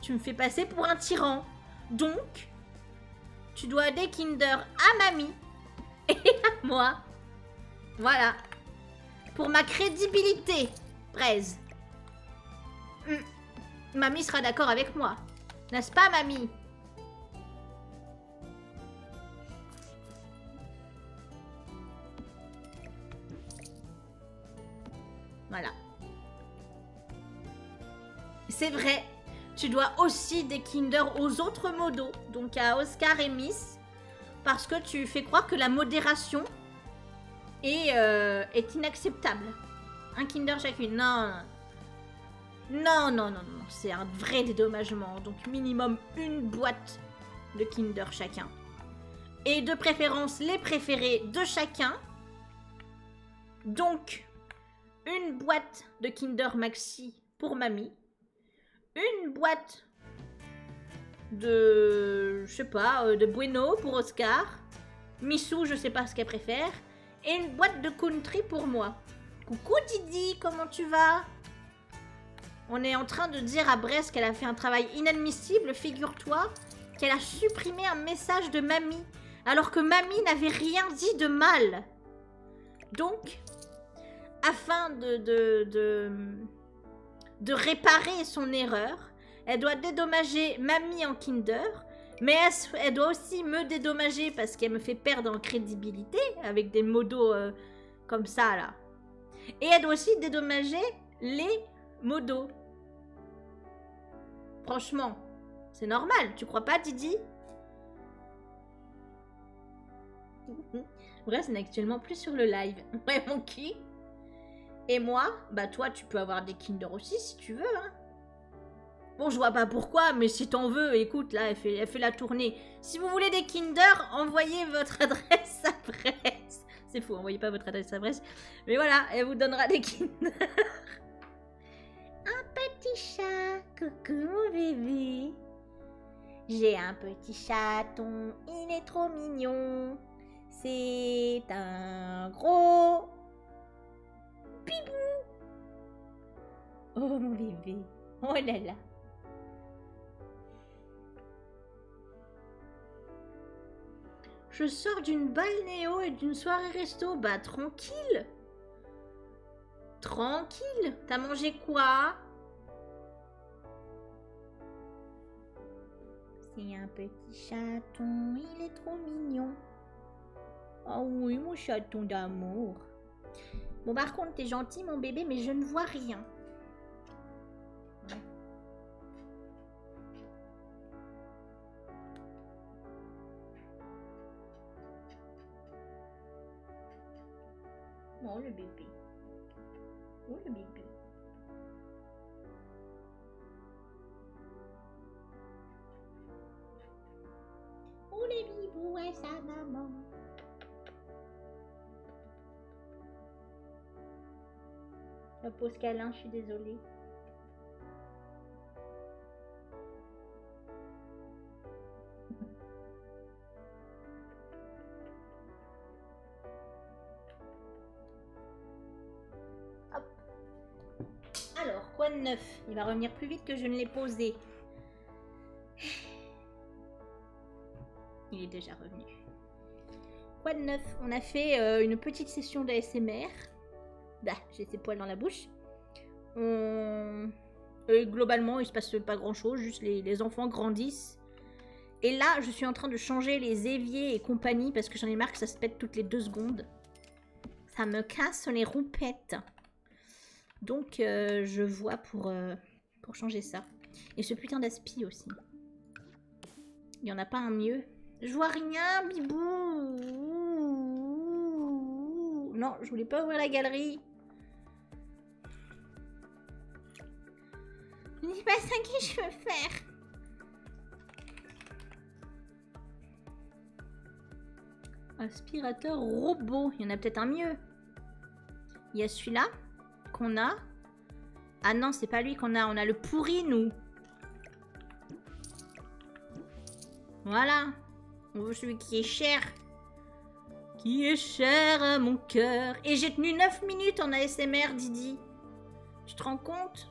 Tu me fais passer pour un tyran. Donc, tu dois des Kinder à mamie et à moi. Voilà. Pour ma crédibilité, Braise. Hmm. Mamie sera d'accord avec moi. N'est-ce pas, mamie Voilà. C'est vrai, tu dois aussi des Kinder aux autres modos, donc à Oscar et Miss, parce que tu fais croire que la modération et euh, est inacceptable. Un Kinder chacune. Non, non, non, non, non, c'est un vrai dédommagement. Donc minimum une boîte de Kinder chacun. Et de préférence les préférés de chacun. Donc une boîte de Kinder Maxi pour mamie, une boîte de, je sais pas, euh, de Bueno pour Oscar, Missou, je sais pas ce qu'elle préfère, et une boîte de country pour moi. Coucou Didi, comment tu vas On est en train de dire à Brest qu'elle a fait un travail inadmissible, figure-toi, qu'elle a supprimé un message de mamie, alors que mamie n'avait rien dit de mal. Donc, afin de, de, de, de réparer son erreur, elle doit dédommager mamie en Kinder, mais elle, doit aussi me dédommager parce qu'elle me fait perdre en crédibilité avec des modos euh, comme ça là. Et elle doit aussi dédommager les modos. Franchement, c'est normal, tu crois pas Didi Bref, ce n'est actuellement plus sur le live. Ouais, mon qui et moi, bah toi, tu peux avoir des Kinder aussi si tu veux. Hein. Bon, je vois pas pourquoi, mais si t'en veux, écoute, là, elle fait, la tournée. Si vous voulez des Kinder, envoyez votre adresse à presse. C'est fou, envoyez pas votre adresse à presse. Mais voilà, elle vous donnera des Kinder. un petit chat, coucou mon bébé. J'ai un petit chaton, il est trop mignon. C'est un gros bibou. Oh mon bébé, oh là là. Je sors d'une balnéo et d'une soirée resto. Bah tranquille. Tranquille. T'as mangé quoi c'est un petit chaton, il est trop mignon. Ah oui, mon chaton d'amour. Bon, par contre, t'es gentil, mon bébé, mais je ne vois rien. Oh, le bébé. Oh, le bébé. Où les bibou est sa maman La pause Calin, je suis désolée. Alors, quoi de neuf Il va revenir plus vite que je ne l'ai posé. Il est déjà revenu. Quoi de neuf On a fait euh, une petite session d'ASMR. Bah, j'ai ses poils dans la bouche. globalement, il se passe pas grand chose, juste les, les, enfants grandissent. Et là, je suis en train de changer les éviers et compagnie parce que j'en ai marre que ça, pète toutes les deux secondes. Ça me casse les roupettes. Donc, euh, je vois pour, euh, pour changer ça. Et ce putain d'aspi aussi. Il n'y en a pas un mieux. Je vois rien, Bibou. Non, je voulais pas ouvrir la galerie. Je ne sais pas ça que je veux faire. Aspirateur robot. Il y en a peut-être un mieux. Il y a celui-là qu'on a. Ah non, c'est pas lui qu'on a. On a le pourri, nous. Voilà. Oh, celui qui est cher. Qui est cher à mon cœur. Et j'ai tenu 9 minutes en ASMR, Didi. Tu te rends compte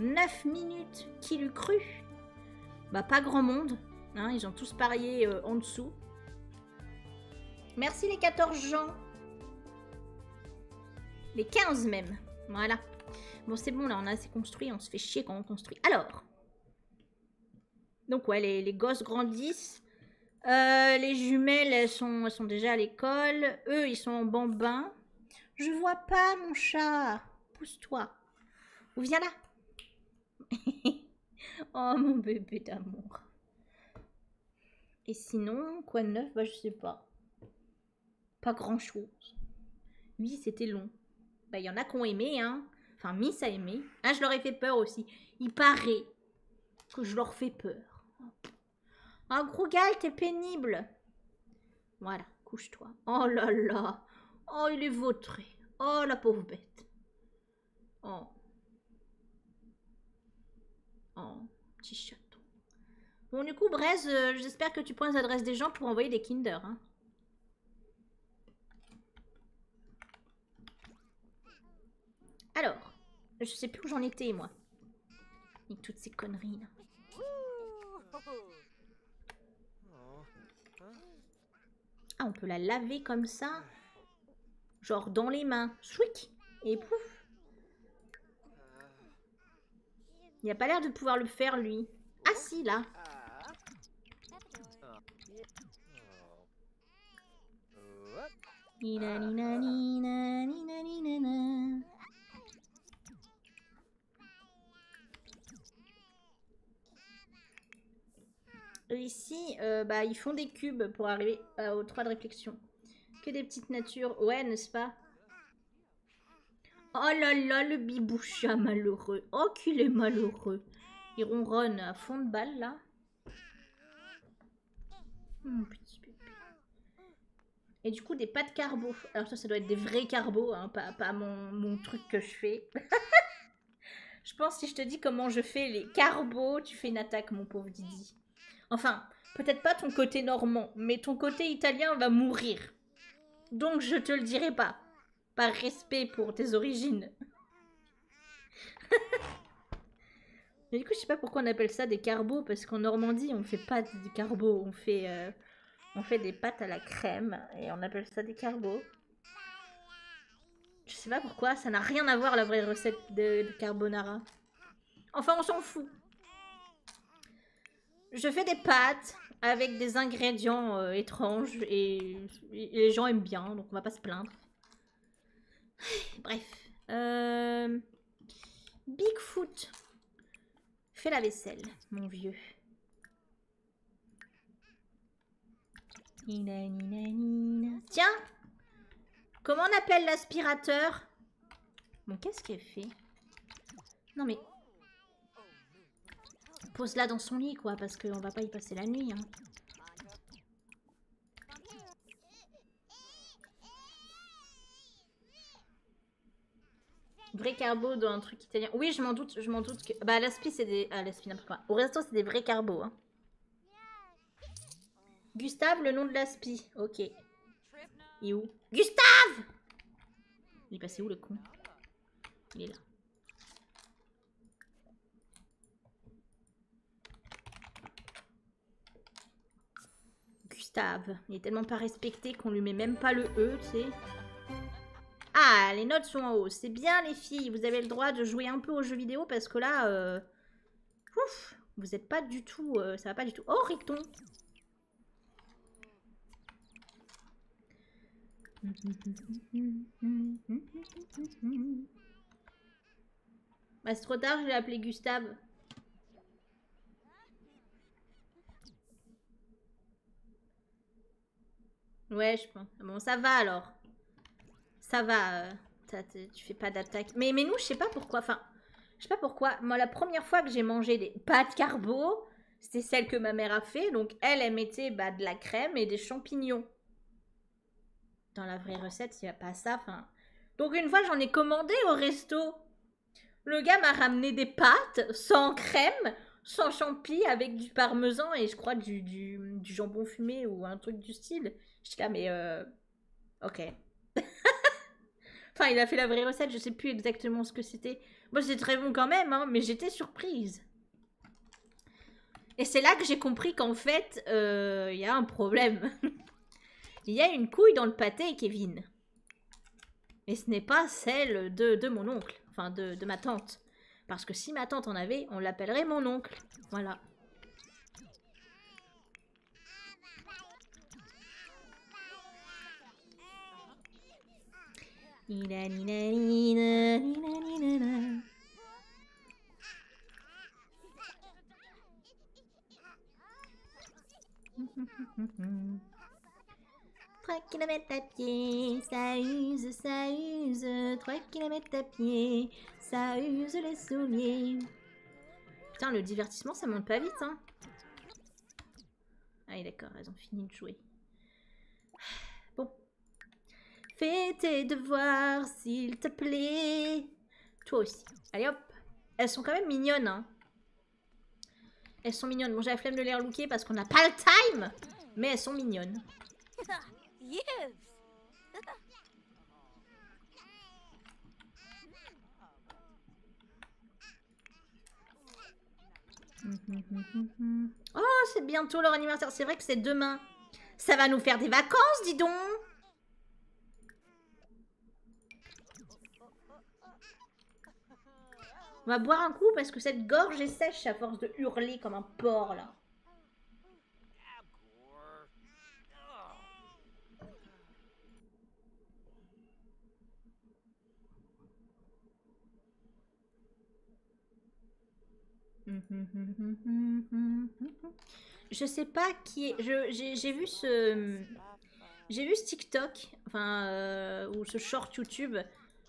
9 minutes, qui l'eût cru Bah pas grand monde, hein, ils ont tous parié euh, en dessous. Merci les 14 gens. Les 15 même, voilà. Bon c'est bon là, on a assez construit, on se fait chier quand on construit. Alors, donc ouais, les, gosses grandissent. Euh, les jumelles, sont, sont déjà à l'école. Eux, ils sont en bambin. Je vois pas mon chat. Pousse-toi. Ou viens là. oh mon bébé d'amour. Et sinon, quoi de neuf Bah je sais pas. Pas grand chose. Oui, c'était long. Bah il y en a qui ont aimé, hein. Enfin, Miss a aimé. Ah, je leur ai fait peur aussi. Il paraît que je leur fais peur. Un gros Grougal, t'es pénible. Voilà, couche-toi. Oh là là. Oh, il est vautré. Oh, la pauvre bête. Oh. Oh, petit chaton. Bon, du coup, Braise, euh, j'espère que tu prends les adresses des gens pour envoyer des Kinder. Hein. Alors, je sais plus où j'en étais, moi et toutes ces conneries là. Ah, on peut la laver comme ça. Genre dans les mains. Souic Et pouf Il a pas l'air de pouvoir le faire lui. Ah si, là euh, ici, euh, bah, ils font des cubes pour arriver euh, aux trois de réflexion. Que des petites natures. Ouais, n'est-ce pas Oh là là, le biboucha malheureux. Oh qu'il est malheureux. Il ronronne à fond de balle, là. Hmm, et du coup, des pâtes carbo. Alors ça, ça doit être des vrais carbo, hein, pas, pas mon, mon, truc que je fais. je pense si je te dis comment je fais les carbos, tu fais une attaque, mon pauvre Didi. Enfin, peut-être pas ton côté normand, mais ton côté italien va mourir. Donc je te le dirai pas. Par respect pour tes origines. mais du coup, je sais pas pourquoi on appelle ça des carbos, parce qu'en Normandie, on fait pas des carbos, on fait... Euh, on fait des pâtes à la crème et on appelle ça des carbos. Je sais pas pourquoi, ça n'a rien à voir la vraie recette de, carbonara. Enfin, on s'en fout. Je fais des pâtes avec des ingrédients euh, étranges et, les gens aiment bien, donc on va pas se plaindre. Bref. Euh, Bigfoot. Fais la vaisselle, mon vieux. Tiens Comment on appelle l'aspirateur Bon, qu'est-ce qu'elle fait Non mais... Pose-la dans son lit, quoi, parce qu'on va pas y passer la nuit. Hein. Vrai carbo dans un truc italien. Oui, je m'en doute, je m'en doute que... Bah, l'aspi, c'est des... Ah, l'aspi, n'importe quoi. Au resto, c'est des vrais carbo hein. Gustave, le nom de l'aspi. Ok. Il est où Gustave Il est passé où, le con Il est là. Gustave. Il est tellement pas respecté qu'on lui met même pas le E, tu sais. Ah, les notes sont en haut. C'est bien, les filles. Vous avez le droit de jouer un peu aux jeux vidéo parce que là... Euh, ouf Vous êtes pas du tout... Euh, ça va pas du tout. Oh, Ricton bah, c'est trop tard, je vais appelé Gustave. Ouais, je pense. Bon, ça va alors. Ça va. Euh, tu fais pas d'attaque. Mais, mais nous, je sais pas pourquoi. Enfin, je sais pas pourquoi. Moi, la première fois que j'ai mangé des pâtes carbo, c'était celle que ma mère a fait. Donc, elle, elle mettait bah, de la crème et des champignons. Dans la vraie recette, il n'y a pas ça. Enfin. Donc, une fois, j'en ai commandé au resto. Le gars m'a ramené des pâtes sans crème, sans champi, avec du parmesan et je crois du, jambon fumé ou un truc du style. jusqu'à mais euh, ok. enfin, il a fait la vraie recette, je sais plus exactement ce que c'était. Moi c'était très bon quand même, hein, mais j'étais surprise. Et c'est là que j'ai compris qu'en fait, euh, il y a un problème. Il y a une couille dans le pâté, Kevin. Et ce n'est pas celle de, mon oncle, enfin de, de ma tante. Parce que si ma tante en avait, on l'appellerait mon oncle. Voilà. 3 km à pied, ça use, ça use. 3 km à pied, ça use les souliers. Putain, le divertissement, ça monte pas vite, hein. Ah, d'accord, elles ont fini de jouer. Bon. Fais tes devoirs, s'il te plaît. Toi aussi. Allez, hop. Elles sont quand même mignonnes, hein. Elles sont mignonnes. Bon, j'ai la flemme de les relooker parce qu'on n'a pas le time. Mais elles sont mignonnes. Oh, c'est bientôt leur anniversaire. C'est vrai que c'est demain. Ça va nous faire des vacances, dis donc. On va boire un coup parce que cette gorge est sèche à force de hurler comme un porc là. Je sais pas qui est. J'ai vu ce, j'ai vu ce TikTok, enfin, euh, ou ce short YouTube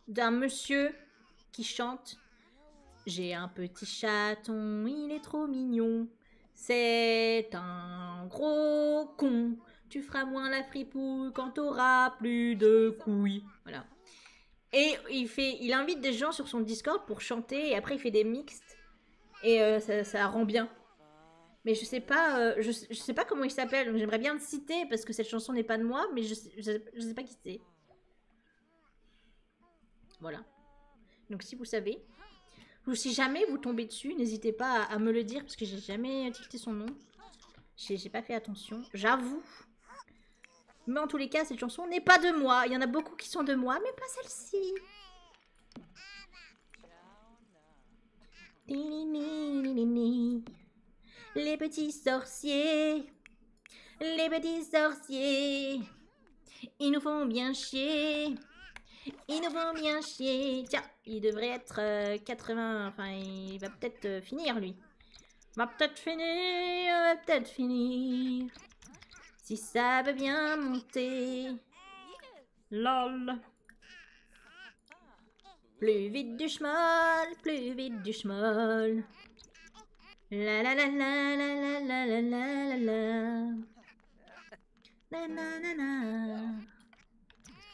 d'un monsieur qui chante J'ai un petit chaton, il est trop mignon. C'est un gros con. Tu feras moins la fripouille quand t'auras plus de couilles. Voilà. Et il, fait, il invite des gens sur son Discord pour chanter et après il fait des mixtes. Et euh, ça, ça rend bien mais je sais pas, euh, je, sais pas comment il s'appelle. Donc j'aimerais bien le citer parce que cette chanson n'est pas de moi, mais je, je, sais pas qui c'est. Voilà. Donc si vous savez, ou si jamais vous tombez dessus, n'hésitez pas à, me le dire parce que j'ai jamais tilté son nom. J'ai pas fait attention, j'avoue. Mais en tous les cas, cette chanson n'est pas de moi. Il y en a beaucoup qui sont de moi, mais pas celle-ci. Les petits sorciers, les petits sorciers, ils nous font bien chier. Ils nous font bien chier. Tiens, il devrait être 80. Euh, enfin, il va peut-être euh, finir, lui. Va peut-être finir, va peut-être finir. Si ça veut bien monter. Lol. Plus vite du chemin, plus vite du chemin. La la la la la la la la la la la na na na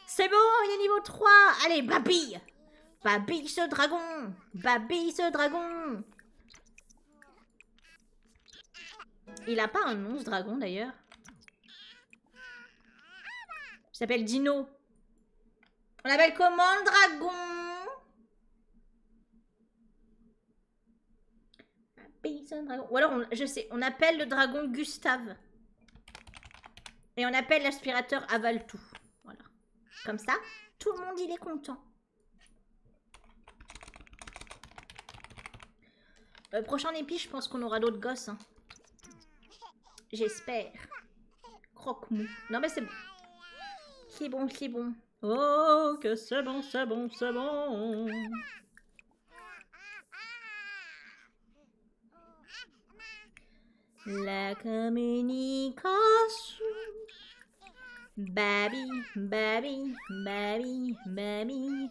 C'est bon, il est niveau 3 Allez, babille Babille ce dragon Babille ce dragon Il a pas un nom dragon d'ailleurs il s'appelle Dino. On appelle comment le dragon dragon. Ou alors, je sais, on appelle le dragon Gustave. Et on appelle l'aspirateur avale tout. Voilà. Comme ça, tout le monde il est content. Euh, prochain épi, je pense qu'on aura d'autres gosses. Hein. J'espère. Croque-mou. Non, mais c'est bon. C'est bon, c'est bon. Oh, que c'est bon, c'est bon, c'est bon. La communication. Baby, baby, baby, baby.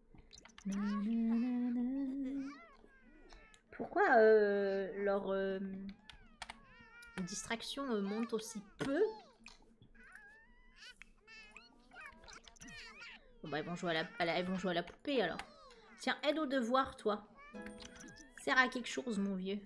Pourquoi euh, leur euh, distraction monte aussi peu Bon ils bah, vont jouer à la, poupée alors. Tiens, aide au devoir toi. Sert à quelque chose mon vieux.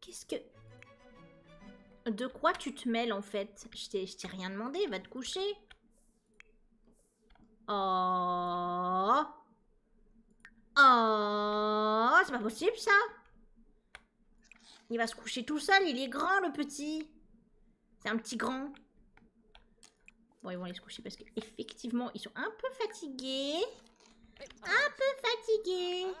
Qu'est-ce que... De quoi tu te mêles en fait Je t'ai rien demandé, va te coucher. Oh. Oh. C'est pas possible, ça. Il va se coucher tout seul. Il est grand, le petit. C'est un petit grand. Bon, ils vont aller se coucher parce qu'effectivement, ils sont un peu fatigués. Un peu fatigués. Uh,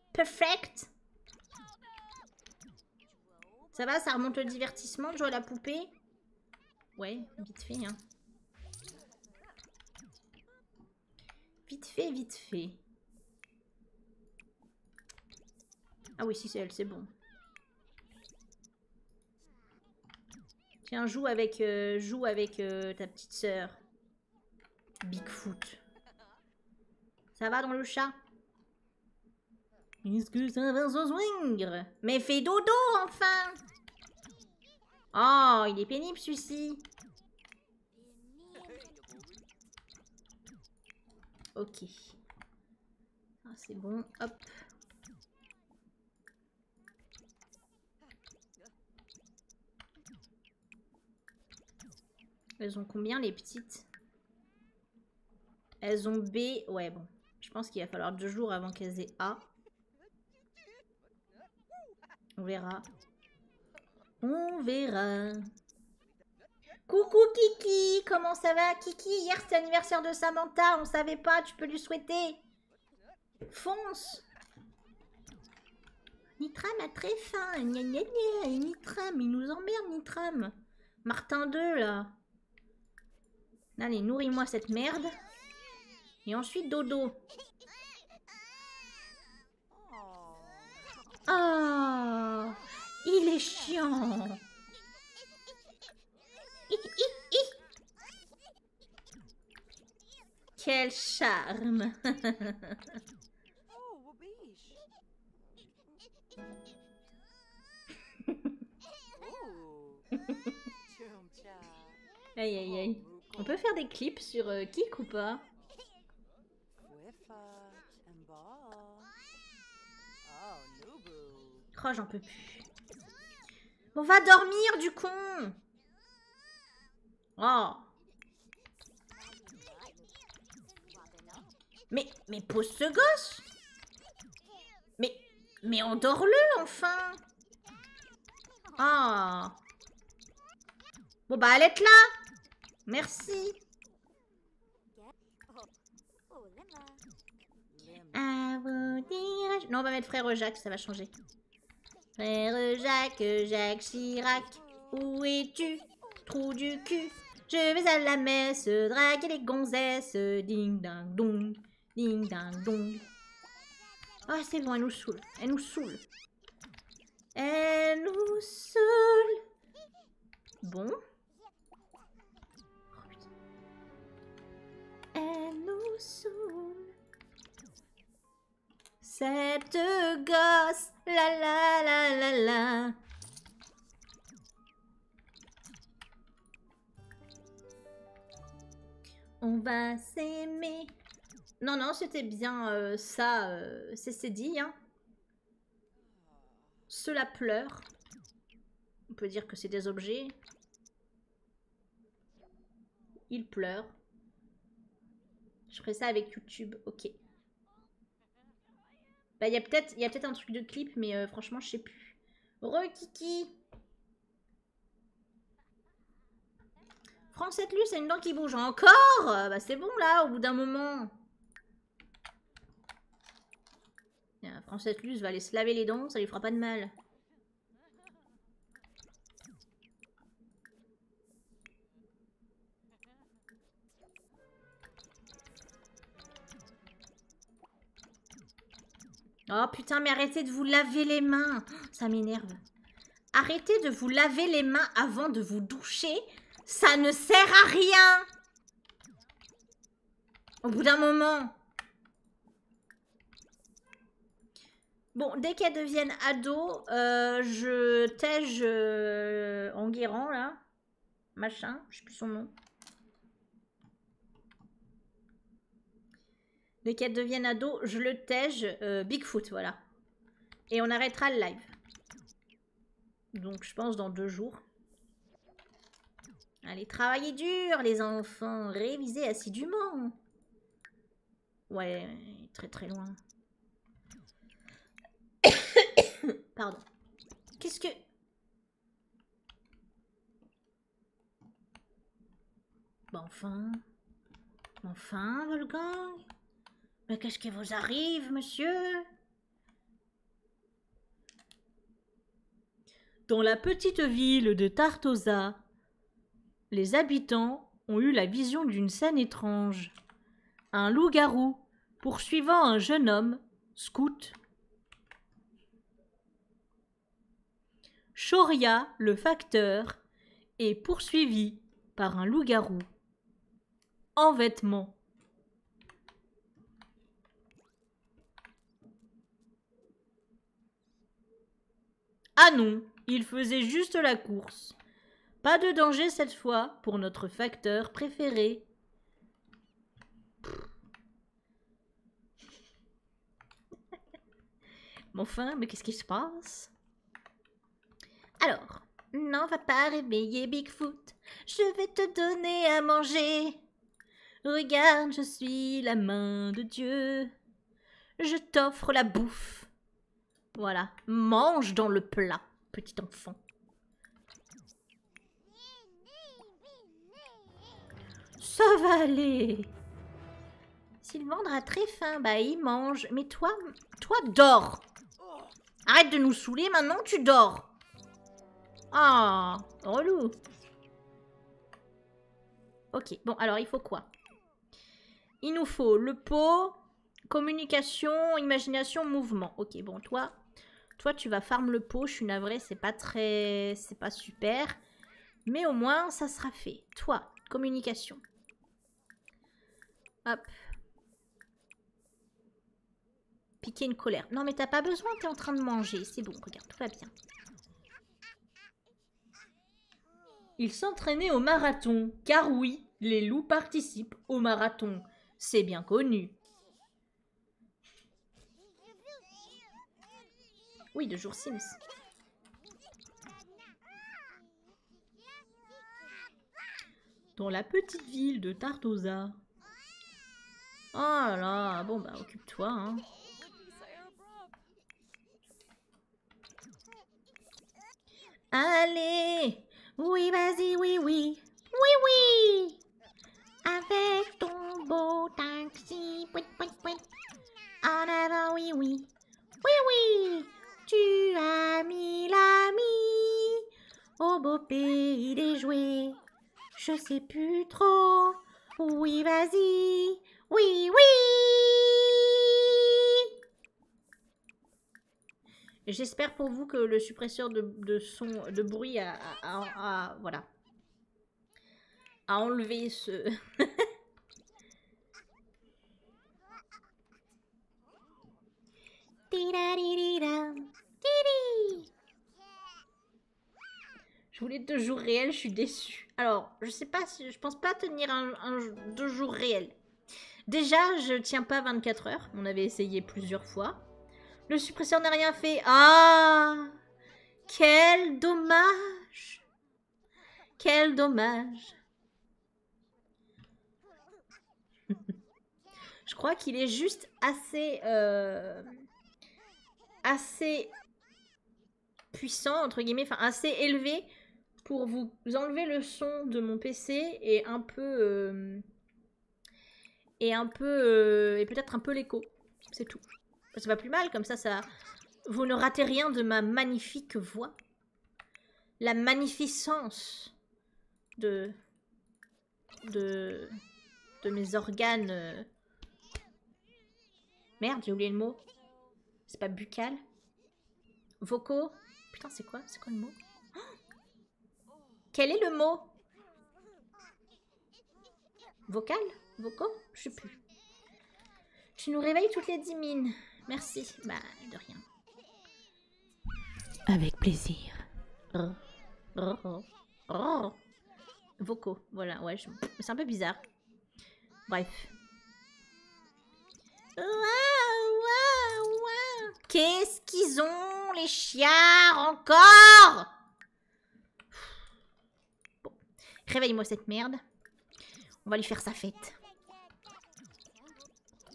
Perfect. Ça va, ça remonte le divertissement de jouer à la poupée Ouais, vite fait, hein. Vite fait, vite fait. Ah oui, si c'est elle, c'est bon. Tiens, joue avec, euh, joue avec euh, ta petite sœur. Bigfoot. Ça va dans le chat Est-ce que Mais fais dodo enfin Oh, il est pénible celui-ci. Ok. Ah, C'est bon, hop. Elles ont combien les petites Elles ont B. Ouais, bon. Je pense qu'il va falloir deux jours avant qu'elles aient A. On verra. On verra. Coucou Kiki, comment ça va Kiki, hier c'est l'anniversaire de Samantha, on savait pas, tu peux lui souhaiter. Fonce Nitram a très faim. ni nya Nitram, il nous emmerde, Nitram. Martin 2, là. Allez, nourris-moi cette merde. Et ensuite, dodo. Oh, il est chiant. Quel charme. Oh. aïe aïe aïe. On peut faire des clips sur euh, Kik ou pas Oh, j'en peux plus. On va dormir, du con Oh mais, mais pose ce gosse Mais, mais endors-le enfin oh. Bon bah elle est là Merci vous Non, on va mettre Frère Jacques, ça va changer. Frère Jacques, Jacques Chirac, où es-tu Trou du cul. Je vais à la messe, draguer les gonzesses. Ding ding dong. Ding ding dong. Ah, oh, c'est bon, elle nous saoule. Elle nous saoule. Elle nous saoule. Bon. Oh, elle nous saoule. Cette gosse la la la la la. On va s'aimer. Non, non, c'était bien euh, ça. Euh, c'est dit, hein. Cela pleure. On peut dire que c'est des objets. Il pleure. Je ferai ça avec YouTube, ok. Bah, il y a peut-être un truc de clip, mais euh, franchement, je sais plus. Re-Kiki luce, a une dent qui bouge. Encore Bah, c'est bon, là, au bout d'un moment. Francette luce, va aller se laver les dents, ça lui fera pas de mal. Oh putain, mais arrêtez de vous laver les mains. Ça m'énerve. Arrêtez de vous laver les mains avant de vous doucher. Ça ne sert à rien. Au bout d'un moment. Bon, dès qu'elles deviennent ados, euh, je tège euh, en guérant là machin, je sais plus son nom. Dès qu'elle devienne ado, je le tège, euh, Bigfoot, voilà. Et on arrêtera le live. Donc je pense dans deux jours. Allez, travaillez dur les enfants, révisez assidûment. Ouais, très très loin. Pardon. Qu'est-ce que... enfin... Enfin, Wolfgang Mais qu'est-ce qui vous arrive, monsieur Dans la petite ville de Tartosa, les habitants ont eu la vision d'une scène étrange un loup-garou poursuivant un jeune homme, scout. Choria, le facteur, est poursuivi par un loup-garou en vêtements. Ah non, il faisait juste la course. Pas de danger cette fois pour notre facteur préféré. Mon enfin, mais qu'est-ce qui se passe Alors, n'en va pas réveiller Bigfoot. Je vais te donner à manger. Regarde, je suis la main de Dieu. Je t'offre la bouffe. Voilà, mange dans le plat, petit enfant. Ça va aller. Sylvain a très faim. Bah, il mange. Mais toi, toi, dors. Arrête de nous saouler, maintenant tu dors. Ah, oh, relou. Ok, bon, alors il faut quoi Il nous faut le pot, Communication, imagination, mouvement. Ok, bon, toi, toi tu vas farm le pot. Je suis navrée, c'est pas très... C'est pas super. Mais au moins, ça sera fait. Toi, communication. Hop. Piquer une colère. Non, mais t'as pas besoin, t'es en train de manger. C'est bon, regarde, tout va bien. Il s'entraînait au marathon, car oui, les loups participent au marathon. C'est bien connu. Oui, de jour Sims. Dans la petite ville de Tartosa. Ah là, bon bah occupe-toi. Hein. Allez oui, vas-y, oui, oui. Oui, oui. Avec ton beau taxi. oui, oui, oui, En avant, oui, oui. Oui, oui. Tu as mis l'ami au beau pays des jouets. Je sais plus trop. Oui, vas-y. Oui, oui. J'espère pour vous que le suppresseur de, son, de bruit a, enlevé ce... Je voulais deux jours réels, je suis déçue. Alors, je sais pas si... Je pense pas tenir un, deux jours réels. Déjà, je tiens pas 24 heures. On avait essayé plusieurs fois. Le suppresseur n'a rien fait. Ah Quel dommage Quel dommage Je crois qu'il est juste assez... Euh, assez puissant, entre guillemets, enfin assez élevé pour vous enlever le son de mon PC et un peu... Euh, et un peu... Euh, et peut-être un peu l'écho. C'est tout. Ça va plus mal, comme ça, ça... Vous ne ratez rien de ma magnifique voix. La magnificence de... de... de mes organes... Euh. Merde, j'ai oublié le mot. C'est pas buccal Vocaux Putain, c'est quoi C'est quoi le mot quel est le mot Vocal Vocaux Je sais plus. Tu nous réveilles toutes les dix mines. Merci. Bah, de rien. Avec plaisir. Vocaux, voilà, ouais, c'est un peu bizarre. Bref. Qu'est-ce qu'ils ont, les chiards, encore réveille-moi cette merde. On va lui faire sa fête.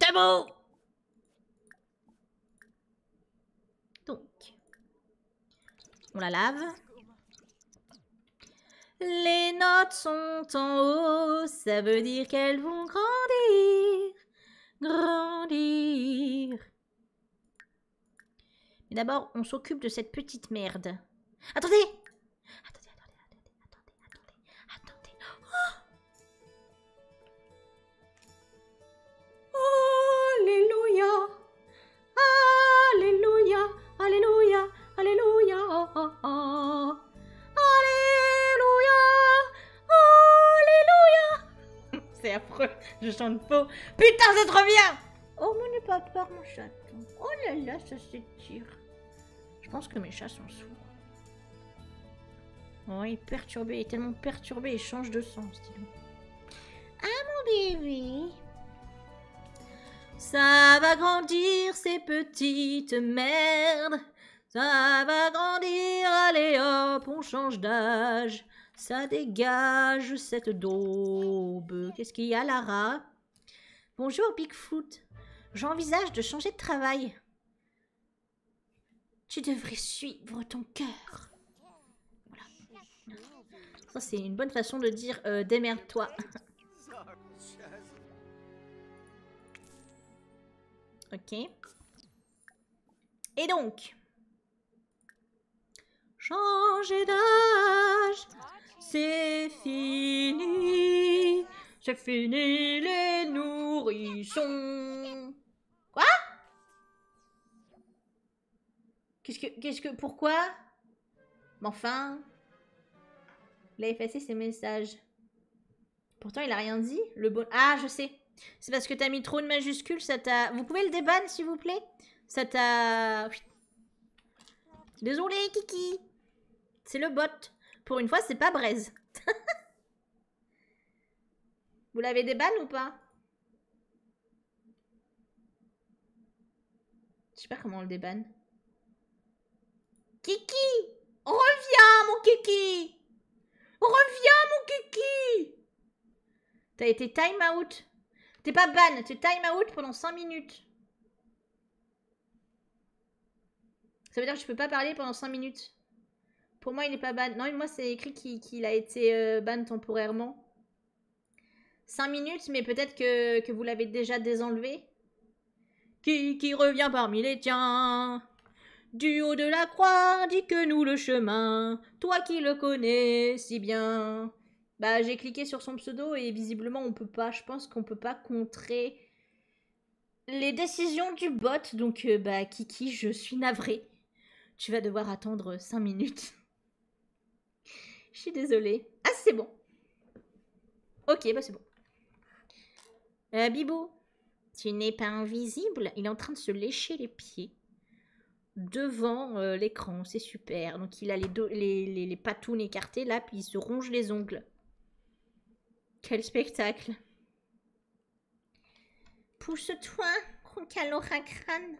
Tabou Donc, on la lave. Les notes sont en haut, ça veut dire qu'elles vont grandir, grandir. Mais d'abord, on s'occupe de cette petite merde. Attendez Attendez, attendez, attendez, attendez, attendez, attendez. Oh, Alléluia Alléluia Alléluia Alléluia Alléluia Alléluia C'est affreux, je chante faux. Putain, c'est trop bien Oh mon par mon chaton. Oh là là, ça s'étire. Je pense que mes chats sont sourds. Oh, il est perturbé, il est tellement perturbé, il change de sens, Ah mon bébé Ça va grandir ces petites merdes. Ça va grandir, allez hop, on change d'âge. Ça dégage cette daube. Qu'est-ce qu'il y a, Lara Bonjour, Bigfoot. J'envisage de changer de travail. Tu devrais suivre ton cœur. Voilà. Ça, c'est une bonne façon de dire euh, démerde-toi. ok. Et donc Changer d'âge, c'est fini. C'est fini les nourrissons. Quoi Qu'est-ce que... Qu'est-ce que... Pourquoi Mais enfin... Il effacé ses messages. Pourtant, il a rien dit. Le bon... Ah, je sais. C'est parce que t'as mis trop de majuscules, ça t'a... Vous pouvez le déban, s'il vous plaît Ça t'a... Désolé, Kiki C'est le bot. Pour une fois, c'est pas Braise. Vous l'avez déban ou pas Je sais pas comment on le débanne. Kiki Reviens, mon Kiki Reviens, mon Kiki T'as été time out. T'es pas ban, t'es time out pendant 5 minutes. Ça veut dire que je peux pas parler pendant 5 minutes. Pour moi, il n'est pas ban. Non, moi, c'est écrit qu'il a été euh, ban temporairement. 5 minutes, mais peut-être que, vous l'avez déjà désenlevé. qui revient parmi les tiens du haut de la croix, dis que nous le chemin, toi qui le connais si bien. Bah, j'ai cliqué sur son pseudo et visiblement on peut pas, je pense qu'on peut pas contrer les décisions du bot, donc euh, bah Kiki, je suis navrée. Tu vas devoir attendre cinq minutes. Je suis désolée. Ah, c'est bon. Ok, bah c'est bon. Euh, Bibo, tu n'es pas invisible. Il est en train de se lécher les pieds devant euh, l'écran. C'est super. Donc il a les, les, les, patounes écartées là, puis il se ronge les ongles. Quel spectacle. Pousse-toi, crâne.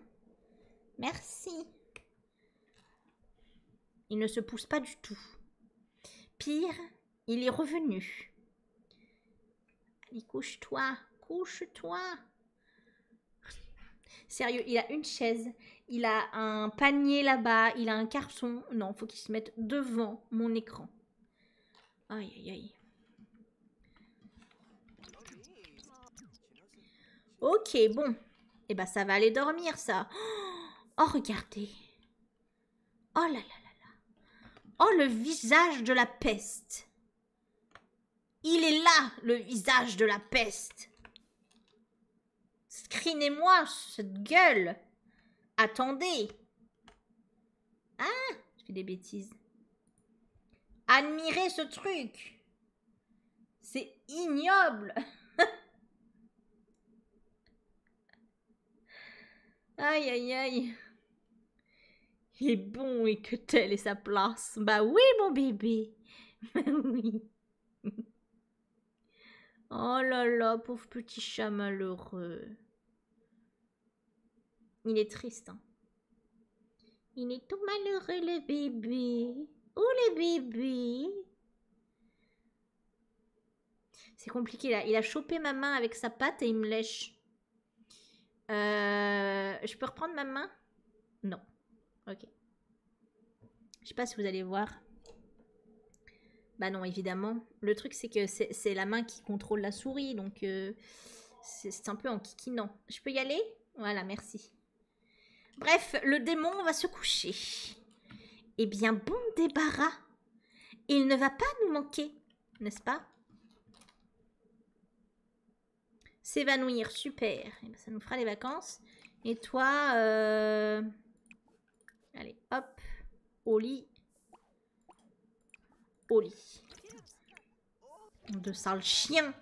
Merci. Il ne se pousse pas du tout. Pire, il est revenu. Allez, couche-toi, couche-toi. Sérieux, il a une chaise, il a un panier là-bas, il a un carton. Non, faut qu'il se mette devant mon écran. Aïe, aïe, aïe. Ok, bon. Eh ben, ça va aller dormir, ça. Oh, regardez. Oh là là là là. Oh, le visage de la peste. Il est là, le visage de la peste. screenez moi cette gueule. Attendez. Hein Je fais des bêtises. Admirez ce truc. C'est ignoble. aïe, aïe, aïe. Il est bon et que telle est sa place. Bah oui, mon bébé. Bah oui. Oh là là, pauvre petit chat malheureux. Il est triste. Hein. Il est tout malheureux, le bébé. Oh, le bébé. C'est compliqué là. Il a chopé ma main avec sa patte et il me lèche. Euh, je peux reprendre ma main Non. Ok. Je sais pas si vous allez voir. Bah non, évidemment. Le truc, c'est que c'est la main qui contrôle la souris, donc euh, c'est un peu en kikinant. Je peux y aller Voilà, merci. Bref, le démon va se coucher. Eh bien, bon débarras. Il ne va pas nous manquer, n'est-ce pas S'évanouir, super. Eh ben, ça nous fera les vacances. Et toi, euh, allez, hop, au lit. Au lit. De sale chien.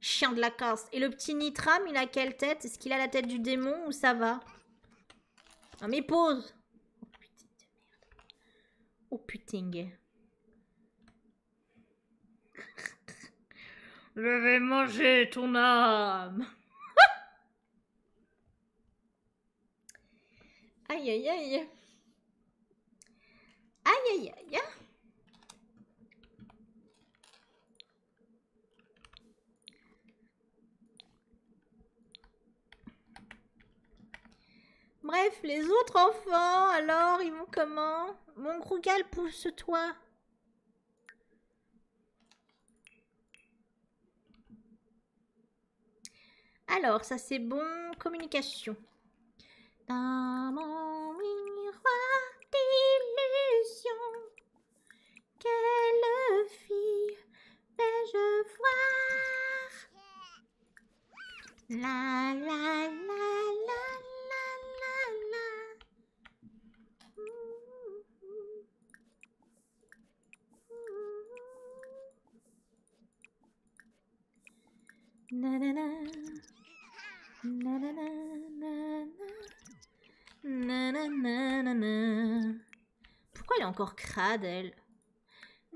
Chien de la casse. Et le petit Nitram, il a quelle tête Est-ce qu'il a la tête du démon ou ça va Non ah, mais pause Oh putain de merde. Oh je vais manger ton âme. aïe aïe aïe. Aïe aïe aïe. Bref, les autres enfants, alors, ils vont comment Mon Grougal, pousse-toi. Alors, ça c'est bon, communication. Dans mon miroir d'illusion, quelle fille vais-je voir la la la la la la Pourquoi elle est encore crade,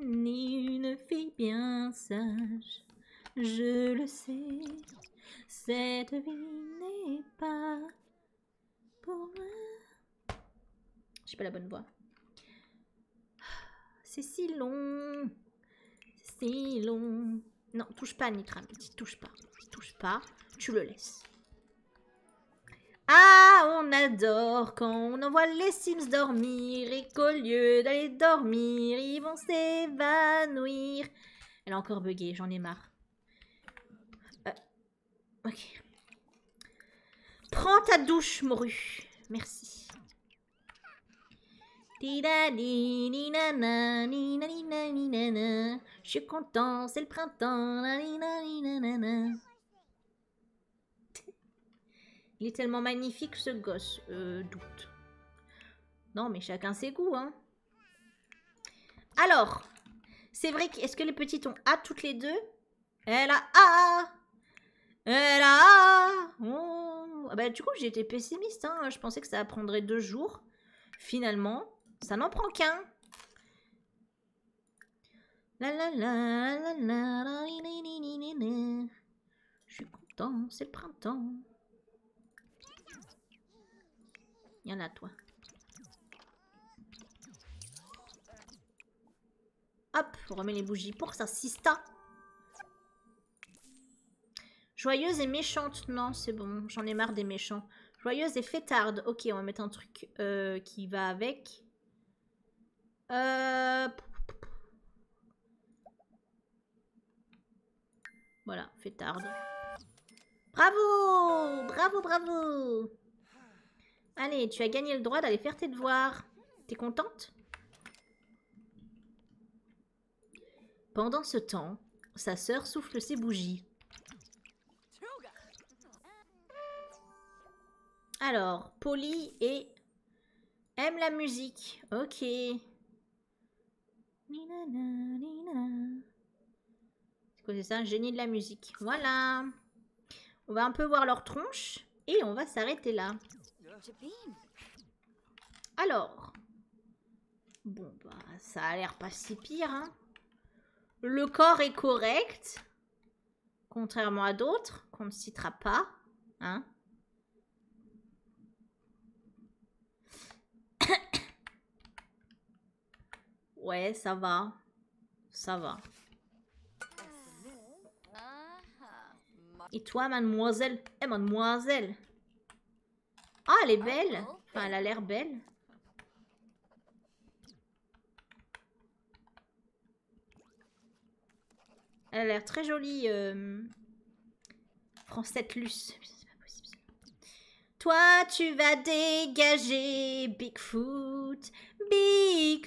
Ni une fille bien sage je le sais, cette vie n'est pas pour moi. J'ai pas la bonne voix. C'est si long, c'est si long. Non, touche pas, Nitram, tu touche pas, touche pas, tu le laisses. Ah, on adore quand on envoie les Sims dormir et qu'au lieu d'aller dormir, ils vont s'évanouir. Elle a encore bugué, j'en ai marre. Euh, Prends ta douche, morue. Merci. Je suis content, c'est le printemps. Il est tellement magnifique ce gosse. doute. Non, mais chacun ses goûts, hein. Alors, c'est vrai que... Est-ce que les petites ont A toutes les deux Elle a A Elle a A bah, Du coup, j'étais pessimiste, Je pensais que ça prendrait deux jours. Finalement, ça n'en prend qu'un. la je suis content, c'est le printemps. Il y en a toi. Hop, on remet les bougies pour ça sista. Joyeuse et méchante, non, c'est bon, j'en ai marre des méchants. Joyeuse et fêtarde, ok, on va mettre un truc euh, qui va avec. Euh, voilà, fait tard. Bravo Bravo, bravo Allez, tu as gagné le droit d'aller faire tes devoirs. T'es contente Pendant ce temps, sa sœur souffle ses bougies. Alors, Polly et aime la musique. Ok. C'est quoi ça Un génie de la musique. Voilà. On va un peu voir leur tronche et on va s'arrêter là. Alors. Bon, bah, ça a l'air pas si pire. Hein. Le corps est correct. Contrairement à d'autres qu'on ne citera pas. Hein ouais, ça va. Ça va. Et toi, mademoiselle et eh, mademoiselle Ah, elle est belle Enfin, elle a l'air belle. Elle a l'air très jolie. Euh, Prends luce. Toi, tu vas dégager Bigfoot, big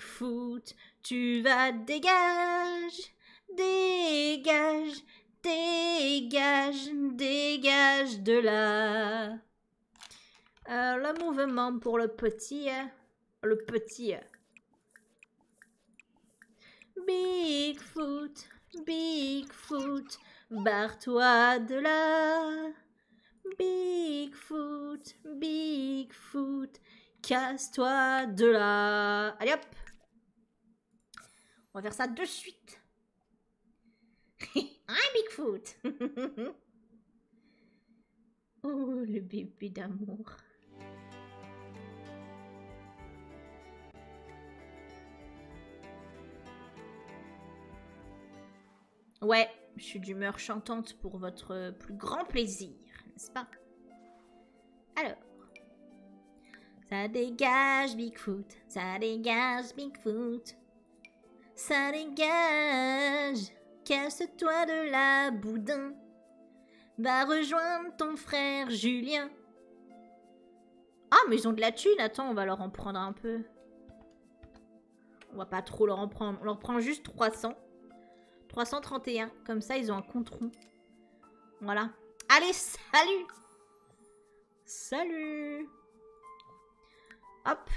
foot Tu vas dégager, dégage, dégage, dégage de là. Euh, le mouvement pour le petit, euh, le petit, euh. Bigfoot, Bigfoot, barre-toi de là. Bigfoot, Bigfoot, casse-toi de là. Allez hop On va faire ça de suite. big hein, Bigfoot Oh, le bébé d'amour. Ouais, je suis d'humeur chantante pour votre plus grand plaisir, n'est-ce pas Alors. Ça dégage Bigfoot, ça dégage Bigfoot. Ça dégage, casse-toi de la boudin. Va rejoindre ton frère Julien. Ah, mais ils ont de la thune. Attends, on va leur en prendre un peu. On va pas trop leur en prendre. On leur prend juste 300. 331. Comme ça, ils ont un compte rond. Voilà. Allez, salut Salut Hop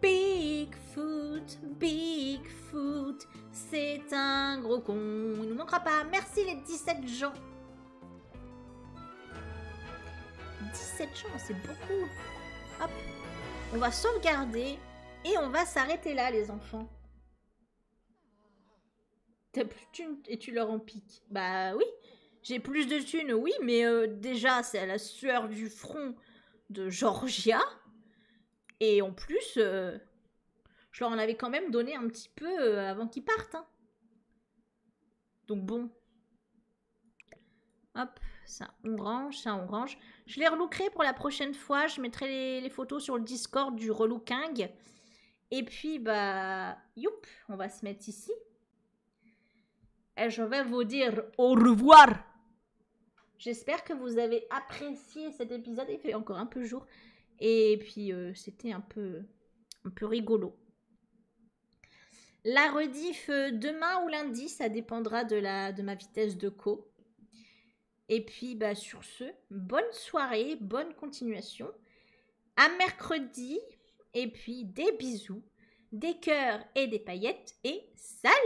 Bigfoot, Bigfoot, c'est un gros con. Il nous manquera pas. Merci les 17 gens. 17 gens, c'est beaucoup. Hop, on va sauvegarder et on va s'arrêter là les enfants. et tu leur en piques. Bah oui. J'ai plus de thunes, oui, mais euh, déjà, c'est la sueur du front de Georgia. Et en plus, euh, je leur en avais quand même donné un petit peu euh, avant qu'ils partent. Hein. Donc bon. Hop, ça on range, ça on range. Je les relookerai pour la prochaine fois. Je mettrai les, photos sur le Discord du relooking. Et puis, bah, youp, on va se mettre ici. Et je vais vous dire au revoir. J'espère que vous avez apprécié cet épisode. Il fait encore un peu jour. Et puis, euh, c'était un peu, un peu rigolo. La rediff euh, demain ou lundi, ça dépendra de, la, de ma vitesse de co. Et puis, bah, sur ce, bonne soirée, bonne continuation. À mercredi. Et puis, des bisous, des cœurs et des paillettes et salut